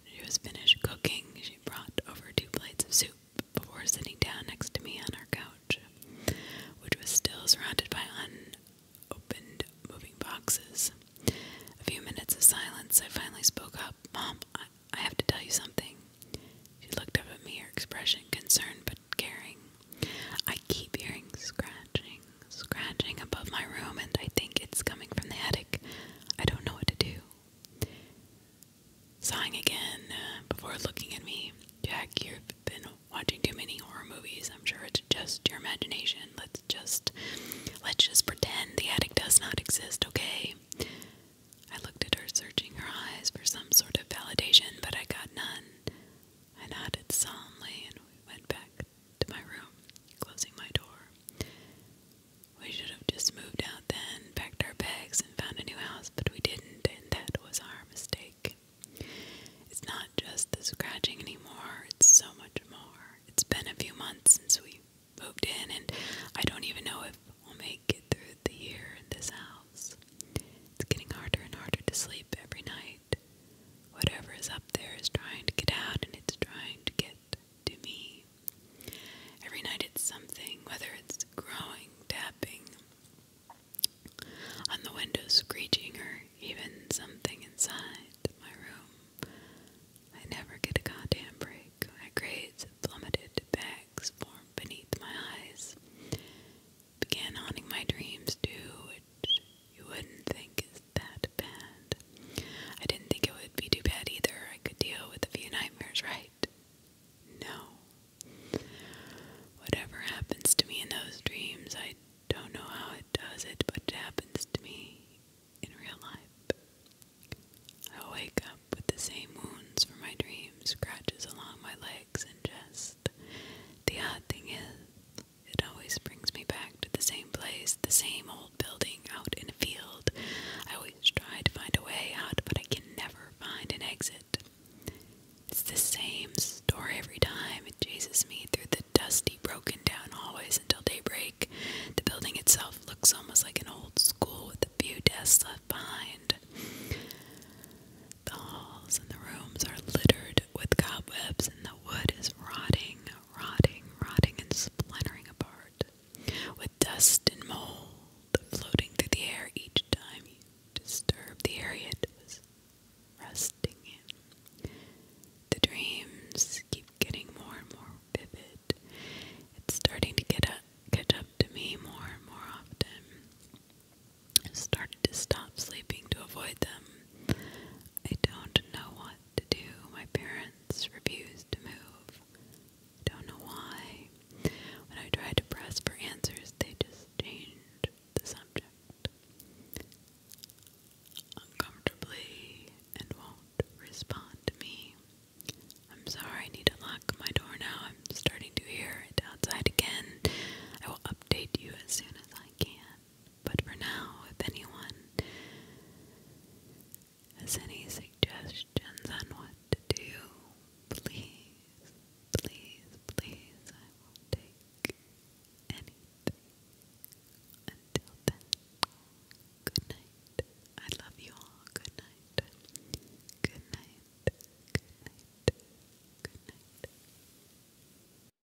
she was finished cooking, she brought over two plates of soup before sitting down next to me on our couch, which was still surrounded by unopened moving boxes. A few minutes of silence, I finally spoke up. Mom, I have to tell you something. She looked up at me, her expression concerned but caring. I keep hearing scratching, scratching above my room, and I think it's coming from the attic. I don't know what to do. Sighing again uh, before looking at me. Jack, you've been watching too many horror movies. I'm sure it's just your imagination. Let's just let's just pretend the attic does not exist, okay? I looked at her, searching her eyes for some sort of validation, but I got none. I nodded solemnly and we went back to my room, closing my door. We should have just moved out then, packed our bags, and found a new house, but we didn't, and that was our mistake. It's not just the scratching anymore, it's so much more. It's been a few months since we moved in, and I don't even know if we'll make it through the year in this house. It's getting harder and harder to sleep every night. Whatever is up there is trying to get out and it's trying to get to me. Every night it's something, whether it's growing, tapping on the window, screeching, or even something inside my room. I never get a goddamn break. My grades plummeted, bags form beneath my eyes began haunting my dreams too, which you wouldn't think is that bad. I didn't think it would be too bad either. I could deal with a few nightmares, right? No. Whatever happens to me in those dreams, I don't know how it does it, but it happens to me in real life. I wake up with the same wounds from my dreams, scratches along my legs and chest. The odd thing is, it always brings me back to the same place, the same old building out in a field. I always try to find a way out, but I can never find an exit. It's the same story every time. It chases me through the dusty, broken down hallways until daybreak. The building itself looks almost like an old school with a few desks left behind. The halls and the rooms are littered with cobwebs, and the wood is rotting, rotting, rotting, and splintering apart, with dust and mold floating through the air each time you disturb the area it was resting in. The dreams keep getting more and more vivid. It's starting to get up, catch up to me more and more often started to stop sleeping to avoid them. I don't know what to do. My parents refused to move. Don't know why. When I tried to press for answers, they just changed the subject uncomfortably and won't respond to me. I'm sorry, I need to lock my door now. I'm starting to hear it outside again. I will update you as soon as I can. But for now, if anyone has any suggestions on what to do, please, please, please, I will take anything. Until then, good night. I love you all. Good night. Good night. Good night. Good night.